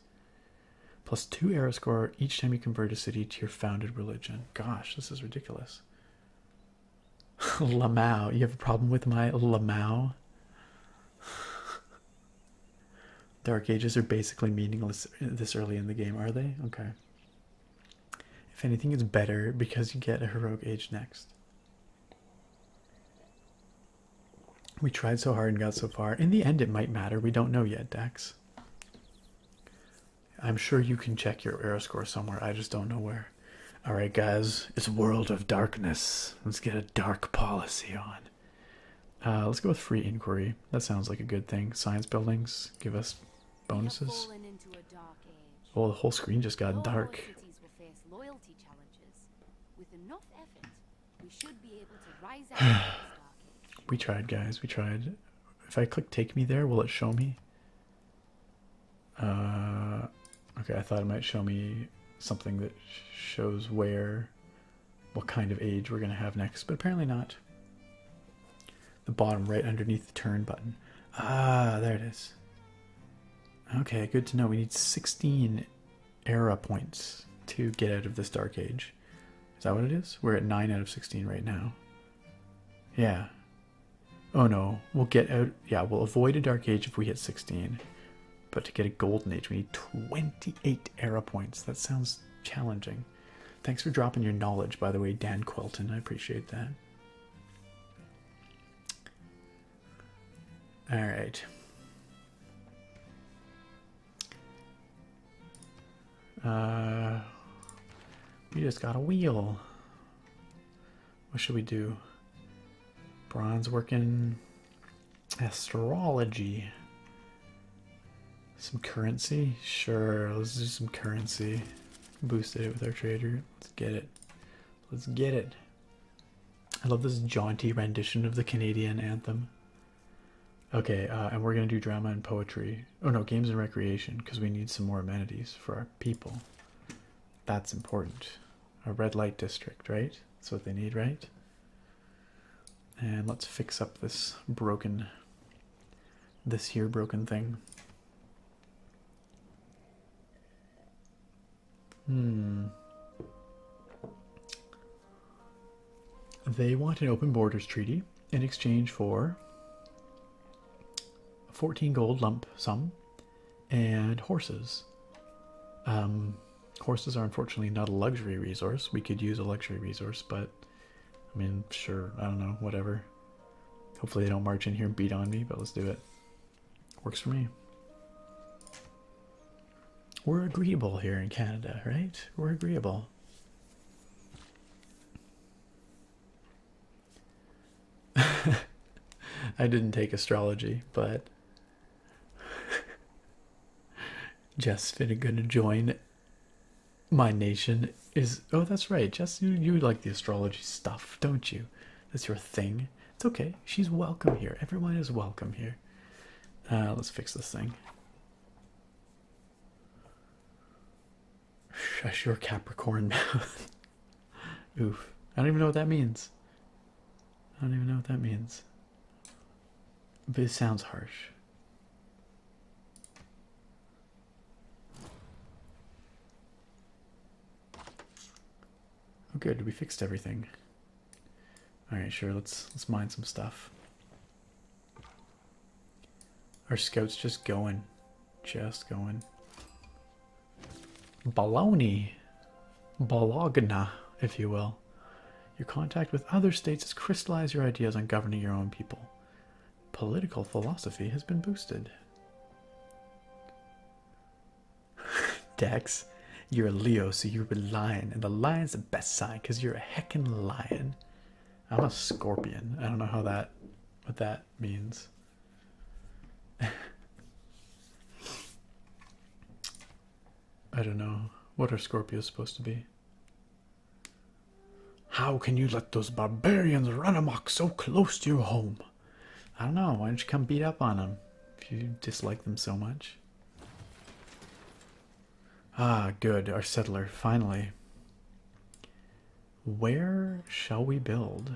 plus two error score each time you convert a city to your founded religion gosh this is ridiculous La Mao, you have a problem with my La Mao? dark ages are basically meaningless this early in the game are they okay if anything it's better because you get a heroic age next we tried so hard and got so far. In the end, it might matter. We don't know yet, Dex. I'm sure you can check your error score somewhere. I just don't know where. All right, guys. It's World of Darkness. Let's get a dark policy on. Uh, let's go with free inquiry. That sounds like a good thing. Science buildings give us bonuses. Oh, the whole screen just got dark. we tried, guys. We tried. If I click take me there, will it show me? Uh, okay, I thought it might show me something that shows where, what kind of age we're going to have next, but apparently not. The bottom right underneath the turn button. Ah, there it is. Okay, good to know. We need 16 era points to get out of this Dark Age. Is that what it is? We're at 9 out of 16 right now. Yeah. Oh no, we'll get out. Yeah, we'll avoid a Dark Age if we hit 16. But to get a Golden Age, we need 28 era points. That sounds challenging. Thanks for dropping your knowledge, by the way, Dan Quelton. I appreciate that. All right. Uh, we just got a wheel. What should we do? Bronze working astrology. Some currency? Sure, let's do some currency. Boosted it with our trader. Let's get it. Let's get it. I love this jaunty rendition of the Canadian anthem. Okay, uh, and we're gonna do drama and poetry. Oh no, games and recreation, because we need some more amenities for our people. That's important. A red light district, right? That's what they need, right? And let's fix up this broken, this here broken thing. Hmm. They want an open borders treaty in exchange for 14 gold lump sum and horses. Um, horses are unfortunately not a luxury resource. We could use a luxury resource, but I mean, sure, I don't know, whatever. Hopefully they don't march in here and beat on me, but let's do it. Works for me. We're agreeable here in Canada, right? We're agreeable. I didn't take astrology, but Jess Finnegan join my nation is oh that's right, Jess you you like the astrology stuff, don't you? That's your thing. It's okay. She's welcome here. Everyone is welcome here. Uh, let's fix this thing. Shush your Capricorn mouth. Oof. I don't even know what that means. I don't even know what that means. But it sounds harsh. Oh good, we fixed everything. Alright, sure, let's let's mine some stuff. Our scout's just going. Just going. Baloney. Bologna, if you will. Your contact with other states has crystallized your ideas on governing your own people. Political philosophy has been boosted. Dex, you're a Leo, so you're a lion, and the lion's the best sign because you're a heckin' lion. I'm a scorpion. I don't know how that what that means. I don't know. What are scorpion's supposed to be? How can you let those barbarians run amok so close to your home? I don't know. Why don't you come beat up on them if you dislike them so much? Ah, good. Our settler, finally. Where shall we build?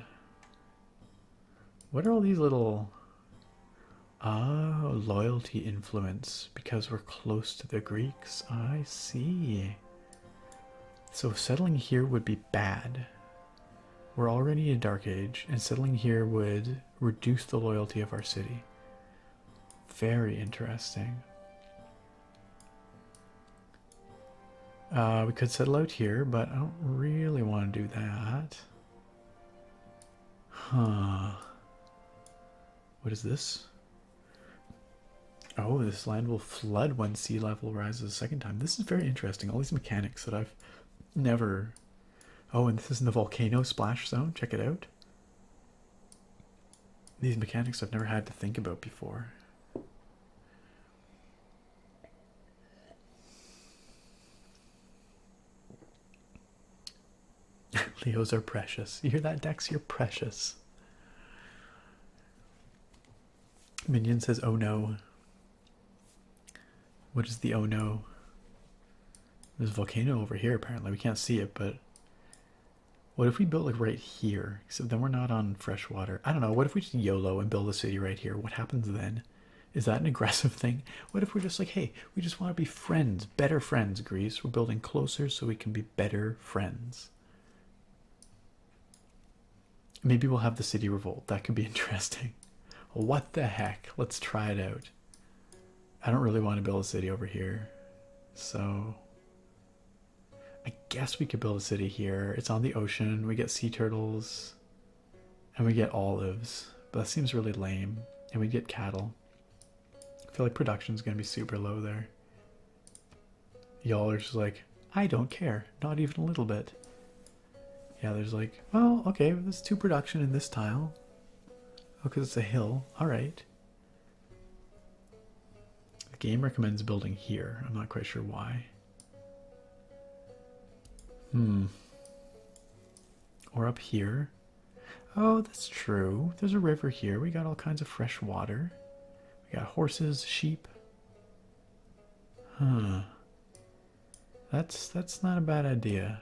What are all these little. Ah, loyalty influence. Because we're close to the Greeks. I see. So settling here would be bad. We're already a dark age, and settling here would reduce the loyalty of our city. Very interesting. Uh, we could settle out here, but I don't really want to do that. Huh. What is this? Oh, this land will flood when sea level rises a second time. This is very interesting. All these mechanics that I've never. Oh, and this is in the volcano splash zone. Check it out. These mechanics I've never had to think about before. Leos are precious. You hear that, Dex? You're precious. Minion says, oh no. What is the oh no? There's a volcano over here, apparently. We can't see it, but what if we built like right here? So then we're not on fresh water. I don't know. What if we just YOLO and build a city right here? What happens then? Is that an aggressive thing? What if we're just like, hey, we just want to be friends, better friends, Greece? We're building closer so we can be better friends. Maybe we'll have the city revolt. That could be interesting. What the heck? Let's try it out. I don't really want to build a city over here. So I guess we could build a city here. It's on the ocean. We get sea turtles and we get olives. But that seems really lame. And we get cattle. I feel like production's going to be super low there. Y'all are just like, I don't care. Not even a little bit. Yeah, there's like, well, okay, there's two production in this tile. Oh, because it's a hill. All right. The game recommends building here. I'm not quite sure why. Hmm. Or up here. Oh, that's true. There's a river here. We got all kinds of fresh water. We got horses, sheep. Huh. That's that's not a bad idea.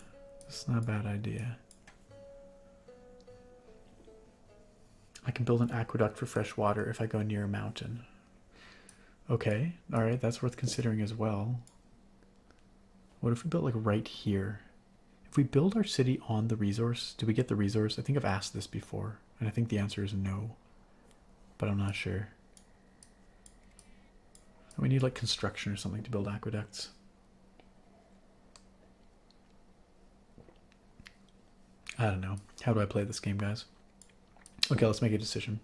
It's not a bad idea. I can build an aqueduct for fresh water if I go near a mountain. Okay, alright, that's worth considering as well. What if we built like right here? If we build our city on the resource, do we get the resource? I think I've asked this before, and I think the answer is no. But I'm not sure. We need like construction or something to build aqueducts. I don't know. How do I play this game, guys? Okay, let's make a decision.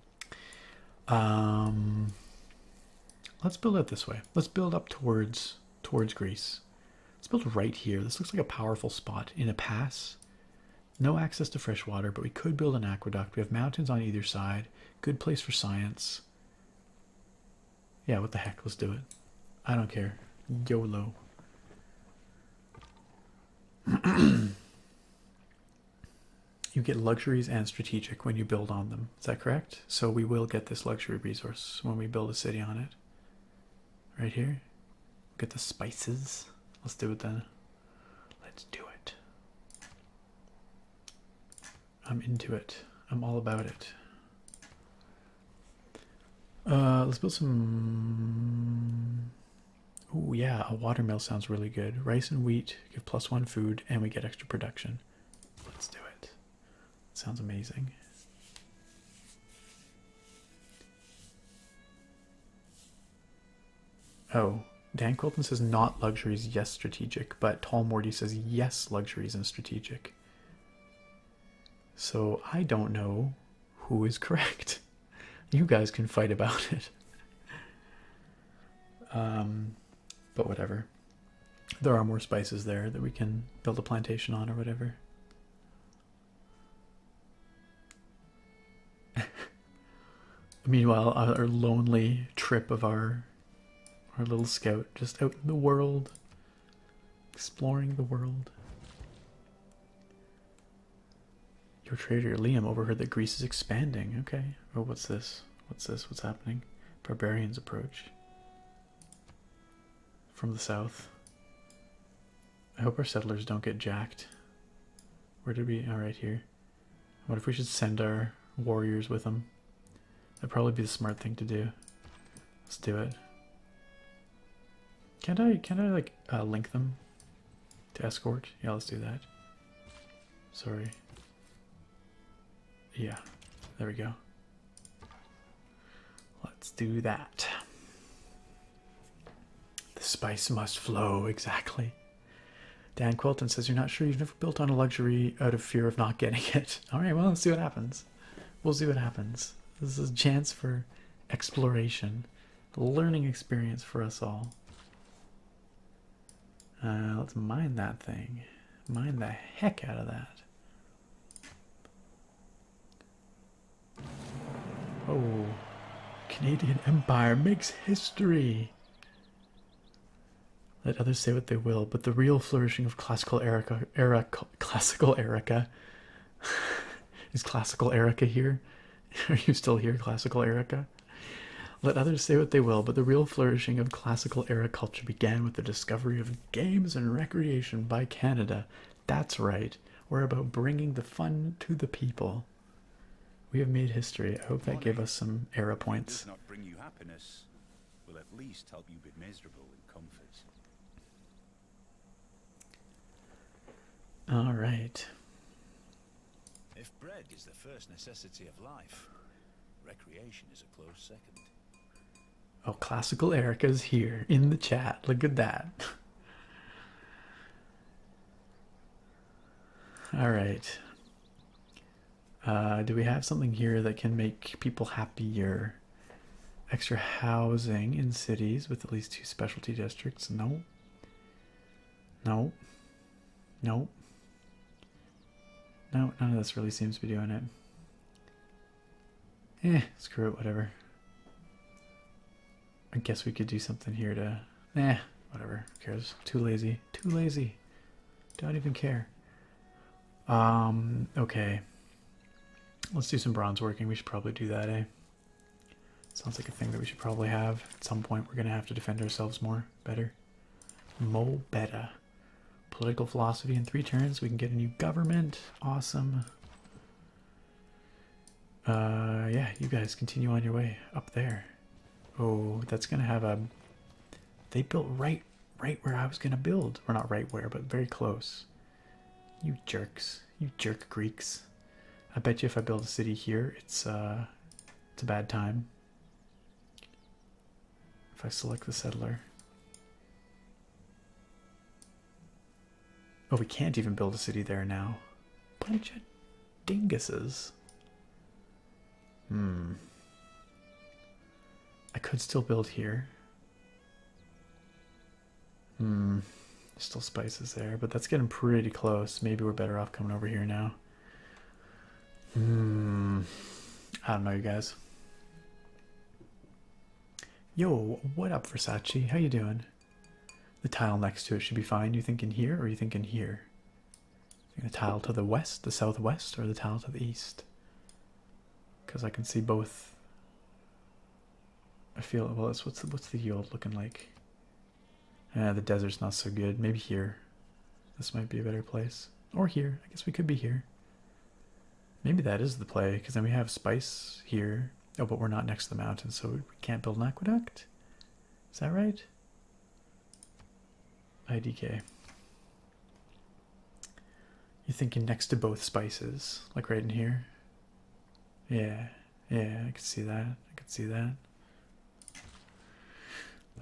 Um, let's build it this way. Let's build up towards towards Greece. Let's build right here. This looks like a powerful spot in a pass. No access to fresh water, but we could build an aqueduct. We have mountains on either side. Good place for science. Yeah, what the heck? Let's do it. I don't care. YOLO. you get luxuries and strategic when you build on them. Is that correct? So we will get this luxury resource when we build a city on it. Right here. Get the spices. Let's do it then. Let's do it. I'm into it. I'm all about it. Uh, let's build some. Oh yeah, a watermill sounds really good. Rice and wheat give plus one food, and we get extra production. Let's do it. Sounds amazing. Oh, Dan Quilton says not luxuries, yes, strategic, but Tall Morty says yes, luxuries and strategic. So I don't know who is correct. You guys can fight about it. Um, but whatever. There are more spices there that we can build a plantation on or whatever. Meanwhile, our lonely trip of our our little scout just out in the world, exploring the world. Your trader Liam overheard that Greece is expanding. Okay. Oh, what's this? What's this? What's happening? Barbarians approach from the south. I hope our settlers don't get jacked. Where did we? All right, here. What if we should send our warriors with them? That'd probably be the smart thing to do. Let's do it. Can I, can I like, uh, link them to escort? Yeah, let's do that. Sorry. Yeah, there we go. Let's do that. The spice must flow, exactly. Dan Quilton says, You're not sure you've never built on a luxury out of fear of not getting it. All right, well, let's see what happens. We'll see what happens. This is a chance for exploration, learning experience for us all. Uh, let's mine that thing. Mine the heck out of that. Oh, Canadian Empire makes history. Let others say what they will, but the real flourishing of classical era, classical Erica, is classical Erica here? Are you still here, classical Erica? Let others say what they will, but the real flourishing of classical era culture began with the discovery of games and recreation by Canada. That's right. We're about bringing the fun to the people. We have made history. I hope that gave us some era points. Will at least help you be miserable in comfort. All right. If bread is the first necessity of life, recreation is a close second. Oh, classical Erica's here in the chat. Look at that. All right. Uh, do we have something here that can make people happier? Extra housing in cities with at least two specialty districts? No. No. No. No, none of this really seems to be doing it. Eh, screw it, whatever. I guess we could do something here to... Eh, whatever. Who cares? Too lazy. Too lazy. Don't even care. Um, okay. Let's do some bronze working. We should probably do that, A eh? Sounds like a thing that we should probably have. At some point, we're going to have to defend ourselves more. Better. Mo better. Political philosophy in three turns. We can get a new government. Awesome. Uh, yeah, you guys continue on your way up there. Oh, that's gonna have a. They built right, right where I was gonna build. Or not right where, but very close. You jerks, you jerk Greeks. I bet you if I build a city here, it's uh, it's a bad time. If I select the settler. Oh, we can't even build a city there now. Bunch of dinguses. Hmm. I could still build here. Hmm. Still spices there, but that's getting pretty close. Maybe we're better off coming over here now. Hmm. I don't know, you guys. Yo, what up, Versace? How you doing? The tile next to it should be fine. You think in here or you think in here? The tile to the west, the southwest, or the tile to the east? Because I can see both. I feel well. It's what's the, what's the yield looking like? Ah, the desert's not so good. Maybe here. This might be a better place. Or here. I guess we could be here. Maybe that is the play, because then we have spice here. Oh, but we're not next to the mountain, so we can't build an aqueduct. Is that right? IDK. You're thinking next to both spices, like right in here. Yeah, yeah, I can see that. I can see that.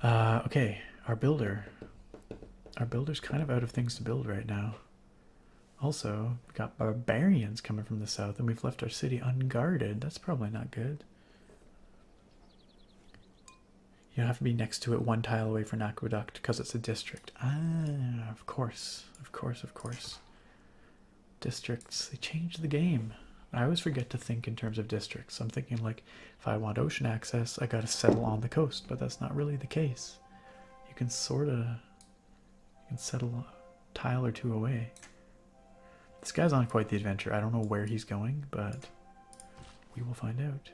Uh, okay, our builder. Our builder's kind of out of things to build right now. Also, we got barbarians coming from the south, and we've left our city unguarded. That's probably not good. You have to be next to it one tile away from an aqueduct because it's a district. Ah, of course, of course, of course. Districts, they change the game. I always forget to think in terms of districts. I'm thinking, like, if I want ocean access, I gotta settle on the coast, but that's not really the case. You can sort of. You can settle a tile or two away. This guy's on quite the adventure. I don't know where he's going, but we will find out.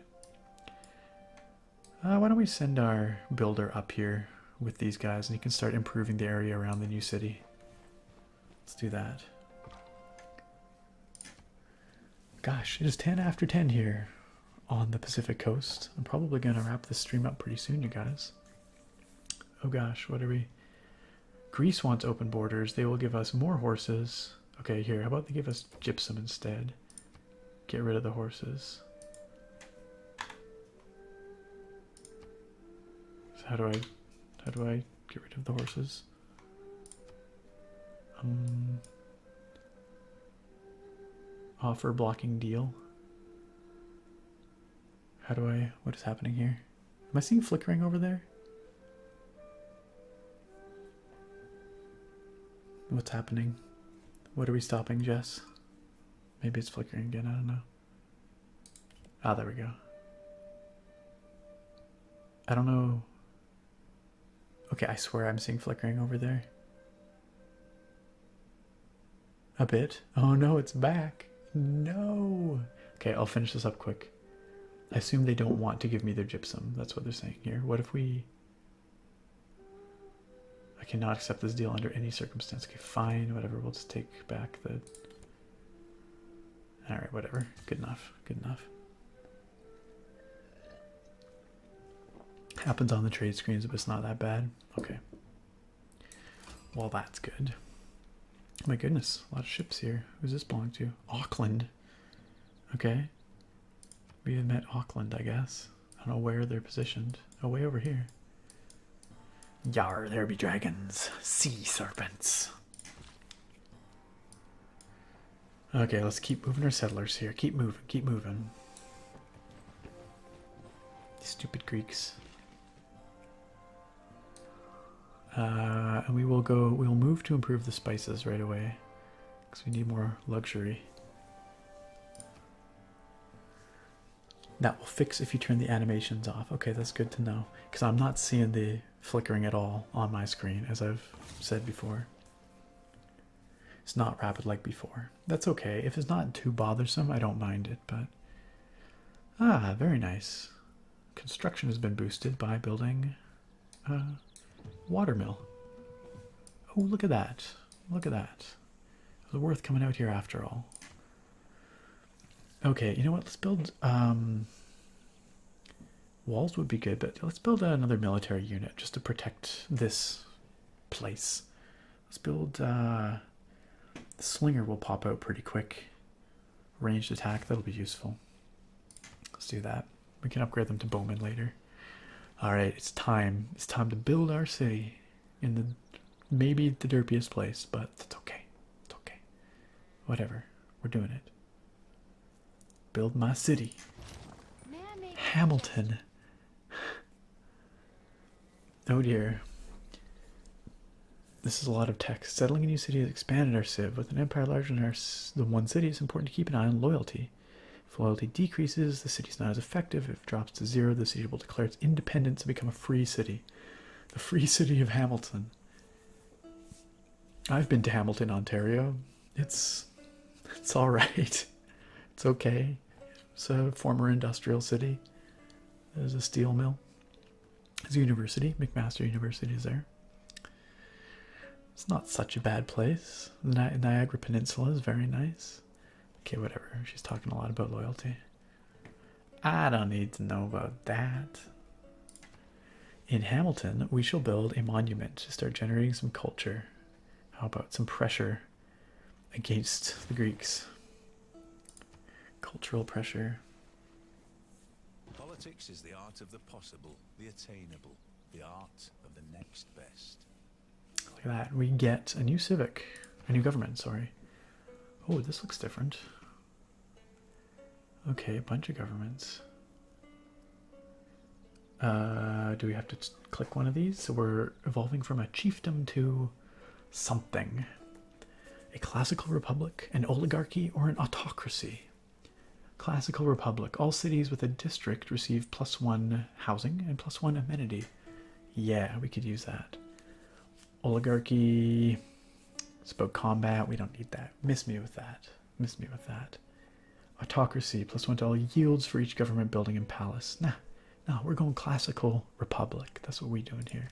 Uh, why don't we send our builder up here with these guys and he can start improving the area around the new city. Let's do that. Gosh, it is 10 after 10 here on the Pacific coast. I'm probably going to wrap this stream up pretty soon, you guys. Oh gosh, what are we? Greece wants open borders. They will give us more horses. Okay, here. How about they give us gypsum instead? Get rid of the horses. So how do I how do I get rid of the horses? Um, offer blocking deal. How do I what is happening here? Am I seeing flickering over there? What's happening? What are we stopping, Jess? Maybe it's flickering again, I don't know. Ah, there we go. I don't know. Okay, I swear I'm seeing flickering over there. A bit. Oh no, it's back. No. Okay, I'll finish this up quick. I assume they don't want to give me their gypsum. That's what they're saying here. What if we. I cannot accept this deal under any circumstance. Okay, fine, whatever. We'll just take back the. Alright, whatever. Good enough. Good enough. Happens on the trade screens, if it's not that bad. Okay. Well, that's good. My goodness, a lot of ships here. Who's this belong to? Auckland. Okay. We have met Auckland, I guess. I don't know where they're positioned. Oh, way over here. Yar, there be dragons, sea serpents. Okay, let's keep moving our settlers here. Keep moving, keep moving. Stupid Greeks. Uh, and we will go, we'll move to improve the spices right away because we need more luxury. That will fix if you turn the animations off. Okay, that's good to know because I'm not seeing the flickering at all on my screen, as I've said before. It's not rapid like before. That's okay. If it's not too bothersome, I don't mind it, but. Ah, very nice. Construction has been boosted by building uh, watermill. Oh, look at that. Look at that. It was worth coming out here after all. Okay, you know what? Let's build... Um, walls would be good, but let's build another military unit just to protect this place. Let's build... Uh, slinger will pop out pretty quick. Ranged attack, that'll be useful. Let's do that. We can upgrade them to bowmen later. All right, it's time. It's time to build our city in the maybe the derpiest place, but it's okay. It's okay. Whatever. We're doing it. Build my city. Hamilton. oh dear. This is a lot of text. Settling a new city has expanded our civ. With an empire larger than our, the one city, it's important to keep an eye on loyalty loyalty. If loyalty decreases, the city is not as effective. If drops to zero, the city will declare its independence and become a free city. The free city of Hamilton. I've been to Hamilton, Ontario. It's it's all right. It's okay. It's a former industrial city. There's a steel mill. There's a university. McMaster University is there. It's not such a bad place. The Niagara Peninsula is very nice. Okay, whatever. She's talking a lot about loyalty. I don't need to know about that. In Hamilton, we shall build a monument to start generating some culture. How about some pressure against the Greeks? Cultural pressure. Politics is the art of the possible, the attainable, the art of the next best. Look at that. We get a new civic, a new government, sorry. Oh, this looks different. Okay, a bunch of governments. Uh, do we have to click one of these? So we're evolving from a chiefdom to something. A classical republic, an oligarchy, or an autocracy. Classical Republic. All cities with a district receive plus one housing and plus one amenity. Yeah, we could use that. Oligarchy. Spoke combat. We don't need that. Miss me with that. Miss me with that. Autocracy. Plus one to all yields for each government building and palace. Nah, nah, we're going classical republic. That's what we do in here.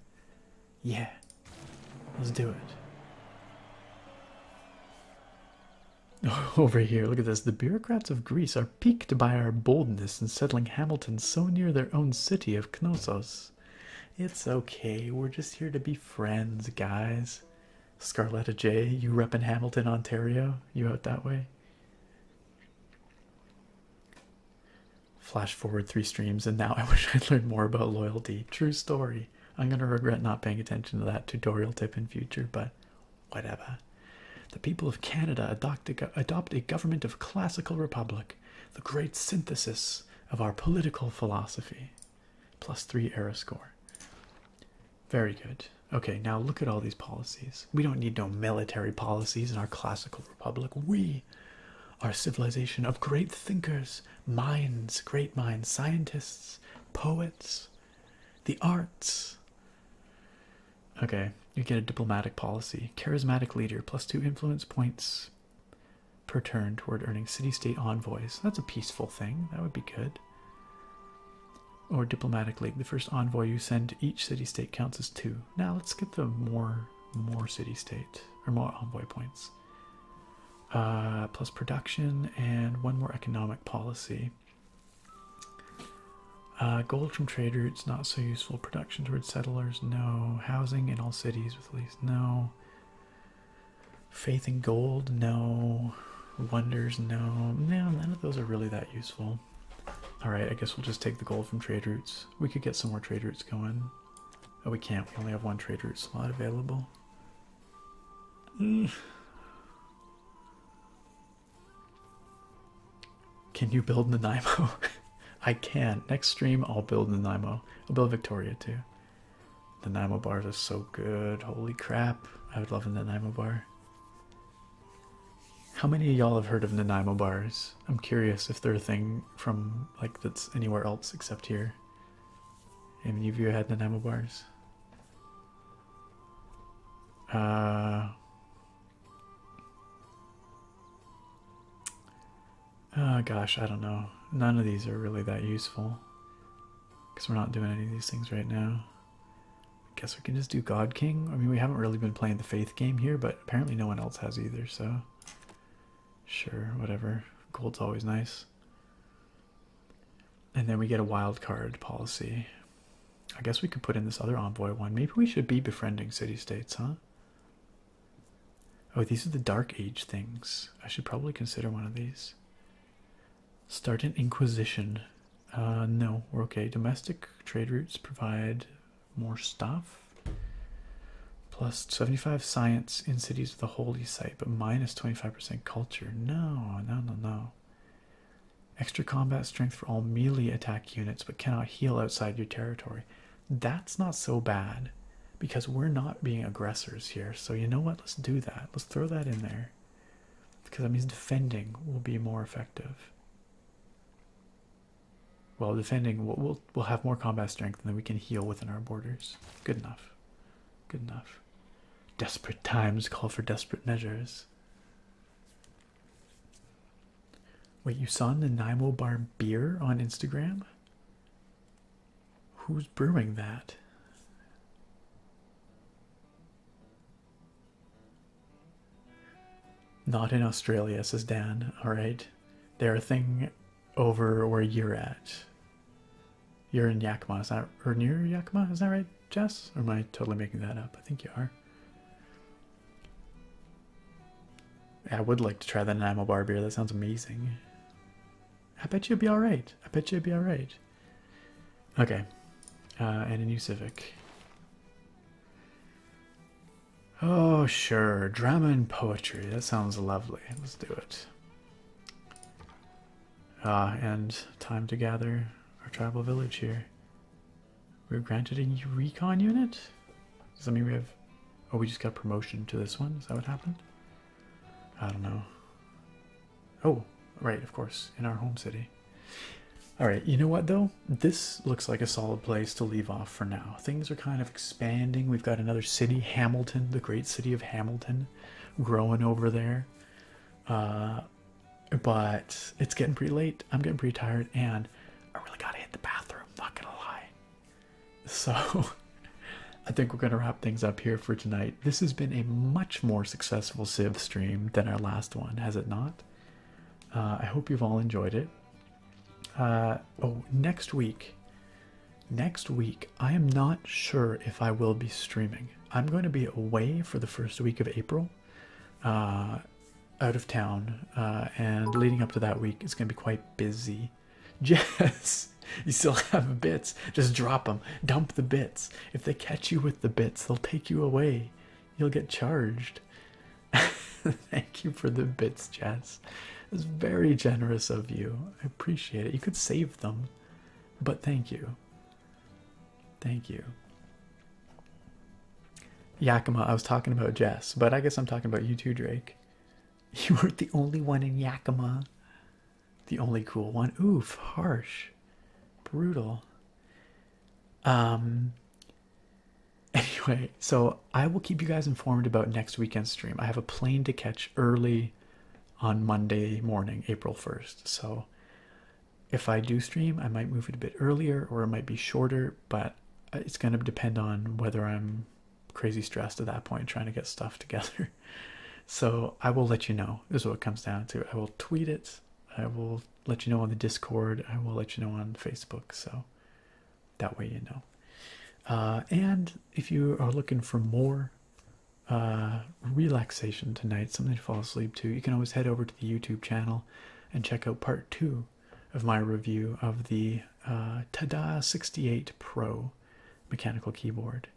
Yeah. Let's do it. over here. Look at this. The bureaucrats of Greece are piqued by our boldness in settling Hamilton so near their own city of Knossos. It's okay. We're just here to be friends, guys. Scarletta J, you rep in Hamilton, Ontario. You out that way? Flash forward three streams, and now I wish I'd learned more about loyalty. True story. I'm gonna regret not paying attention to that tutorial tip in future, but whatever. The people of Canada adopt a, adopt a government of classical republic, the great synthesis of our political philosophy. Plus three error score. Very good. Okay, now look at all these policies. We don't need no military policies in our classical republic. We are civilization of great thinkers, minds, great minds, scientists, poets, the arts. Okay, you get a diplomatic policy, charismatic leader, plus two influence points per turn toward earning city state envoys. That's a peaceful thing, that would be good. Or diplomatic league: the first envoy you send to each city state counts as two. Now let's get the more more city state or more envoy points. Uh, plus production and one more economic policy. Uh, gold from trade routes not so useful. Production towards settlers, no. Housing in all cities with at least, no. Faith in gold, no. Wonders, no. No, none of those are really that useful. Alright, I guess we'll just take the gold from trade routes. We could get some more trade routes going. Oh, we can't. We only have one trade route slot available. Mm. Can you build the Nanaimo? I can. Next stream, I'll build the Nanaimo. I'll build Victoria too. The Nanaimo bars are so good. Holy crap. I would love the Nanaimo bar. How many of y'all have heard of Nanaimo bars? I'm curious if they're a thing from like that's anywhere else except here. Have any of you had Nanaimo bars? Uh, oh gosh, I don't know. None of these are really that useful because we're not doing any of these things right now. I guess we can just do God King. I mean, we haven't really been playing the faith game here, but apparently no one else has either, so sure, whatever. Gold's always nice. And then we get a wild card policy. I guess we could put in this other envoy one. Maybe we should be befriending city states, huh? Oh, these are the Dark Age things. I should probably consider one of these. Start an inquisition. Uh, no, we're okay. Domestic trade routes provide more stuff. Plus 75 science in cities with a holy site, but minus 25% culture. No, no, no, no. Extra combat strength for all melee attack units, but cannot heal outside your territory. That's not so bad because we're not being aggressors here. So, you know what? Let's do that. Let's throw that in there because that means defending will be more effective. Well, defending we'll, we'll, have more combat strength and we can heal within our borders. Good enough. Good enough. Desperate times call for desperate measures is. Wait, you saw the Nanaimo Bar Beer on Instagram? Who's brewing that? Not in Australia, says Dan. All right. They're a thing over where you're at. You're in Yakima, is that or near Yakima? Is that right, Jess? Or am I totally making that up? I think you are. I would like to try that Nanaimo bar beer. That sounds amazing. I bet you'd be all right. I bet you'd be all right. Okay, uh, and a new Civic. Oh sure, drama and poetry. That sounds lovely. Let's do it. Ah, and time to gather our tribal village here. We are granted a recon unit? Does that mean we have... Oh, we just got promotion to this one? Is that what happened? I don't know. Oh, right, of course, in our home city. Alright, you know what though? This looks like a solid place to leave off for now. Things are kind of expanding. We've got another city, Hamilton, the great city of Hamilton, growing over there. Uh, but it's getting pretty late. I'm getting pretty tired, and I really gotta hit the bathroom. Not lie. So, I think we're gonna wrap things up here for tonight. This has been a much more successful sieve stream than our last one, has it not? Uh, I hope you've all enjoyed it. Uh, oh, next week. Next week, I am not sure if I will be streaming. I'm going to be away for the first week of April, uh, out of town, uh, and leading up to that week, it's going to be quite busy. Jess, you still have bits. Just drop them. Dump the bits. If they catch you with the bits, they'll take you away. You'll get charged. Thank you for the bits, Jess. It's very generous of you. I appreciate it. You could save them, but thank you. Thank you. Yakima, I was talking about Jess, but I guess I'm talking about you too, Drake. You weren't the only one in Yakima. The only cool one. Oof, harsh. Brutal. Um anyway, so I will keep you guys informed about next weekend's stream. I have a plane to catch early on Monday morning, April 1st. So if I do stream, I might move it a bit earlier or it might be shorter, but uh, it's going to depend on whether I'm crazy stressed at that point trying to get stuff together. So I will let you know. This is what comes down to. I will tweet it. I will let you know on the Discord. I will let you know on Facebook. So that way you know. Uh, and if you are looking for more uh, relaxation tonight, something to fall asleep to, you can always head over the YouTube channel and check out part two of my review of the uh, Tada 68 Pro mechanical keyboard.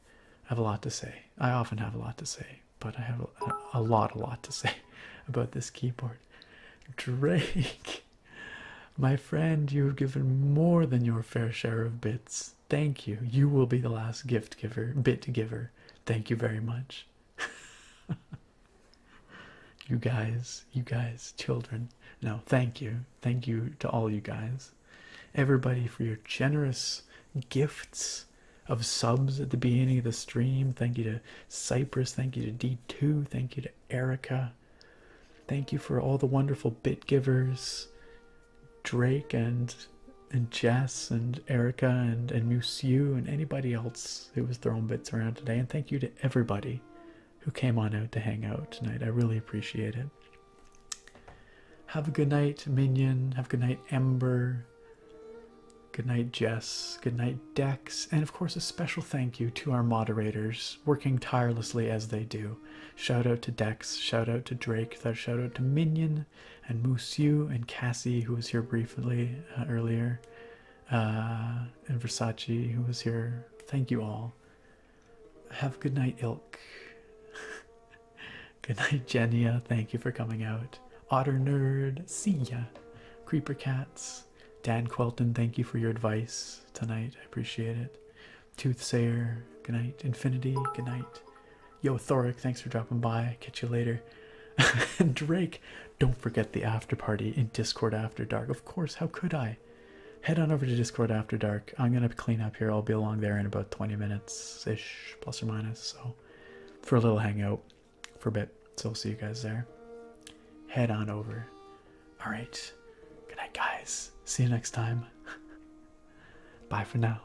I have a lot to say. I often have a lot to say, but I have a lot, a lot to say about this keyboard. Drake, my friend, you have given more than your fair share of bits. Thank you. You will be the last gift giver, bit giver. Thank you very much. you guys, you guys, children. No, thank you. Thank you to all you guys. Everybody for your generous gifts of subs at the beginning of the stream. Thank you to Cypress. Thank you to D2. Thank you to Erica. Thank you for all the wonderful bit givers. Drake and and Jess and Erica and and Musew and anybody else who was throwing bits around today. And thank you to everybody who came on out to hang out tonight. I really appreciate it. Have a good night, Minion. Have a good night, Ember. Good night, Jess. Good night, Dex. And of course, a special thank you to our moderators, working tirelessly as they do. Shout out to Dex. Shout out to Drake. Shout out to Minion and Musiu and Cassie, who was here briefly uh, earlier, uh, and Versace, who was here. Thank you all. Have a good night, Ilk. good night, Jenia. Thank you for coming out. Otter Nerd, see ya. Creeper Cats, Dan Quelton, thank you for your advice tonight. I appreciate it. Toothsayer, good night. Infinity, good night. Yo, Thoric, thanks for dropping by. Catch you later. Drake, don't forget the after party in Discord After Dark. Of course, how could I? Head on over to Discord After Dark. I'm going to clean up here. I'll be along there in about 20 minutes ish, plus or minus. So, for a little hangout for a bit. So, I'll see you guys there. Head on over. All right. Good night, guys. See you next time. Bye for now.